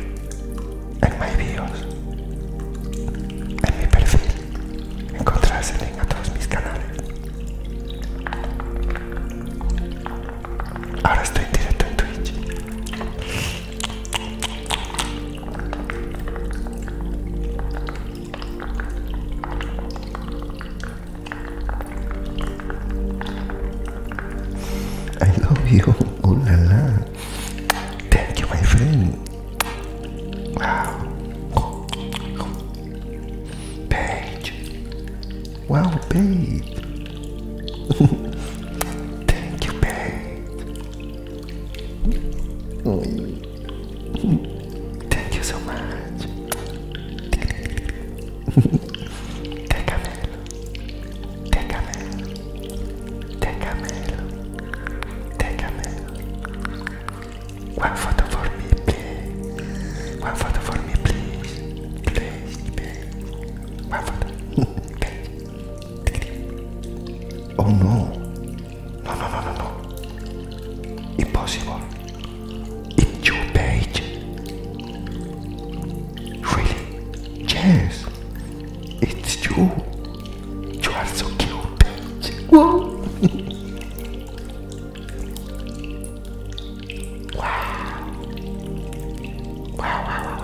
en my videos. En mi perfil encontrarás el link a todos mis canales. Ahora estoy en directo en Twitch. I love you. Oh la la. Thank you, my friend. Wow. Paige. Wow, babe. Thank you, babe. Thank you so much. Tecamello, tecamello, tecamello, tecamello. One photo for me, please. One photo for me, please. Please, please. One photo. oh no. No, no, no, no, no. Impossible. It's your page. Really? Yes. It's you. You are so cute, Wow, wow, wow.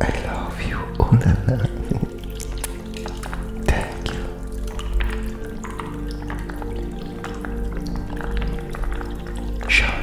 I love you. all la la. Thank you. Sean.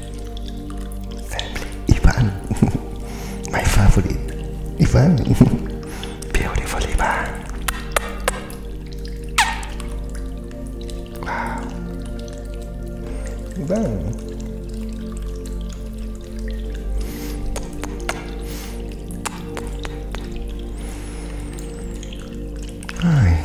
Family, Ivan. My favorite, Ivan. Beautiful Ivan. Wow. Ivan. Hi.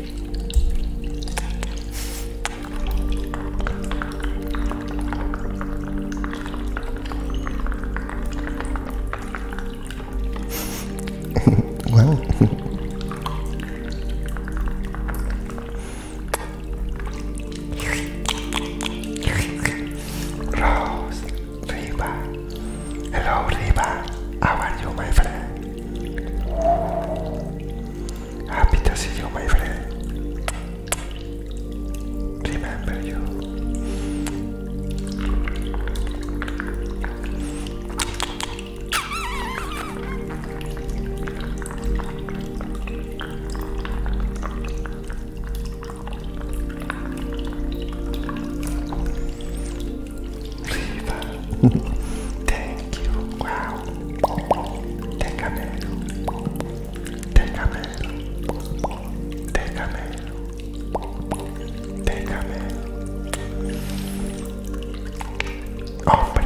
well, Rose, Reba, hello Reba, how are you, my friend? Happy to see you, my friend. Remember you. Viva. Thank you. Wow. Tecamelo. Tecamelo. Tecamelo. Tecamelo. Hombre.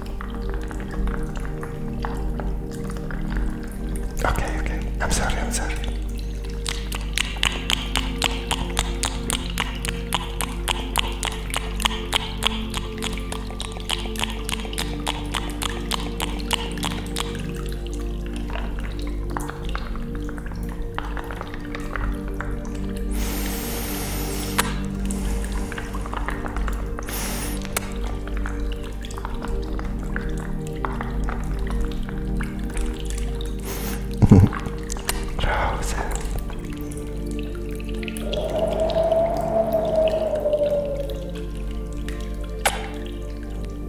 Okay, okay. I'm sorry, I'm sorry.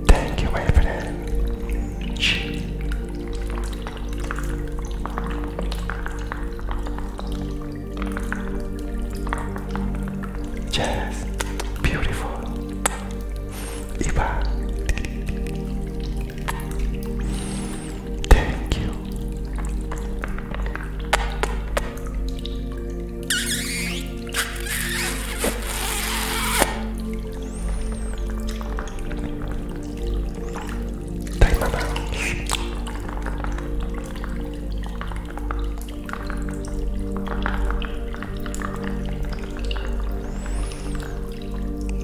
Thank you, my friend. Yes, beautiful. Ivan, thank you. Thank mama.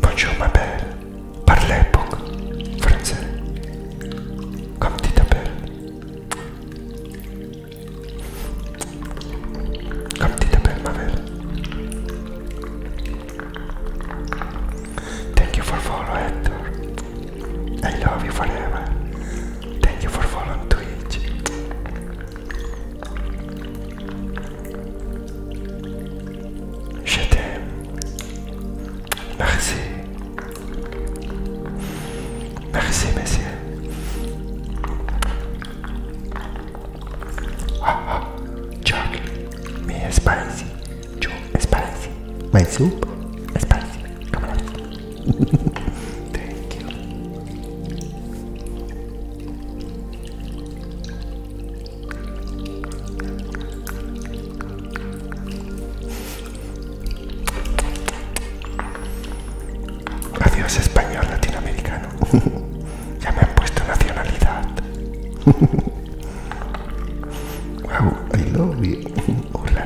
Bonjour ma belle, parlez beaucoup français. Comme tu t'appelles Comme tu t'appelles ma belle Thank you for following Hector. I love you forever. Thank you for following Twitch. Je t'aime. Merci. Merci, monsieur. Ah, ah, me spicy. Chuck, spicy. My soup? Spicy. Come on. Adiós español latinoamericano. ya me han puesto nacionalidad. wow, I love Hola,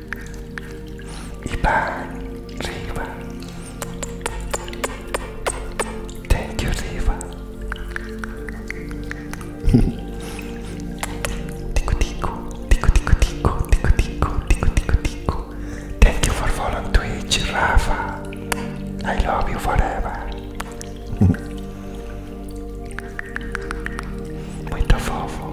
Ivan, Riva. Thank you, Riva. tico, tico, tico, tico, tico, tico, tico, tico, tico, tico. Thank you for following Twitch, Rafa. I love you forever. Muito fofo.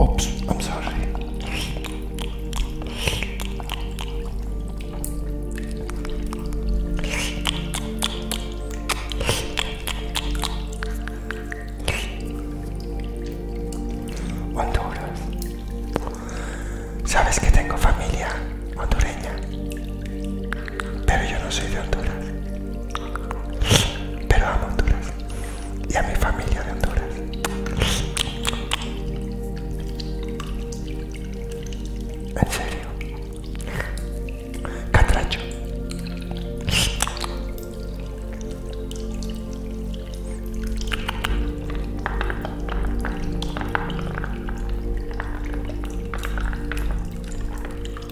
Oops, I'm sorry. Honduras. ¿Sabes que tengo familia hondureña? Pero yo no soy de Honduras. Pero amo Honduras. Y a mi familia de Honduras. En serio. Catracho.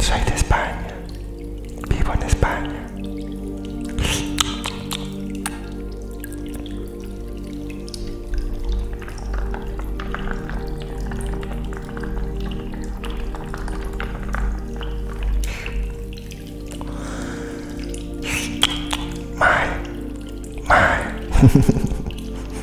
Soy de España. Vivo en España.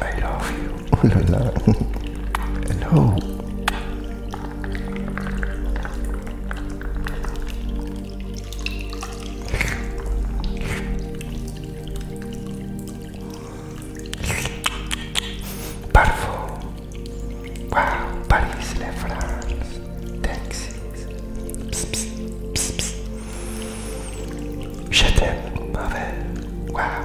I love you. Ooh la la. Hello. Parfum. Wow, Paris, la France, Texas. Psst, psst, psst, Wow.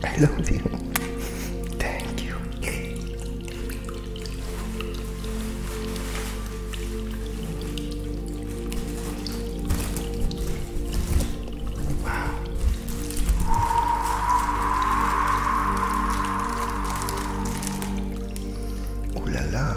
I love you. Thank you. Ooh la la.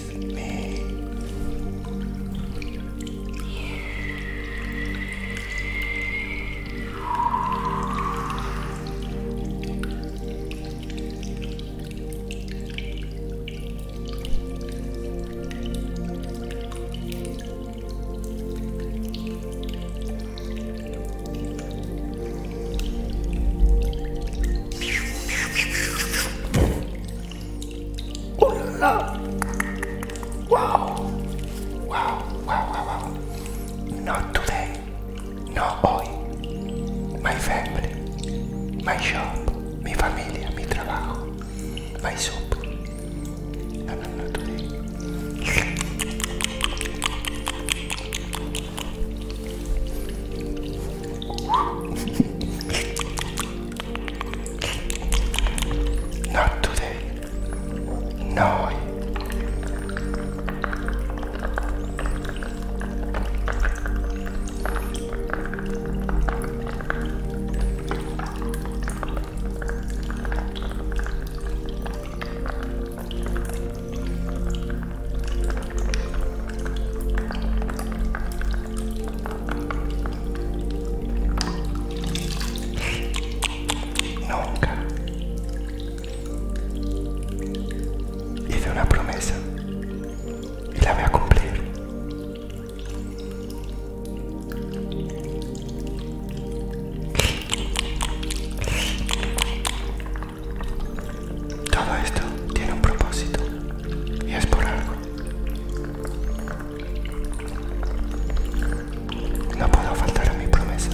just let Oh la la! Wow! Wow, wow, wow, Not today, not hoy. My family, my shop, mi familia, mi trabajo, No, no, Not today. No. Nunca hice una promesa y la voy a cumplir. Todo esto tiene un propósito y es por algo. No puedo faltar a mi promesa.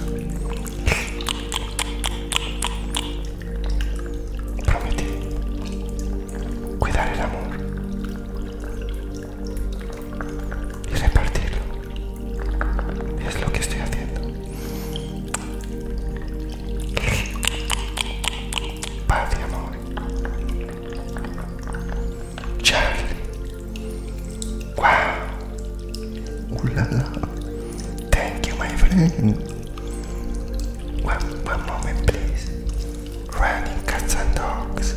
Prometí cuidar el amor y repartirlo. es lo que estoy haciendo. Paz y amor. Charlie. Wow. Ooh Thank you, my friend. One, one moment, please. Running cats and dogs.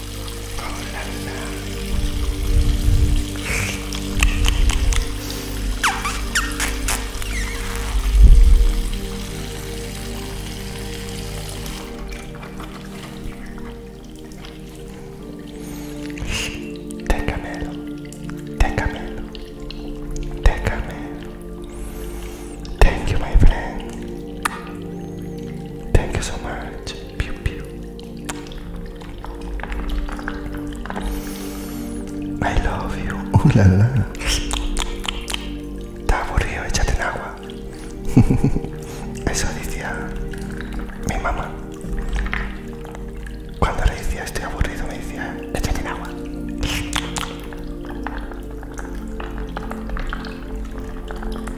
Te camelo, te Thank you, my friend. Thank you so much. Piu, piu. I love you. Oh la, Está aburrido, échate en agua. Eso decía mi mamá. Cuando le decía estoy aburrido, me decía échate en agua.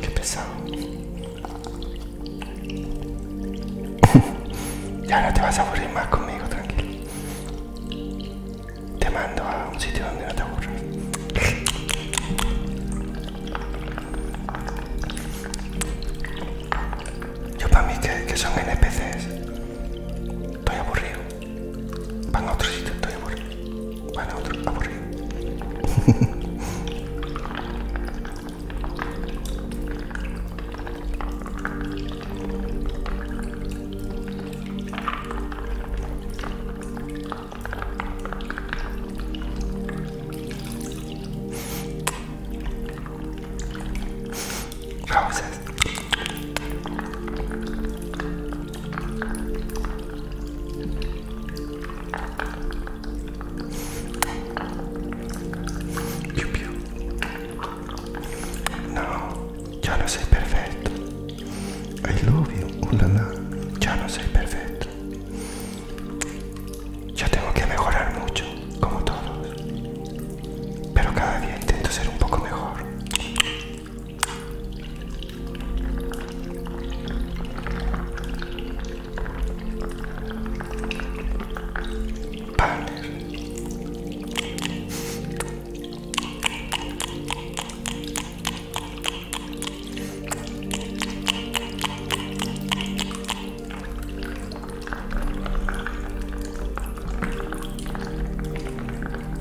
Qué pesado. ya no te vas a aburrir más conmigo, tranquilo. Te mando a un sitio donde no te aburras. Yo para mí que, que son NPCs. Estoy aburrido. van a otro sitio, estoy aburrido. Van a otro, aburrido. Piu, No, ya no soy perfecto. I love you, uh, Ya no soy perfecto. Ya tengo que mejorar mucho, como todos pero cada día intento ser un poco mejor.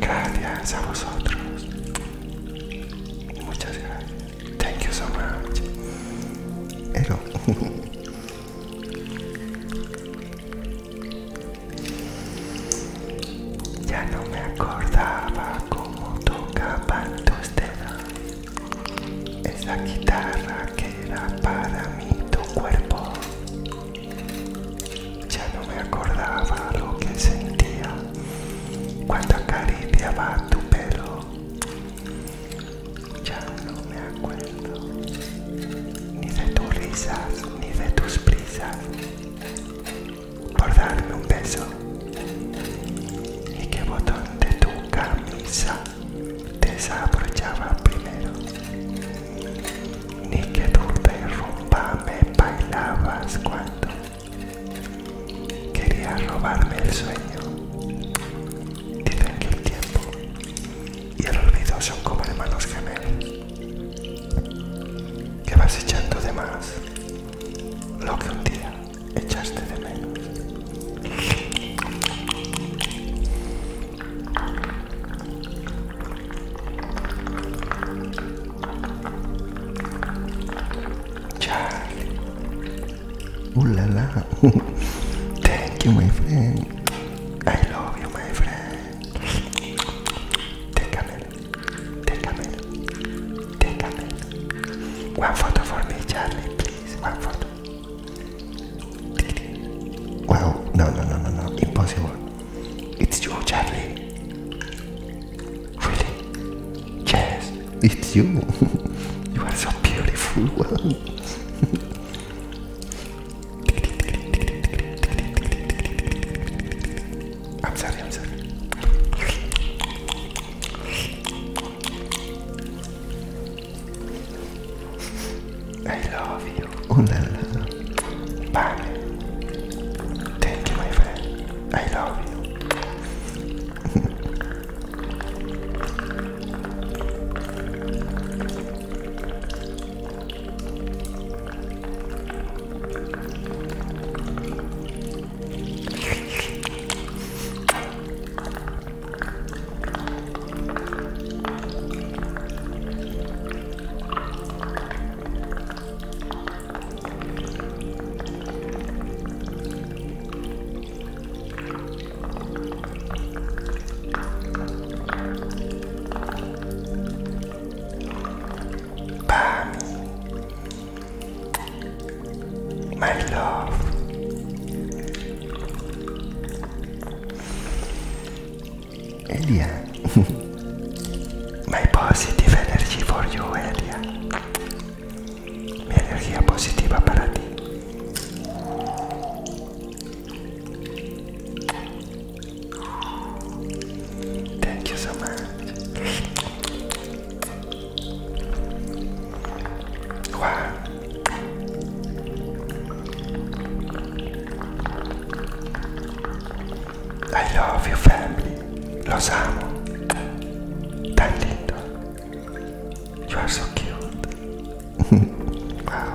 Gracias a vosotros. Muchas gracias. Thank you so much. Hello. ya no me acordaba cómo tocaban tus dedos la guitarra que era para mí tu cuerpo. Ya no me acordaba lo que sentía cuando acariciaba tu pelo. Ya no me acuerdo ni de tus risas ni de tus prisas por darme un beso. Y qué botón de tu camisa Desaprochaba primero. Ni que tu derrumba me bailabas cuando quería robarme el sueño. Dicen que el tiempo y el olvido son como hermanos gemelos. Que vas echando de más lo que un día echaste de menos. Charlie. Ooh la Thank you, my friend. I love you, my friend. Take a minute. Take a minute. Take a minute. One photo for me, Charlie, please. One photo. Well, no, no, no, no, no, impossible. It's you, Charlie. Really? Yes, it's you. you are so beautiful. I'm sorry, I'm sorry. I love you. Oh la la. Bye. my friend. I love you. Bami, my love. Elia. My positive energy for you, Elia. Mi energía positiva para ti. Thank you so much. Wow. I love your family. Los amo. Tan lindo. You are so cute. wow.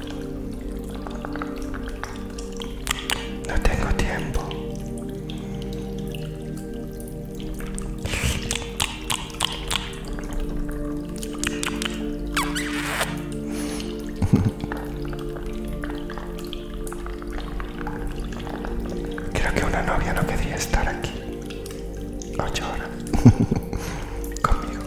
No tengo tiempo. Creo que una novia no quería estar aquí. Ocho horas. Conmigo.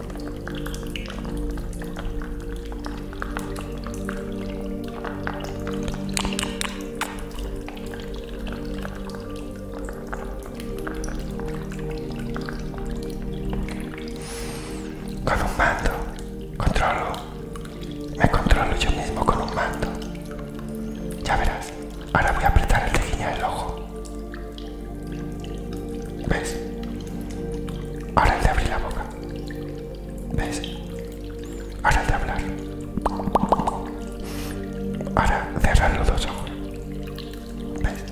Con un mando, controlo, me controlo yo mismo con un mando. Ya verás, ahora voy a apretar el tejiño del ojo. ¿Ves? Ahora el de abrir la boca. ¿Ves? Ahora el de hablar. Ahora cerrar los dos ojos. ¿Ves?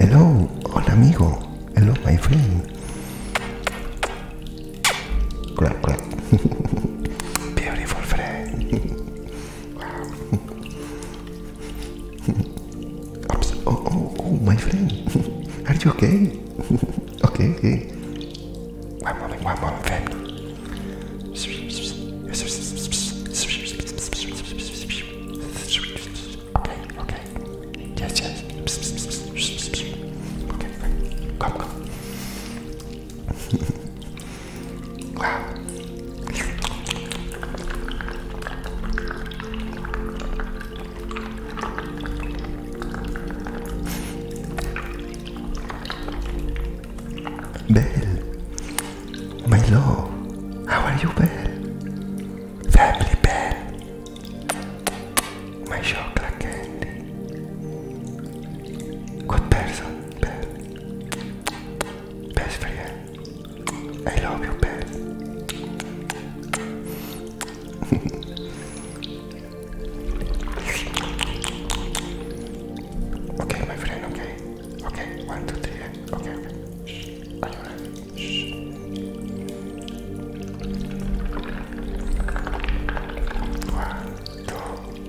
Hello, hola amigo. Hello, my friend. Beautiful friend. Oh, oh, oh, my friend. Are you okay? okay, okay. One moment, one moment, friend. Okay, Okay, come, come wow. my love, how are you, Belle? Family Belle, my chocolate candy. Good person. Best friend. I love you, Ben. okay, my friend, okay. Okay, one, two, three, okay,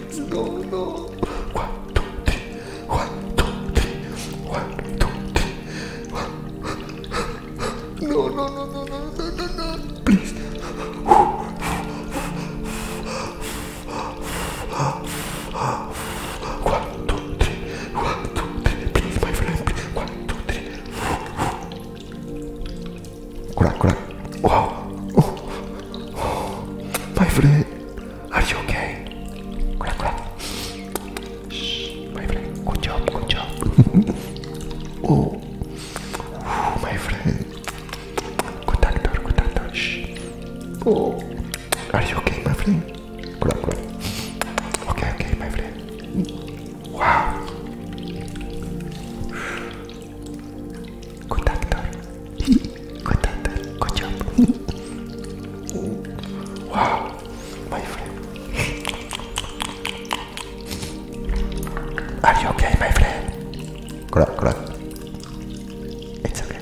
No, no. One, two, three. One, two, three. One, two, three. One. No, no, no, no, no, no, no, no. Please. One, two, three. One, two, three. Please, my friend. Please. One, two, three. こらこら Wow. Oh. oh. My friend, are you okay? my friend, good job, good job. oh. my friend, good doctor, good doctor. Oh, are you okay, my friend? Crack, crack. Okay, okay, my friend. Wow. Good actor. Good actor. Good job. Oh. wow, my friend. Are you okay, my friend? Crack, crack. It's okay.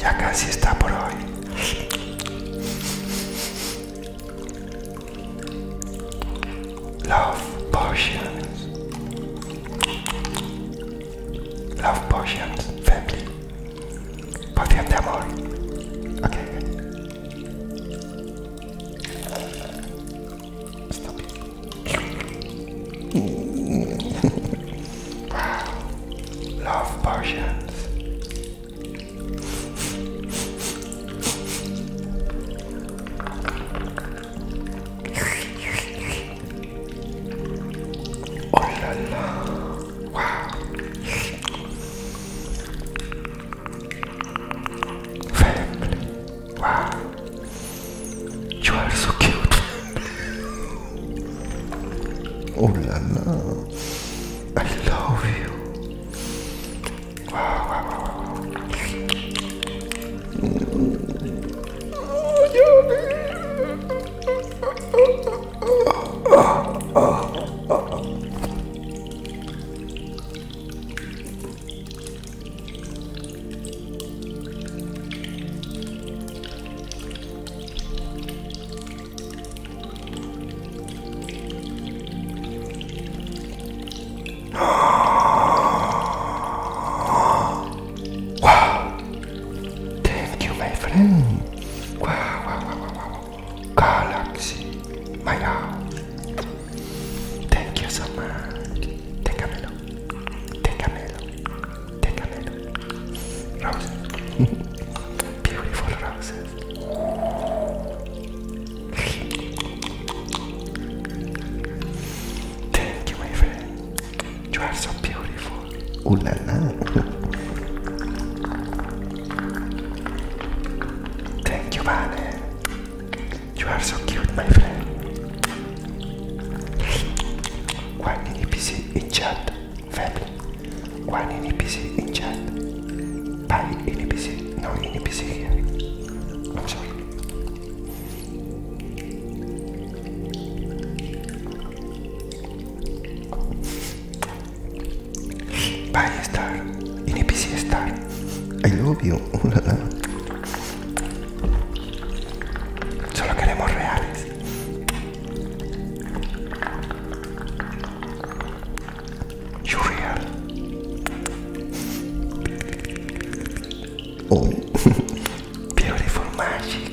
Ya casi está por hoy. Love potions. Love potions, family. Poción de amor. Okay. Stop it. wow. Love potions. Oh la la. Wow. Family. Wow. You are so cute. oh la la. I love you. Wow! Thank you, my friend. Wow, wow, wow, wow, wow. Galaxy, my house. Thank you so much. Tengamelo. Tengamelo. Tengamelo. Roses. Beautiful roses. Thank you, my friend. You are so beautiful. Ooh la la. Thank you, Vane. You are so cute, my friend. One NPC in chat, family. One NPC in chat. Bye, NPC. No NPC here. I'm sorry. Bye, Star. y Star. I love you. Solo queremos reales. You real. Oh. Beautiful magic.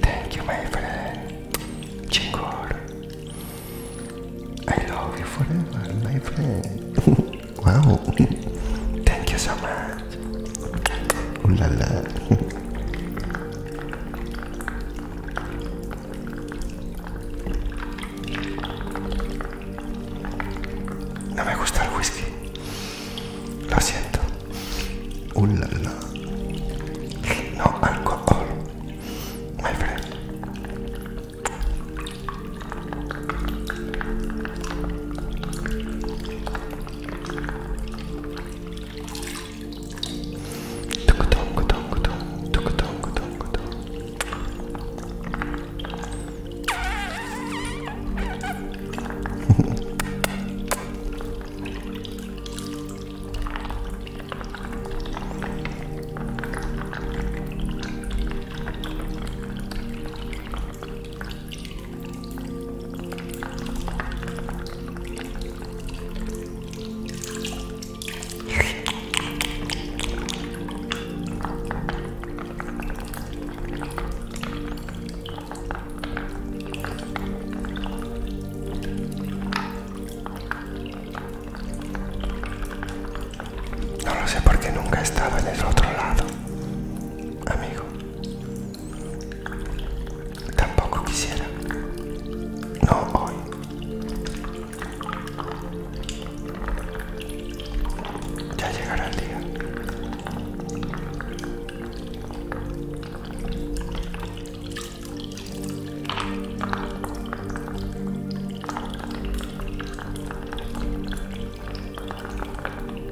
Thank you, my friend. Chingor. I love you forever, my friend. wow. Thank you so much. No me gusta el whisky. Lo siento. un No alcohol. My friend. トクトンクトンクトントクトンクトンクトン No lo sé porque nunca estaba en el otro lado, amigo. Tampoco quisiera. No hoy. Ya llegará el día.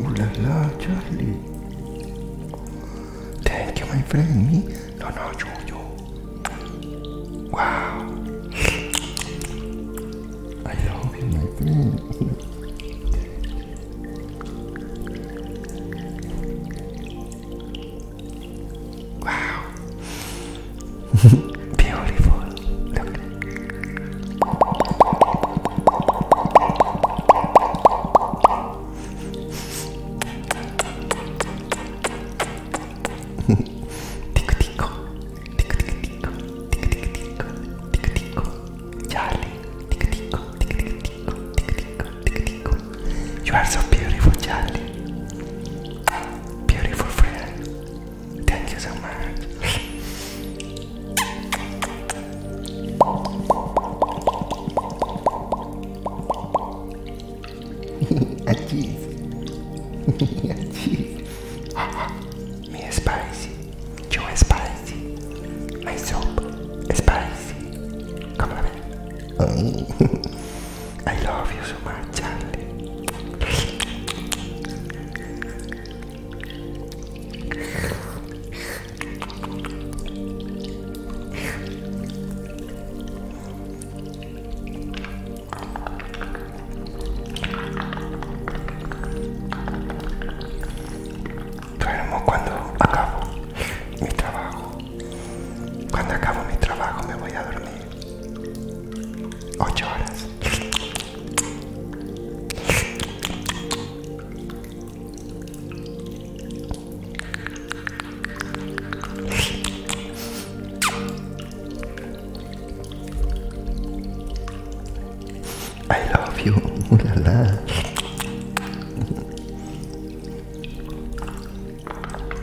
Ooh Charlie. Thank you, my friend. Me? No, no, you, Wow. I love you, my friend. Wow. Beautiful. Look. tick tick. Tick tick tick. Tick tick tick. Tick tick. Charlie. Tick tick. Tick tick tick. Tick tick. You are so beautiful, Charlie. Beautiful friend. Thank you so much. A cheese. A cheese. Me spicy. You spicy. My soap spicy. Come on. Oh. I love you so much, Charlie. Duermo cuando acabo mi trabajo. Cuando acabo mi trabajo me voy a dormir. Ocho horas. I love you,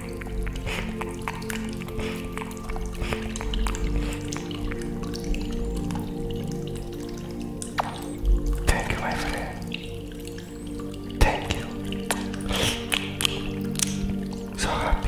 Thank you, my friend. Thank you. So happy.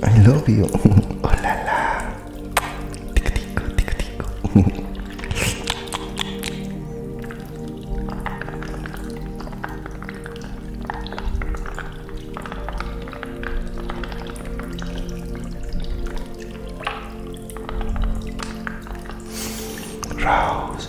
I love you. oh la la. Rose.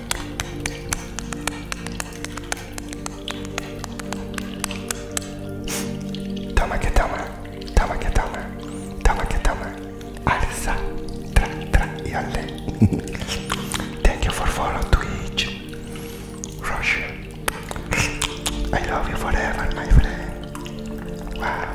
Toma que toma, toma que toma, toma que toma. Alça, tra, tra e ale. Thank you for follow Twitch. Russia. I love you forever, my friend. Wow.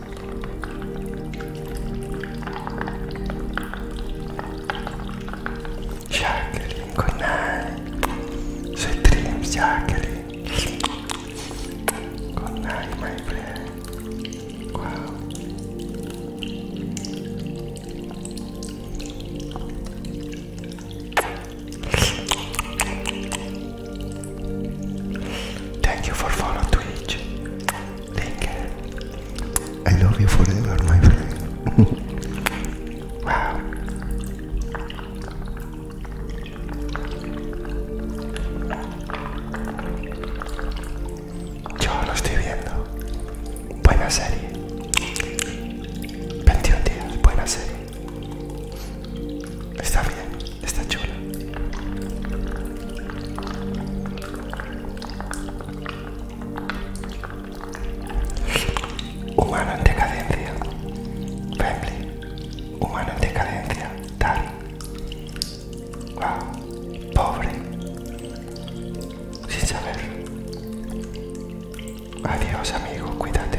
Jacqueline, good night. Sweet dreams, Jacqueline. Good night, my friend. Thank you for following Twitch. Thank you. I love you forever, my friend. wow. Yo lo estoy viendo. Buena serie. 21 días, buena serie. Está bien, está chula. Humano en decadencia. Family. Humano en decadencia. Tal. Wow. Pobre. Sin saber. Adiós amigo, cuídate.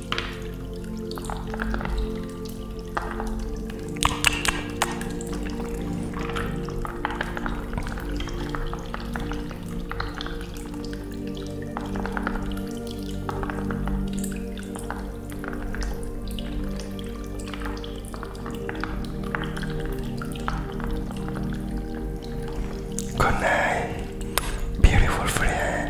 Good night, beautiful friend.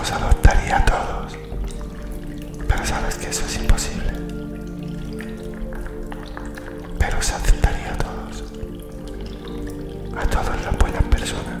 Os adoptaría a todos, pero sabes que eso es imposible. Pero os aceptaría a todos, a todas las buenas personas.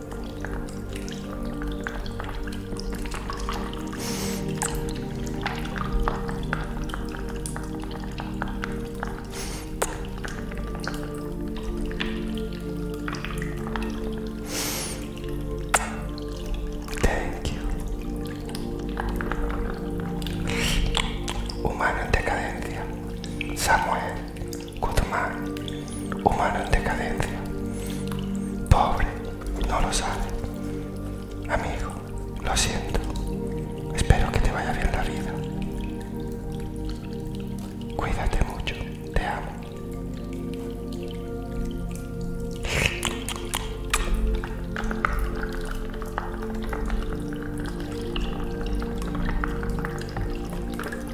Thank you. Humana en decadencia. Samuel más humano en decadencia. Pobre, no lo sabe. Amigo, lo siento. Espero que te vaya bien la vida. Cuídate mucho, te amo.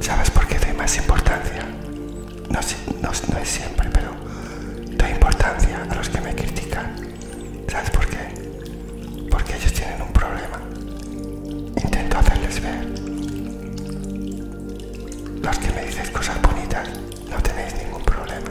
¿Sabes por qué doy más importancia? No, es siempre, pero doy importancia a los que me critican. ¿Sabes por qué? Porque ellos tienen un problema. Intento hacerles ver. Los que me dicen cosas bonitas no tenéis ningún problema.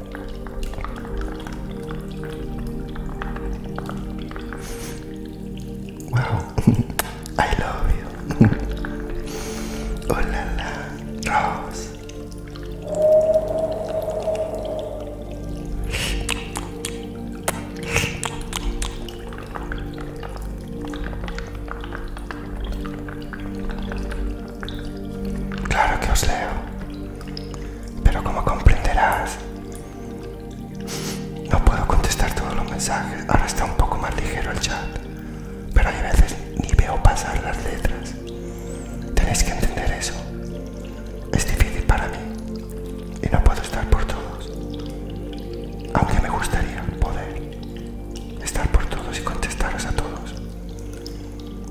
Wow, I love you. oh la la, Rose. Claro que os leo, pero como comprenderás, no puedo contestar todos los mensajes. Ahora está un poco más ligero el chat, pero hay veces ni veo pasar las letras. Tenéis que entender eso. Es difícil para mí y no puedo estar por todos. Aunque me gustaría poder estar por todos y contestaros a todos.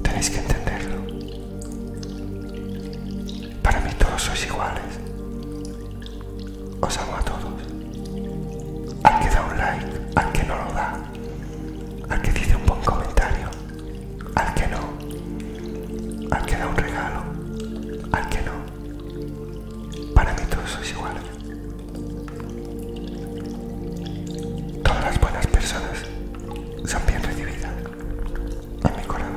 Tenéis que entenderlo. Para mí todos sois iguales. Os amo a todos. Al que da un like, al que no lo da, al que dice un buen comentario, al que no, al que da un regalo, al que no. Para mí todos sois iguales. Todas las buenas personas son bien recibidas en mi corazón.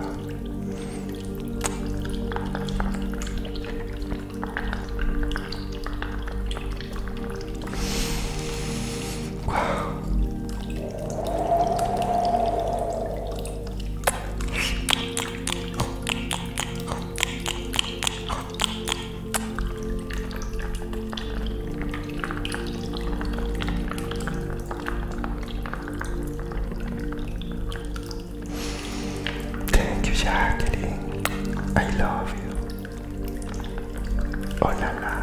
Thank you, Jacqueline. I love you. Oh la la.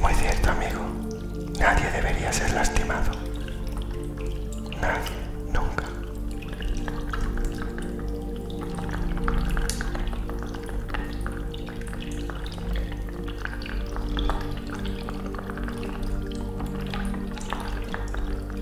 Muy cierto, amigo. Nadie debería ser lastimado. Nadie, nunca.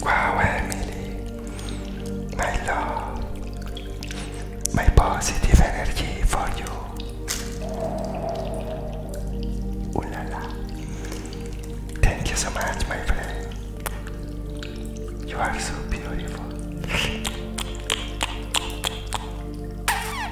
wow, Emily, my love, my positive energy for you. Ooh Thank you so much, my friend. You are so beautiful.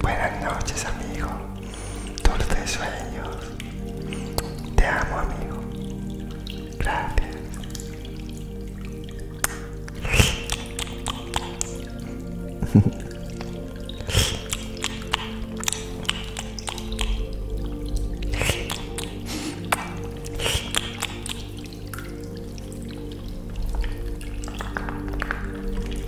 Buenas noches, amigo. Dulces sueños. Te amo, amigo. Gracias.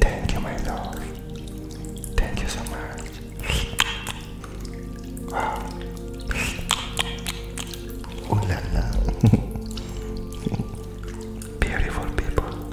Thank you, my love. Thank you so much. Wow. Beautiful people.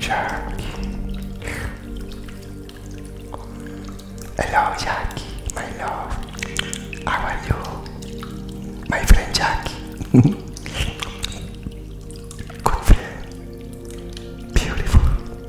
Jackie. Hello, Jackie, my love. How are you? My friend Jackie. Good friend. Beautiful.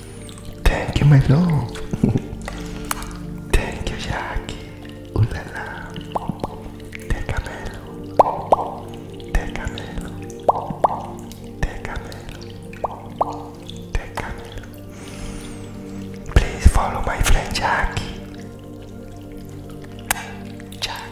Thank you, my love. Thank you, Jackie. Ooh la la. Te camelo. Te camelo. Te camelo. Te camelo. Please follow my friend Jackie. Jackie.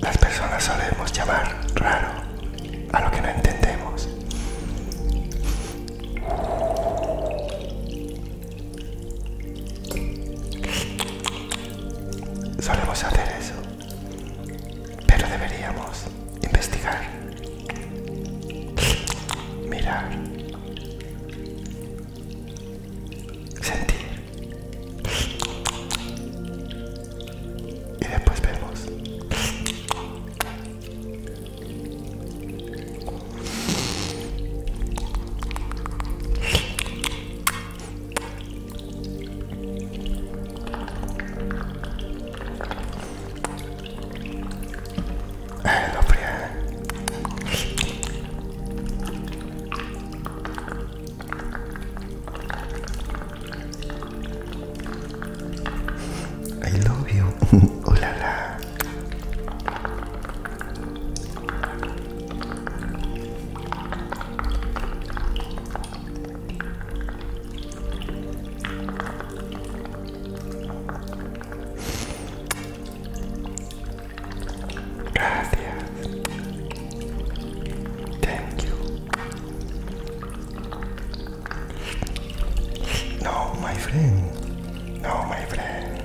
Las personas solemos llamar raro a lo que no entendemos. Solemos hacer eso, pero deberíamos investigar, mirar, sentir y después vemos lo I love you. Hola, Gracias. Thank you. No, my friend. No, my friend.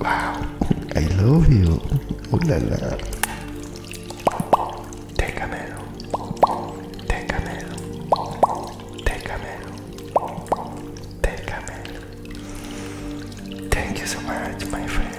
Wow, I love you. Ooh la la. Técamelo. Técamelo. Técamelo. Técamelo. Thank you so much, my friend.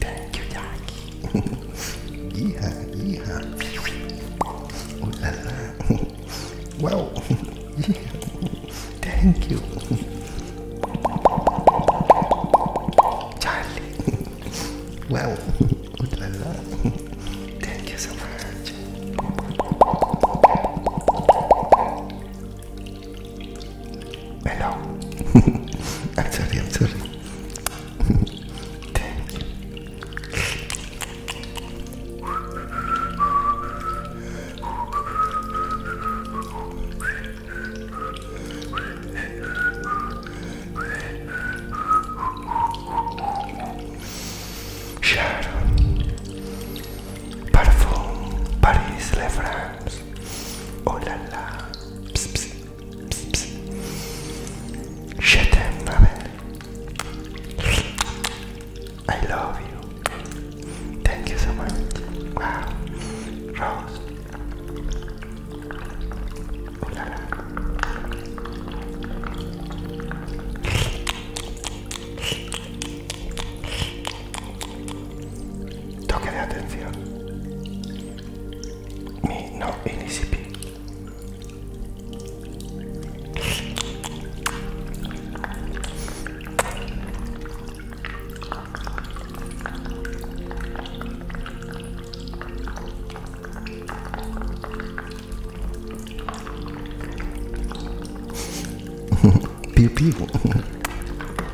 Thank you, Jackie. yeah, yeah. Ooh la la. Wow. yeah. Thank you. Charlie. wow. Ooh la la. Thank you so much. Hello. I'm sorry, I'm sorry. parfum, Paris, Le France. cosas. Oh la la. Ps, ps, ps, ps. Shut up, Mabel. I love you. Thank you so much. Wow. Rose. Oh la la. Toque de atención. Mi no inisipi.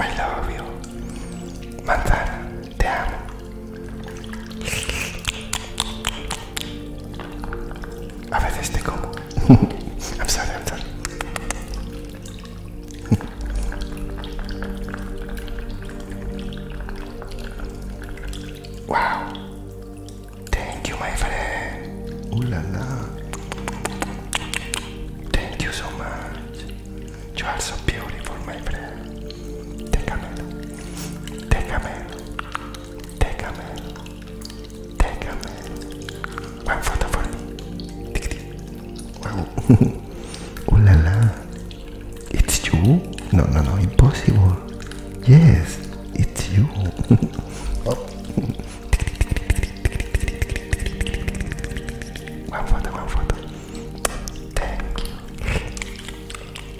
I love you, Montana. Ti amo. A veces te como. I'm sorry, I'm sorry. Wow. Thank you, my friend. Ooh la la. Thank you so much. You are so beautiful, my friend. Take Take a a Déjame, Take a déjame. One photo for me. Wow. oh la la. It's you? No, no, no, impossible. Yes, it's you. oh. One photo, one photo. Thank you.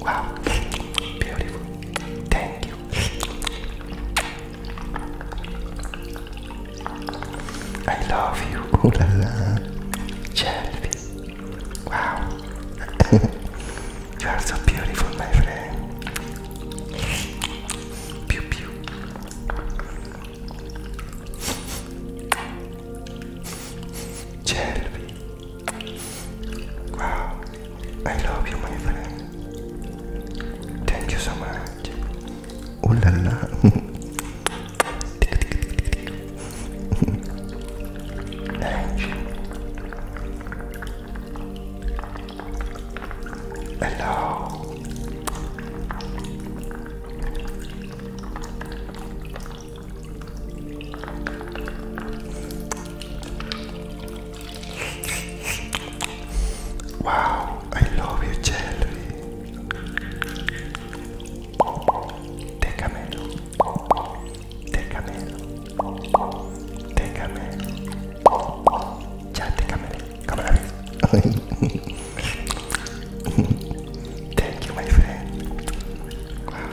wow, beautiful. Thank you. I love you. Ooh la Wow. You are so beautiful, my friend. Pew pew. Shelby. Wow. I love you, my friend. Thank you so much. Oh la la. Thank you. Hello. Wow, I love you, Jelly. Take a minute. Técamelo. Técamelo. Ya, técamelo. Come on. Thank you, my friend. Wow.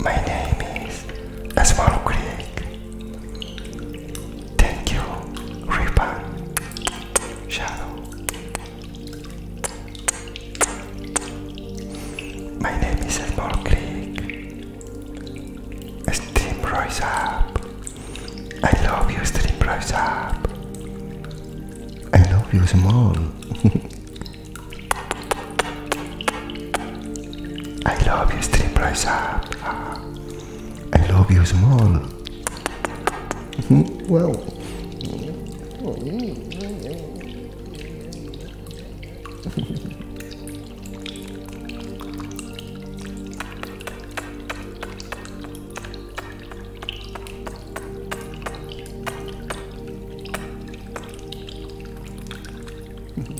My name is Asmaro Thank you, Reaper Shadow. My name is Small Creek. Stream Rise Up. I love you, Stream Rise Up. I love you, Small. I love you, Stream Rise Up. I love you small. Hmm, well.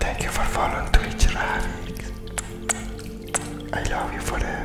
Thank you for following Twitch Ravix. I love you forever.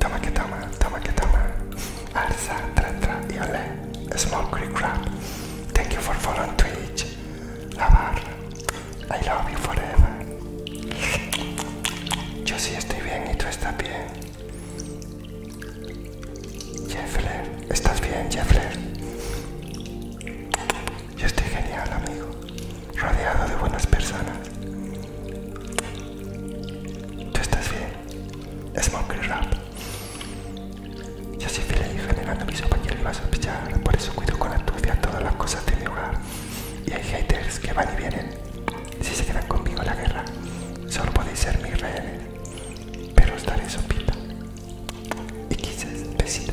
Toma que toma, toma que toma. Alza, tra, tra y ole. Smoke creek crab. Thank you for following Twitch. Lavar. I love you forever. Yo sí estoy bien y tú estás bien. Jeffler, ¿estás bien, Jeffler? Yo estoy genial, amigo, rodeado de buenas personas. ¿Tú estás bien? Es Monkey Rap. Yo soy feliz generando mis compañeros a sospechar, por eso cuido con astucia todas las cosas de mi hogar. Y hay haters que van y vienen. Si se quedan conmigo la guerra, solo podéis ser mi rey, Pero estaré sopita. Y quizás besito.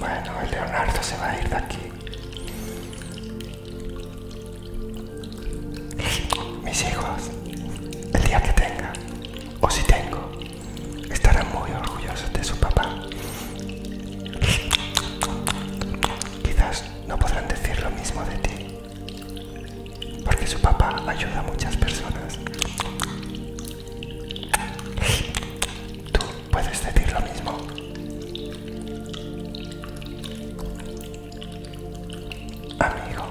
Bueno, el Leonardo se va a ir de aquí. Mis hijos, el día que tenga, o si tengo, estarán muy orgullosos de su papá. Quizás no podrán decir lo mismo de ti porque su papá ayuda a muchas personas. Tú puedes decir lo mismo. Amigo.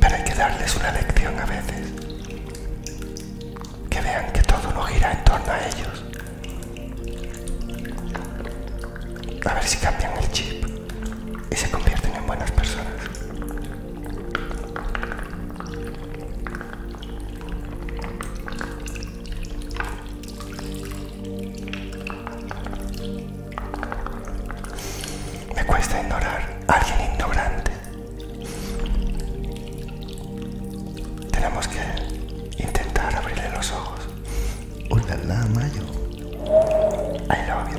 Pero hay que darles una lección a veces. Que vean que todo no gira en torno a ellos. A ver si cambian el chip y se convierten en buenas personas. Me cuesta ignorar a alguien ignorante. Tenemos que intentar abrirle los ojos. Hola, Mayo. I love you,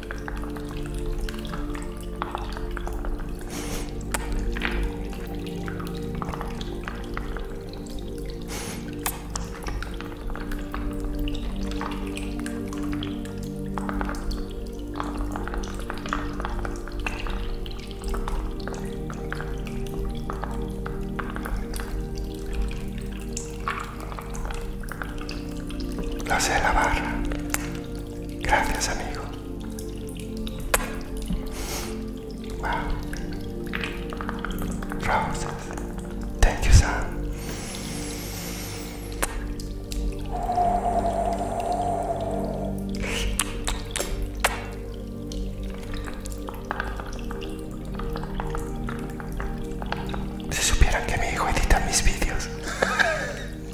Lo sé barra. Gracias, amigo. Wow. gracias. Thank Si supieran que mi hijo edita mis vídeos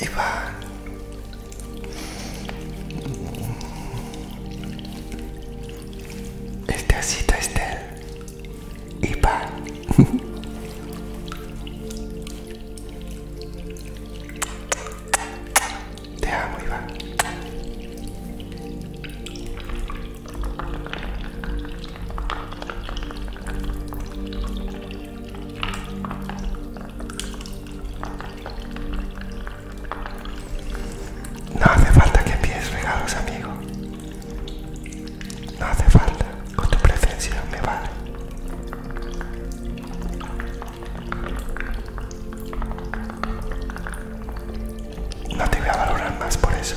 Iván. Este asito Estel. Iván. Te amo, Iván. No hace falta que pies regalos, amigo. No hace falta. Con tu presencia me vale. No te voy a valorar más por eso.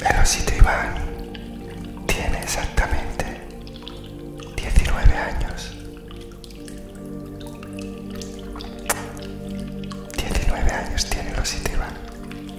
Pero Iván tiene exactamente 19 años. 19 años tiene los Iván.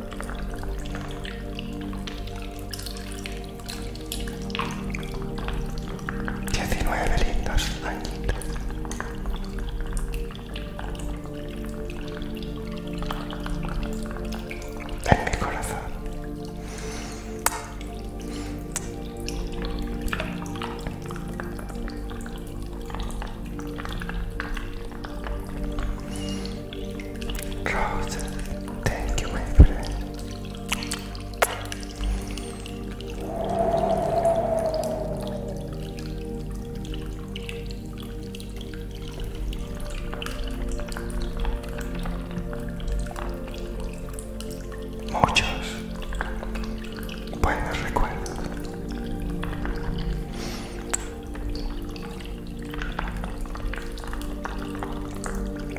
19 lindos añitos. En mi corazón. Roses, thank you, my Muchos buenos recuerdos.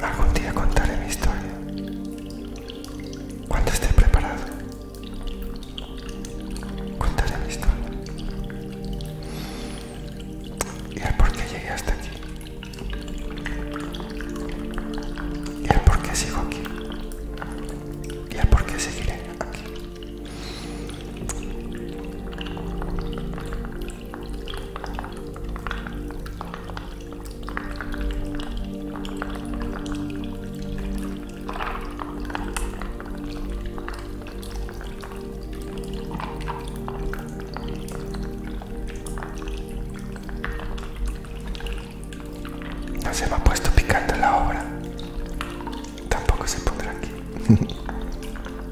Algún día contaré mi historia. Cuando esté preparado, contaré mi historia. Y el por qué llegué hasta aquí. Y el por qué sigo aquí. Y el por qué seguiré aquí. No se me ha puesto picante la obra. Tampoco se pondrá aquí.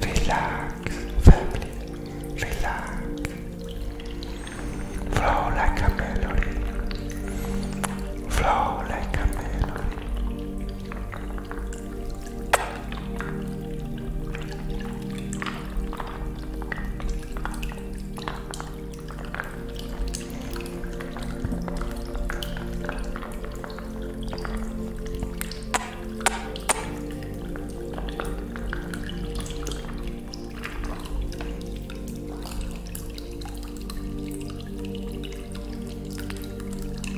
Relax, family, relax. Flow like a melody. Flow like a melody.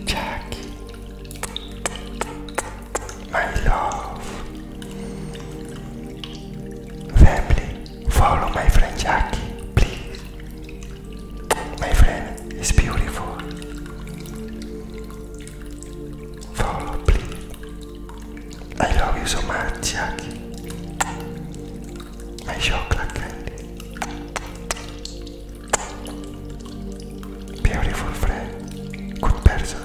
Jackie, my love, family. Follow my friend Jackie, please. My friend is beautiful. Follow, please. I love you so much, Jackie. My chocolate candy. Beautiful friend. Good person.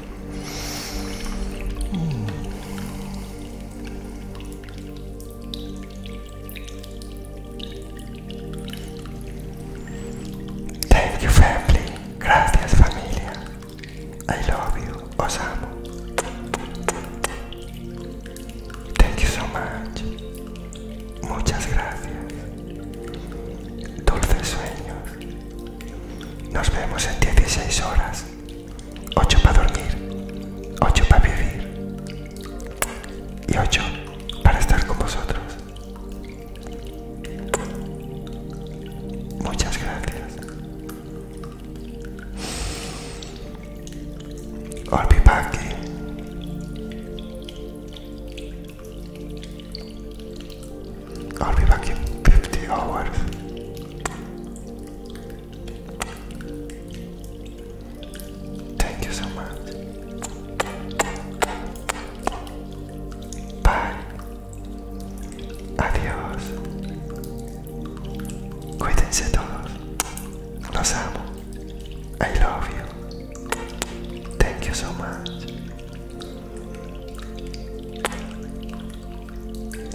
Thank you family. Gracias familia. I love you. Os amo. Thank you so much. Muchas gracias. Dulces sueños. Nos vemos en 16 horas. Ocho para dormir, ocho para vivir y ocho para estar con vosotros. Muchas gracias. I'll be back. I'll be back in 50 hours. Thank you so much. Bye. Adiós. Cuídense todos. Los amo. I love you. Thank you so much.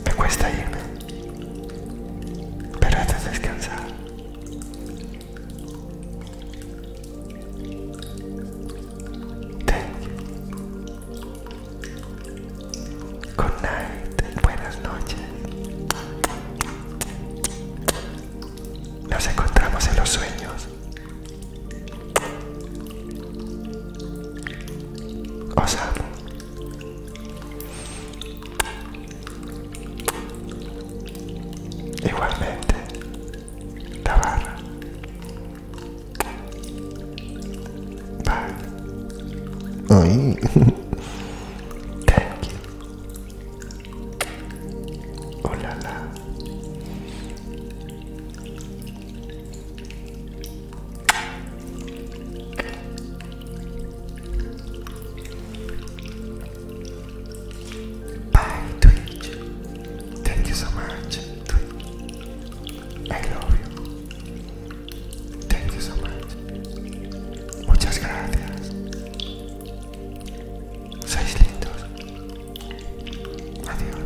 Me cuesta irme, pero haces descansar. Thank Good night, buenas noches. Nos encontramos en los sueños. Os Igualmente, Tabarra. Bye. Ay. Thank you. Oh la la. Twitch. Thank you so much, I love you. Thank you so much. Muchas gracias. Sois Adiós.